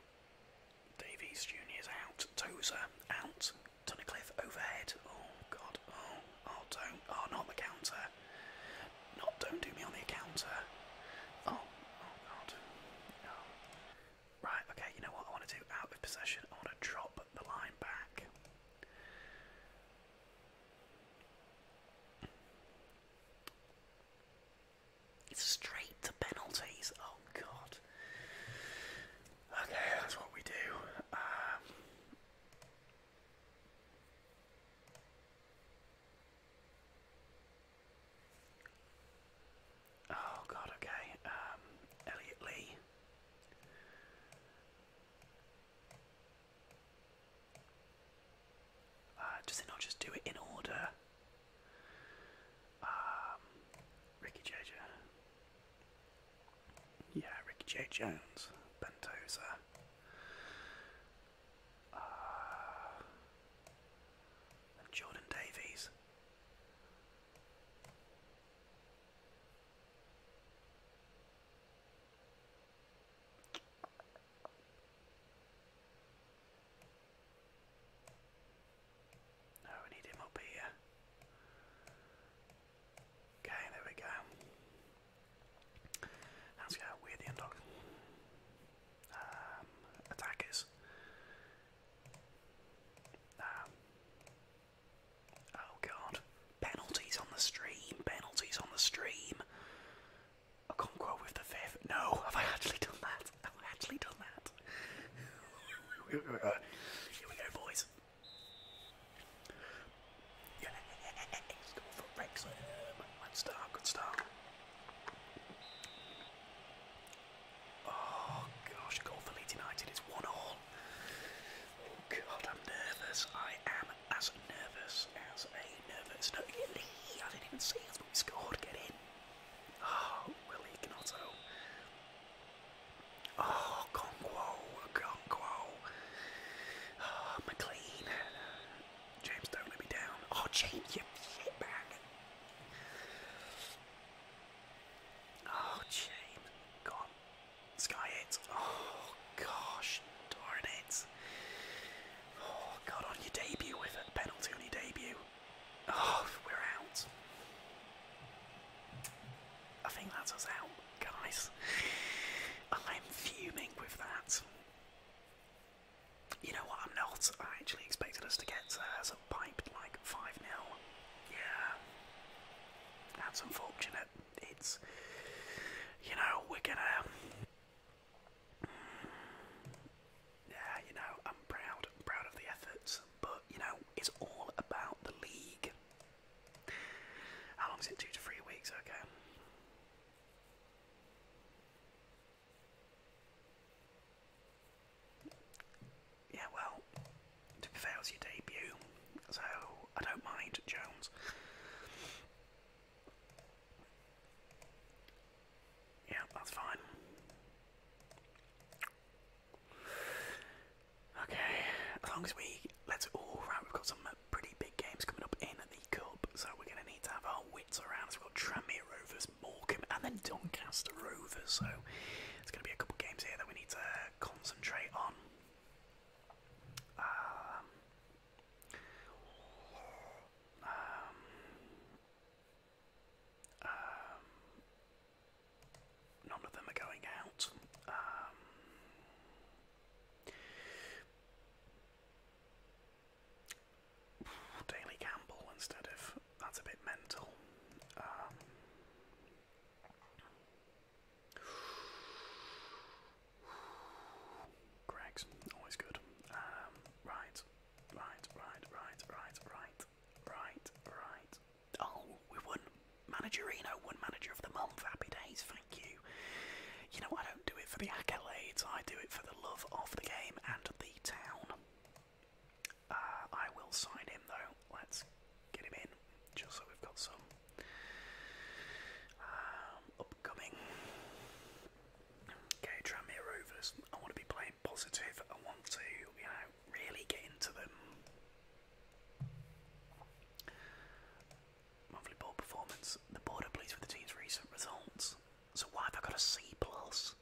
Davies is out, Tozer out, Tunnicliffe overhead. Oh god, oh, oh don't, oh not the counter. Not don't do me on the counter. Oh, oh god. Oh. Right, okay, you know what I want to do out of possession? I want to drop the line back. It's straight to penalties. Oh god. Okay, that's what we do. Um, oh god. Okay. Um, Elliot Lee. Uh, does it not just do it in order? Um, Ricky J. J. Yeah, Ricky J. Jones, Bentoza. Uh, Jordan Davies. No, we need him up here. Okay, there we go. Let's go with the dog. Um, attackers. Um, oh god. Penalties on the stream. Penalties on the stream. I can't go with the fifth. No, have I actually done that? I've, actually done that. Uh, Here we go, boys. Good start, good start. Oh gosh, goal for Leeds United is one all. Oh god, I'm nervous. I am as nervous as a nervous. No, I didn't even see us, but we scored. Get in. Oh, Willie Canotto. Oh, Conquo, Conquo. Oh, McLean. James, don't let me down. Oh, James, you shitbag. Oh, James. Gone. Sky it. Oh, gosh. Darn it. Oh, God, on your debut with a penalty on your debut. Oh, we're out. I think that's us out, guys. I'm fuming with that. You know what? I'm not. I actually expected us to get uh, sort of like 5 0. Yeah. That's unfortunate. It's. You know, we're gonna yeah, you know, I'm proud, i proud of the efforts, but you know, it's all about the league. How long is it? Two to three weeks, okay. Yeah, well, to be fair, it's your debut, so I don't mind Jones. Yeah, that's fine. Okay, as long as we let's all right, we've got some pretty big games coming up in the cup, so we're gonna need to have our wits around. we've got Tranmere Rovers, Morecambe, and then Doncaster Rovers. So it's gonna be a couple games here that we need to concentrate on. Um, um, um, None of them are going out. Um, Campbell instead of that's a bit mental. Um, Greg's always good. Um, right, right, right, right, right, right. Right, right. Oh, we won. Managerino won Manager of the Month. Happy days, thank you. You know, I don't do it for the accolades, I do it for the love of the game and the town. Uh, I will sign him though. Let's get him in, just so we've got some um, upcoming. Okay, Tranmere Rovers. I want to be playing positive. I want to, you know, really get into them. Monthly board performance. The board are pleased with the team's recent results. So why have I got a C plus?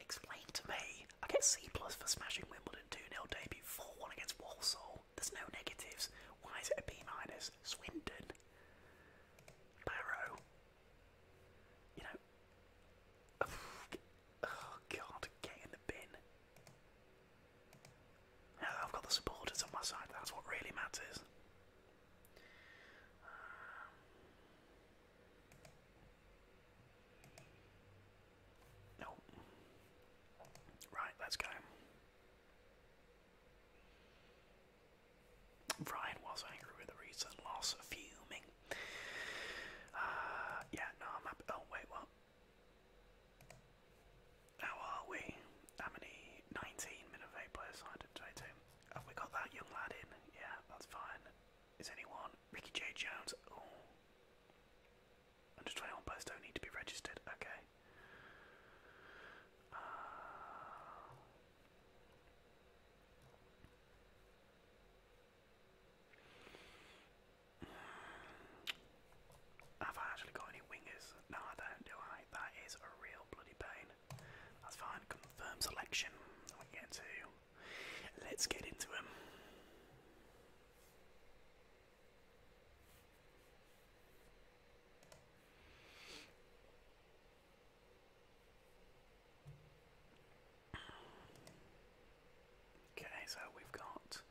Explain to me. I get C plus for smashing Wimbledon 2 0 debut 4 1 against Walsall. There's no negatives. Why is it a B minus? Swindon. Barrow. You know. [sighs] Oh god, get in the bin. I've got the supporters on my side, that's what really matters. Um, no. Right, let's go. Ryan was angry with the recent loss, fuming. Uh, yeah, no, I'm happy. Oh, wait, what? How are we? How many? 19 minute eight players signed in today, too. Have we got that young lad in? Yeah, that's fine. Is anyone? Ricky J. Jones. Oh. Under 21 players don't need to be registered. Okay. Uh, have I actually got any wingers? No, I don't, do I? That is a real bloody pain. That's fine. Confirm selection. to. Let's get into him. Okay, so we've got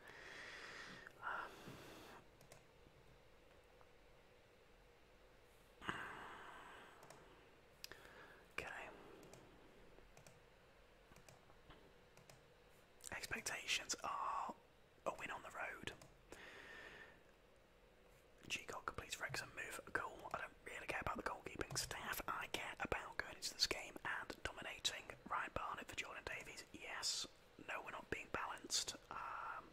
um, Okay. Expectations are a win on the road. Gcock completes Wrexham move goal. I don't really care about the goalkeeping staff. I care about going into this game and dominating. Ryan Barnett for Jordan Davies. Yes. No, we're not being balanced. Um,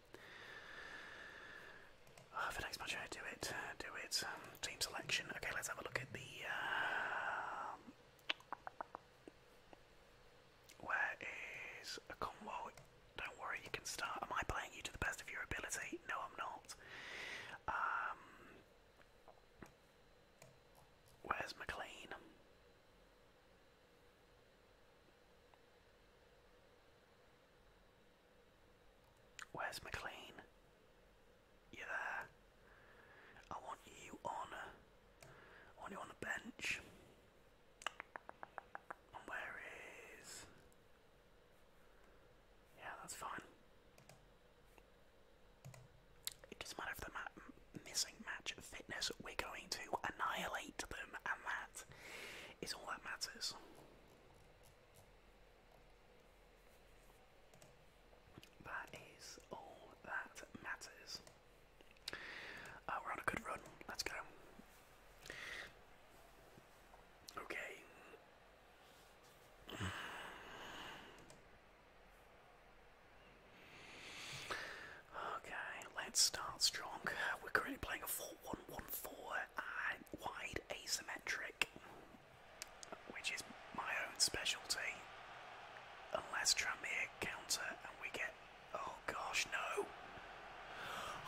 uh, for next match, do it. do it. Um, team selection. Okay, let's have a look at the. Uh, where is a Cornwall? Don't worry, you can start. Am I playing you to the best of your ability? No, I'm not. Um, where's McLean? Where's McLean? You there? I want you on. Only on the bench. where is. Yeah, that's fine. It doesn't matter if they're missing match fitness, we're going to annihilate them, and that is all that matters. That is all that matters. Uh, we're on a good run. Let's go. Okay. Okay, let's start strong. We're currently playing a 4 1 1 4 uh, wide asymmetric, which is my own specialty. Unless Tranmere counter and we get Oh gosh, no.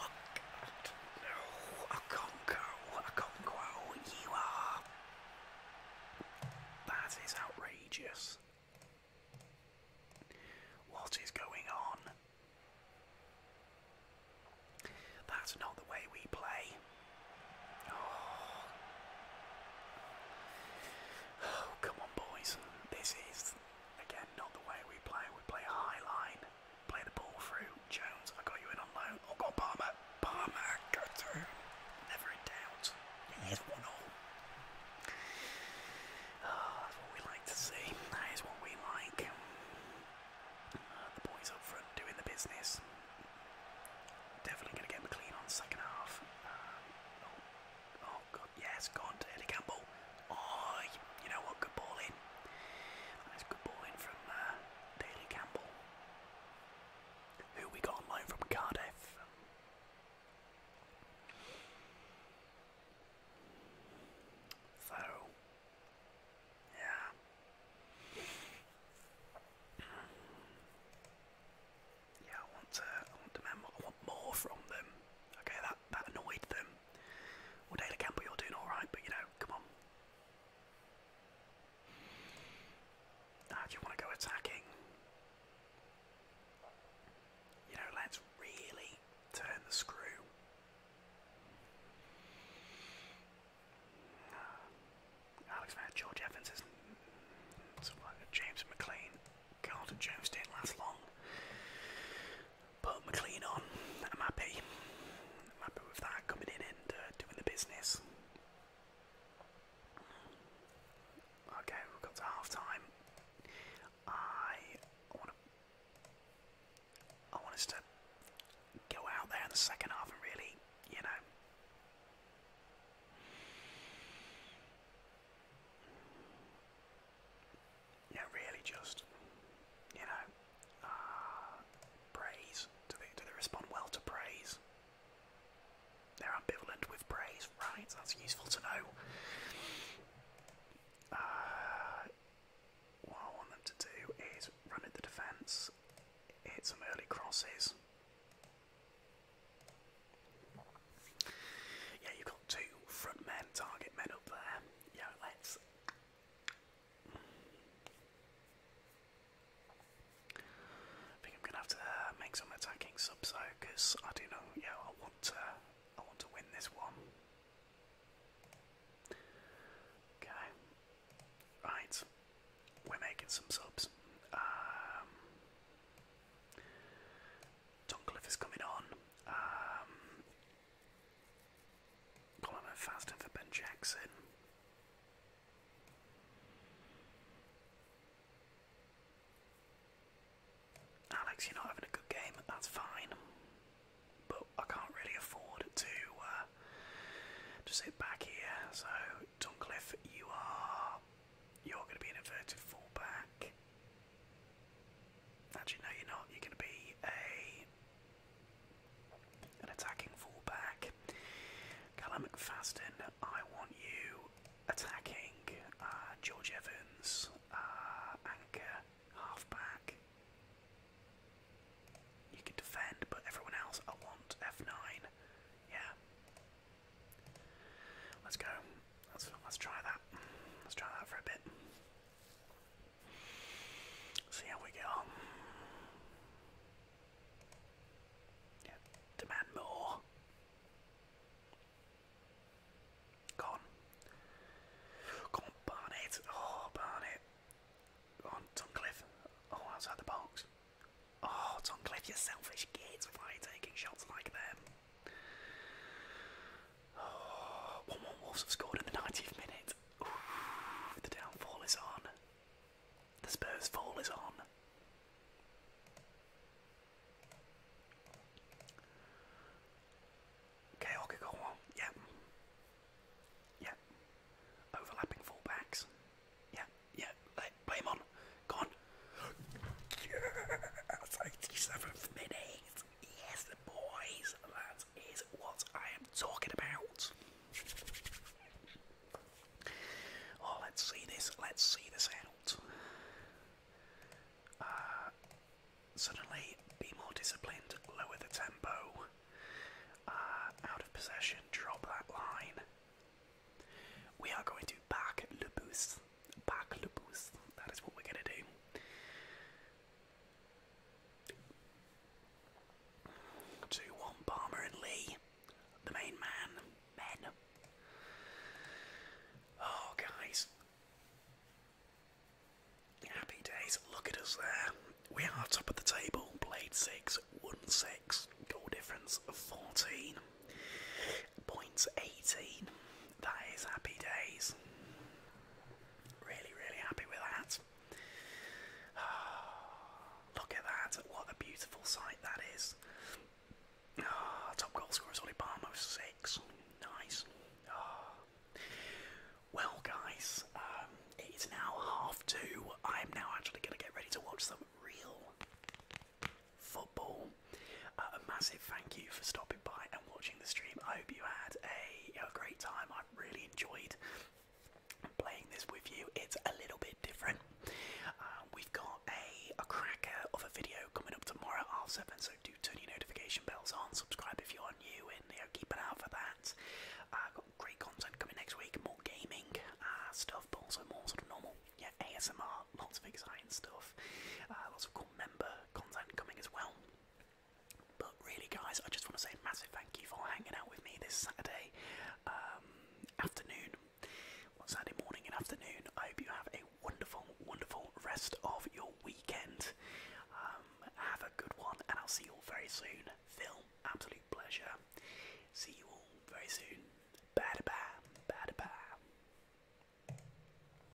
Oh, no, I can't go. I can't go. You are. That is outrageous. What is going on? That's not the way we play. oh, oh come on, boys. This is that's again not the way we play. We play high line, play the ball through. Jones, I got you in on loan. Oh, got Palmer. Palmer, go through. Never in doubt. It is one all. Ah, that's what we like to see. That is what we like. Ah, the boys up front doing the business. Definitely going to get McLean on second half. Um, oh, Oh god, yes, gone to Taylor Campbell. Oh, you know what? Good ball in. good ball from uh, Campbell. Who we got on loan from Cardiff. So, yeah yeah, I want to, I want to I want more from them. Okay, that that annoyed them. Well, Dale Campbell, you're doing all right, but you know, come on. do you want to go attacking? You know, let's really turn the screw. Alex Mayer, George Evans is mm, mm, mm, James McLean. Carlton Jones didn't last long. But McLean on, I'm happy. happy with that coming in and uh, doing the business. Okay, we've got to half time. I want I want us to go out there in the second half and really, you know you really just, you know, uh, praise. Do they, do they respond well to praise? They're ambivalent with praise, right? That's useful to know. Uh, what I want them to do is run at the defence, hit some early crosses. Yeah, you've got two front men, target men up there. Yeah, let's. I think I'm gonna have to uh, make some attacking subs because I do know. Yeah, I want to. I want to win this one. Okay. Right. We're making some subs. Um, Toncliffe is coming on. Um, Coleman Faston for Ben Jackson. Alex, you're not having a good game, that's fine. But I can't really afford to uh, to sit back here. So Duncliffe, you are you're going to be an inverted fullback. Actually, no, you're not. You're going to be a an attacking fullback. Callum McFadden, I want you attacking. Uh, George Evans, uh, anchor, halfback. You can defend, but everyone else I want F9. Yeah. Let's go. Let's try that. Let's try that for a bit. See how we get on. Yeah, demand more. Go on. Go Oh, burn it. Go Oh, outside the box. Oh, Toncliffe, you selfish kids. Why taking shots like them? 1 1 Wolves scored in the 90th minute. the downfall is on. The Spurs' fall is on. Okay, okay, go on. Yep. Yep. Overlapping fullbacks. Yeah, yeah. play on. Go on. [gasps] Yes, 87th minute. Yes, the boys, that is what I am talking about. Oh, let's see this. Let's see this out. Uh, suddenly, be more disciplined. Lower the tempo. Uh, out of possession. Drop that line. We are going to back Le Boost back the boost. That is what we're gonna do. Two one Palmer and Lee, the main man, men. Oh guys. Happy days, look at us there. We are top of the table, blade six, one six, goal difference of fourteen. Points 18 that is happy days. Really, really happy with that. [sighs] look at that, what a beautiful sight that is. Ah, top goal scorer is Oli Palmer, 6. Nice. Ah. Well, guys, um, it is now half two. I'm now actually going to get ready to watch some real football. Uh, a massive thank you for stopping by and watching the stream. I hope you had a, great time. I really enjoyed playing this with you. It's a little bit different. Um, we've got a, a cracker of a video coming up tomorrow at seven, so do turn your notification bells on. Subscribe if you are new, and you know, keep an eye out for that. i uh, got great content coming next week, more gaming uh, stuff, but also more sort of normal yeah, ASMR, lots of exciting stuff, lots of cool member content coming as well. But really, guys, I just want to say a massive thank you for hanging out with me this Saturday um, afternoon. Saturday morning and afternoon. I hope you have a wonderful, wonderful rest of your weekend. Um, have a good one, and I'll see you all very soon. Phil, absolute pleasure. See you all very soon. Bye bye. Bye bye.